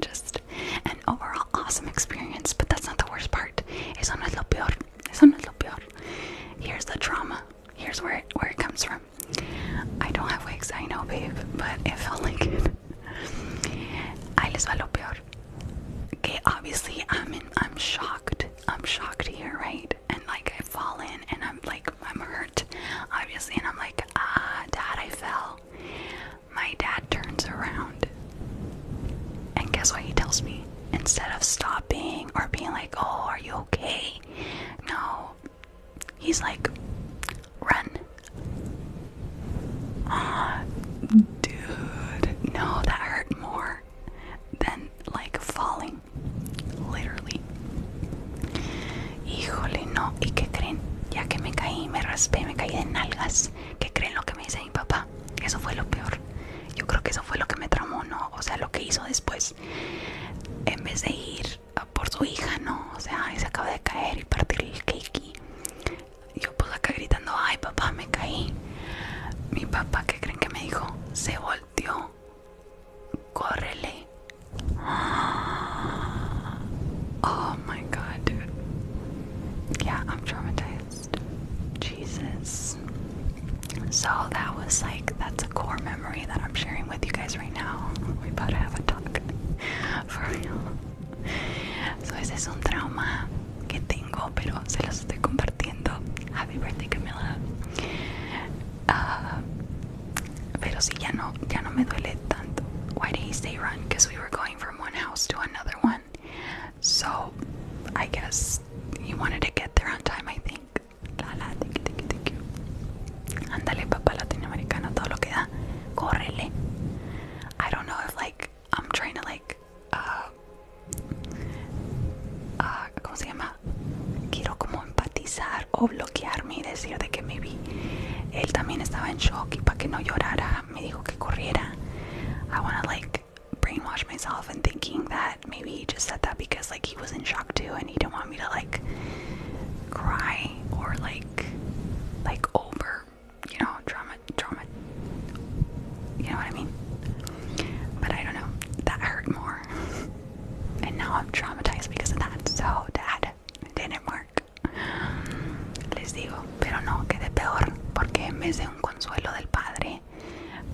just an overall awesome experience. But that's not the worst part. Eso no es lo peor. Eso no es lo peor. Here's the drama. Here's where it, where it comes from. I don't have wigs, I know, babe, but it felt like it. Ahí les va lo peor. Okay, obviously I'm in, I'm shocked. I'm shocked here, right? And like I fall in and I'm like I'm hurt, obviously, and I'm like, ah, dad, I fell. My dad turns around. And guess what he tells me? Instead of stopping or being like, oh, are you okay? No. He's like, run. Ah, dude. No, that hurt more than like falling. Literally. Híjole, no. qué creen? Ya que me caí, me raspé, me caí de nalgas. ¿Qué creen lo me dice mi papá. Eso fue lo peor. Yo creo que eso fue lo que me tramó, ¿no? O sea, lo que hizo después. En vez de ir por su hija, ¿no? O sea, se acaba de caer y partir el cakey yo pues acá gritando, ay papá, me caí. Mi papá, ¿qué creen que me dijo? Se volteó. Córrele. Oh my god, yeah, I'm traumatized. Jesus. So that was like, that's a core memory that I'm sharing with you guys right now. We better have a talk. For real. So ese es un trauma que tengo, pero se los estoy compartiendo. Happy birthday, Camila. Uh, pero si ya no, ya no me duele tanto. Why did he say run? Because we were going from one house to another one. So I guess he wanted to get there on time, I think. La la, thank you, Andale, papá latinoamericano, todo lo que da. Correle. I don't know if like I'm trying to like uh, uh ¿cómo se llama? Quiero como empatizar o bloquearme y decir de que maybe él también estaba en shock y para que no llorara um, me dijo que corriera. I want to like brainwash myself and thinking that maybe he just said that because like he was in shock too and he didn't want me to like cry or like like over you know drama drama you know what I mean but I don't know that hurt more and now I'm traumatized because of that so dad didn't work les digo, pero no, quedé peor porque en vez de un consuelo del padre,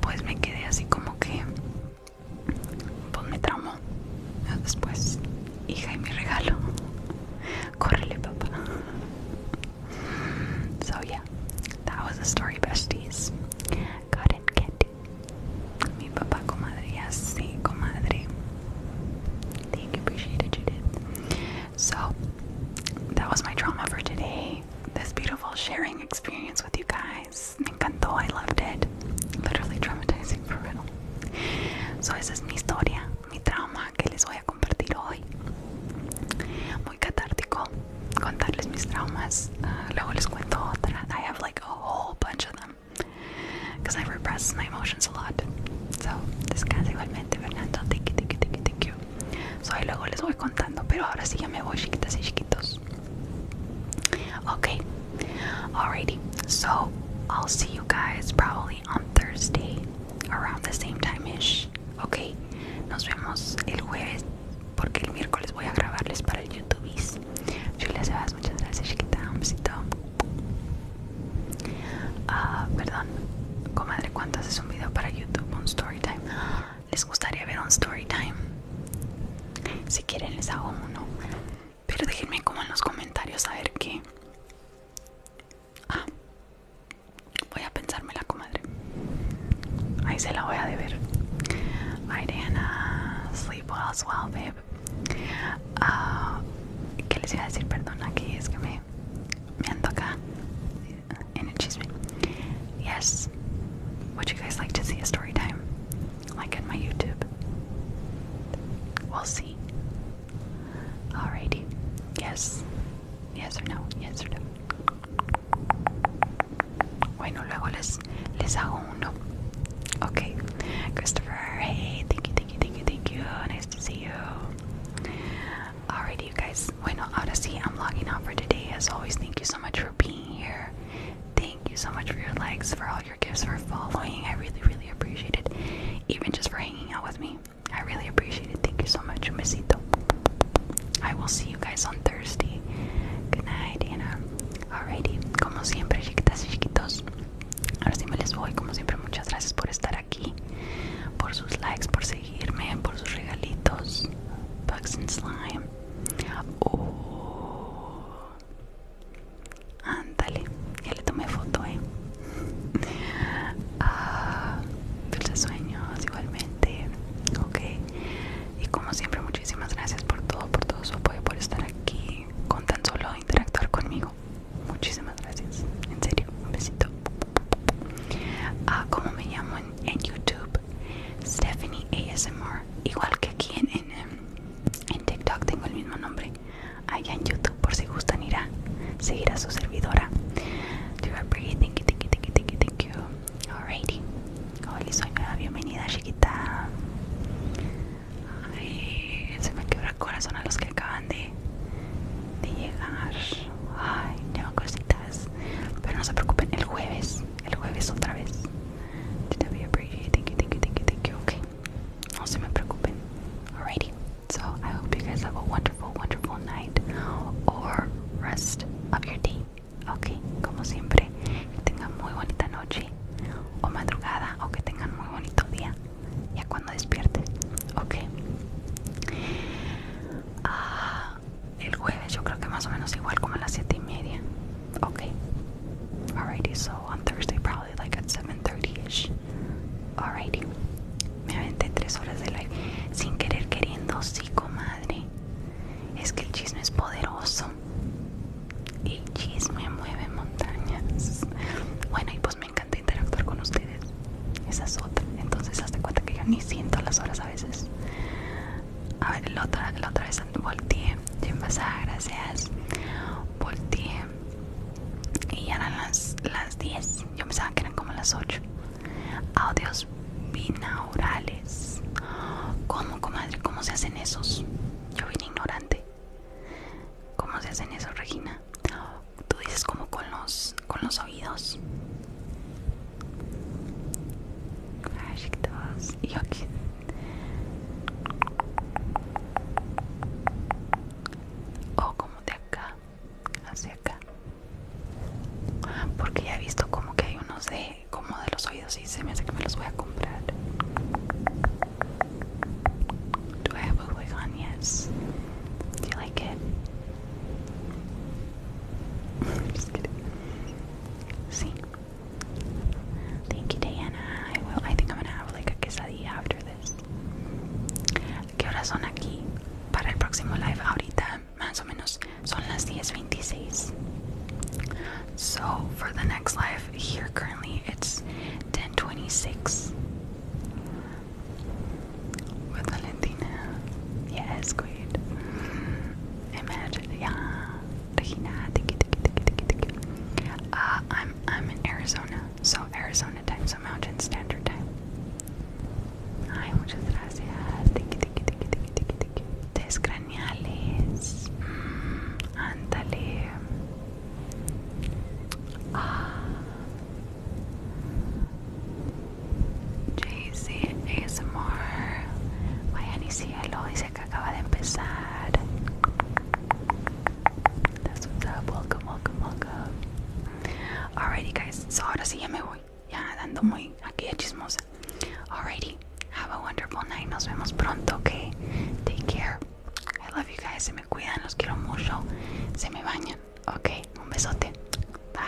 pues me quedé así como que, pues me tramo. Después, hija y mi regalo, córrele papá. So yeah, that was the story, besties. Got it, Kitty. Mi papá, comadre, sí comadre. Thank you, appreciate it, Judith. So that was my trauma for today. This beautiful sharing experience with you guys. Me encantó, I loved it. Literally traumatizing for real. So esa es mi historia, mi trauma que les voy a compartir hoy. Muy catártico contarles mis traumas. Uh, luego les cuento I have like a whole bunch of them. Because I repress my emotions a lot. So, descansa igualmente, Fernando. Thank you, thank you, thank you, thank you. Soy luego les voy contando, pero ahora sí ya me voy, chiquitas y chiquitos. Okay, alrighty. So I'll see you guys probably on Thursday around the same time ish. Okay, nos vemos el jueves porque el miércoles voy a grabarles para el YouTube. Julia Sebas, muchas gracias, chiquita. Un besito. Ah, perdón, comadre, ¿cuánto es un video para YouTube un story time. ¿Les gustaría ver un story time? Si quieren les hago uno. Pero déjenme como en los comentarios a ver qué. Ah, voy a pensármela, comadre. Ahí se la voy a deber. ver. Sleep well as well, babe. Ah, ¿Qué les iba a decir? Perdón, aquí es que me, me ando acá Uh, and it cheese me. Yes. Would you guys like to see a story time? Like in my YouTube. We'll see. Alrighty. Yes. Yes or no. Yes or no. Bueno, luego les, les hago uno. Okay. Christopher, hey, thank you, thank you, thank you, thank you. Nice to see you. Alrighty, you guys. Bueno, ahora sí, I'm logging out for today. As always, thank you so much for being here. Thank you so much for your likes, for all your gifts, for following. I really, really appreciate it. Even just for hanging out with me. I really appreciate it. Thank you so much, Mesito. I will see you guys on Thursday. Good night, Anna. Alrighty, como siempre, chiquitas y chiquitos. Ahora sí me les voy. Como siempre, muchas gracias por estar aquí, por sus likes, por seguir por sus regalitos. Bugs and Slime. o Ándale, ya le tomé foto, eh. Ah, dulces sueños, igualmente. Ok. Y como siempre, muchísimas gracias por todo, por todo su apoyo, por estar aquí, con tan solo interactuar conmigo. Muchísimas gracias. En serio, un besito. Ah, ¿Cómo me llamo en, YouTube, Stephanie ASMR. Igual que aquí em, en, TikTok tengo el mismo nombre. Allá en YouTube, por si gustan, ir a seguir a su servidora. Thank you, thank thank you, soy Bienvenida, chiquita. se me quebra el corazón a los que acaban de, llegar. Ay, pero no se preocupen, el jueves, el jueves otra vez. Thank you, thank you, thank you, thank you. Okay. No se me preocupen. Alrighty. So I hope you guys have a wonderful, wonderful night or rest of your day. Okay. Como siempre, que tengan muy bonita noche o madrugada o que tengan muy bonito día ya cuando despierten. Okay. Ah el jueves, yo creo que más o menos igual como a las 7 y media. Ok. Alrighty, so on Thursday probably like at 7.30ish. Alrighty. Me aventé 3 horas de live. Sin querer queriendo, sí, comadre. Es que el chisme es poderoso. El chisme mueve montañas. Bueno, y pues me encanta interactuar con ustedes. Esa es otra. Entonces, hazte cuenta que yo ni siento las horas a veces. A ver, la otra, la otra vez volteé. bien pasada, gracias. Volteé. Y ya eran las, las 10. Yo pensaba que eran como las 8. Audios binaurales. ¿Cómo, comadre? ¿Cómo se hacen esos? Yo vine ignorante. ¿Cómo se hacen esos, Regina? Tú dices como con los con los oídos y ok o como de acá hacia acá porque ya he visto como que hay unos de como de los oídos y se me hace que me los voy a comprar Do have a wig on? Do you like it? See? Thank you, Diana. I will. I think I'm gonna have like a quesadilla after this. ¿Qué horas son aquí? Para el próximo live ahorita, más o 10.26. So, for the next live here currently, it's 10.26 with Valentina. Yes, good. Imagine, yeah. Uh, I'm I'm in Arizona, so Arizona time, so Mountain Standard Time. Ay, muchas gracias. Tiki, tiki, tiki, tiki, tiki, tiki. Descraniales. Mm, ándale. Ah. JC ASMR. Vayan y cielo, dice que acaba de empezar. That's what's up. Welcome, welcome, welcome. Alrighty, guys. So ahora sí ya me voy. Ya ando muy aquí de chismosa. Alrighty. Have a wonderful night. Nos vemos pronto, ok? Take care. I love you guys. Se me cuidan, los quiero mucho. Se me bañan, ok? Un besote. Bye.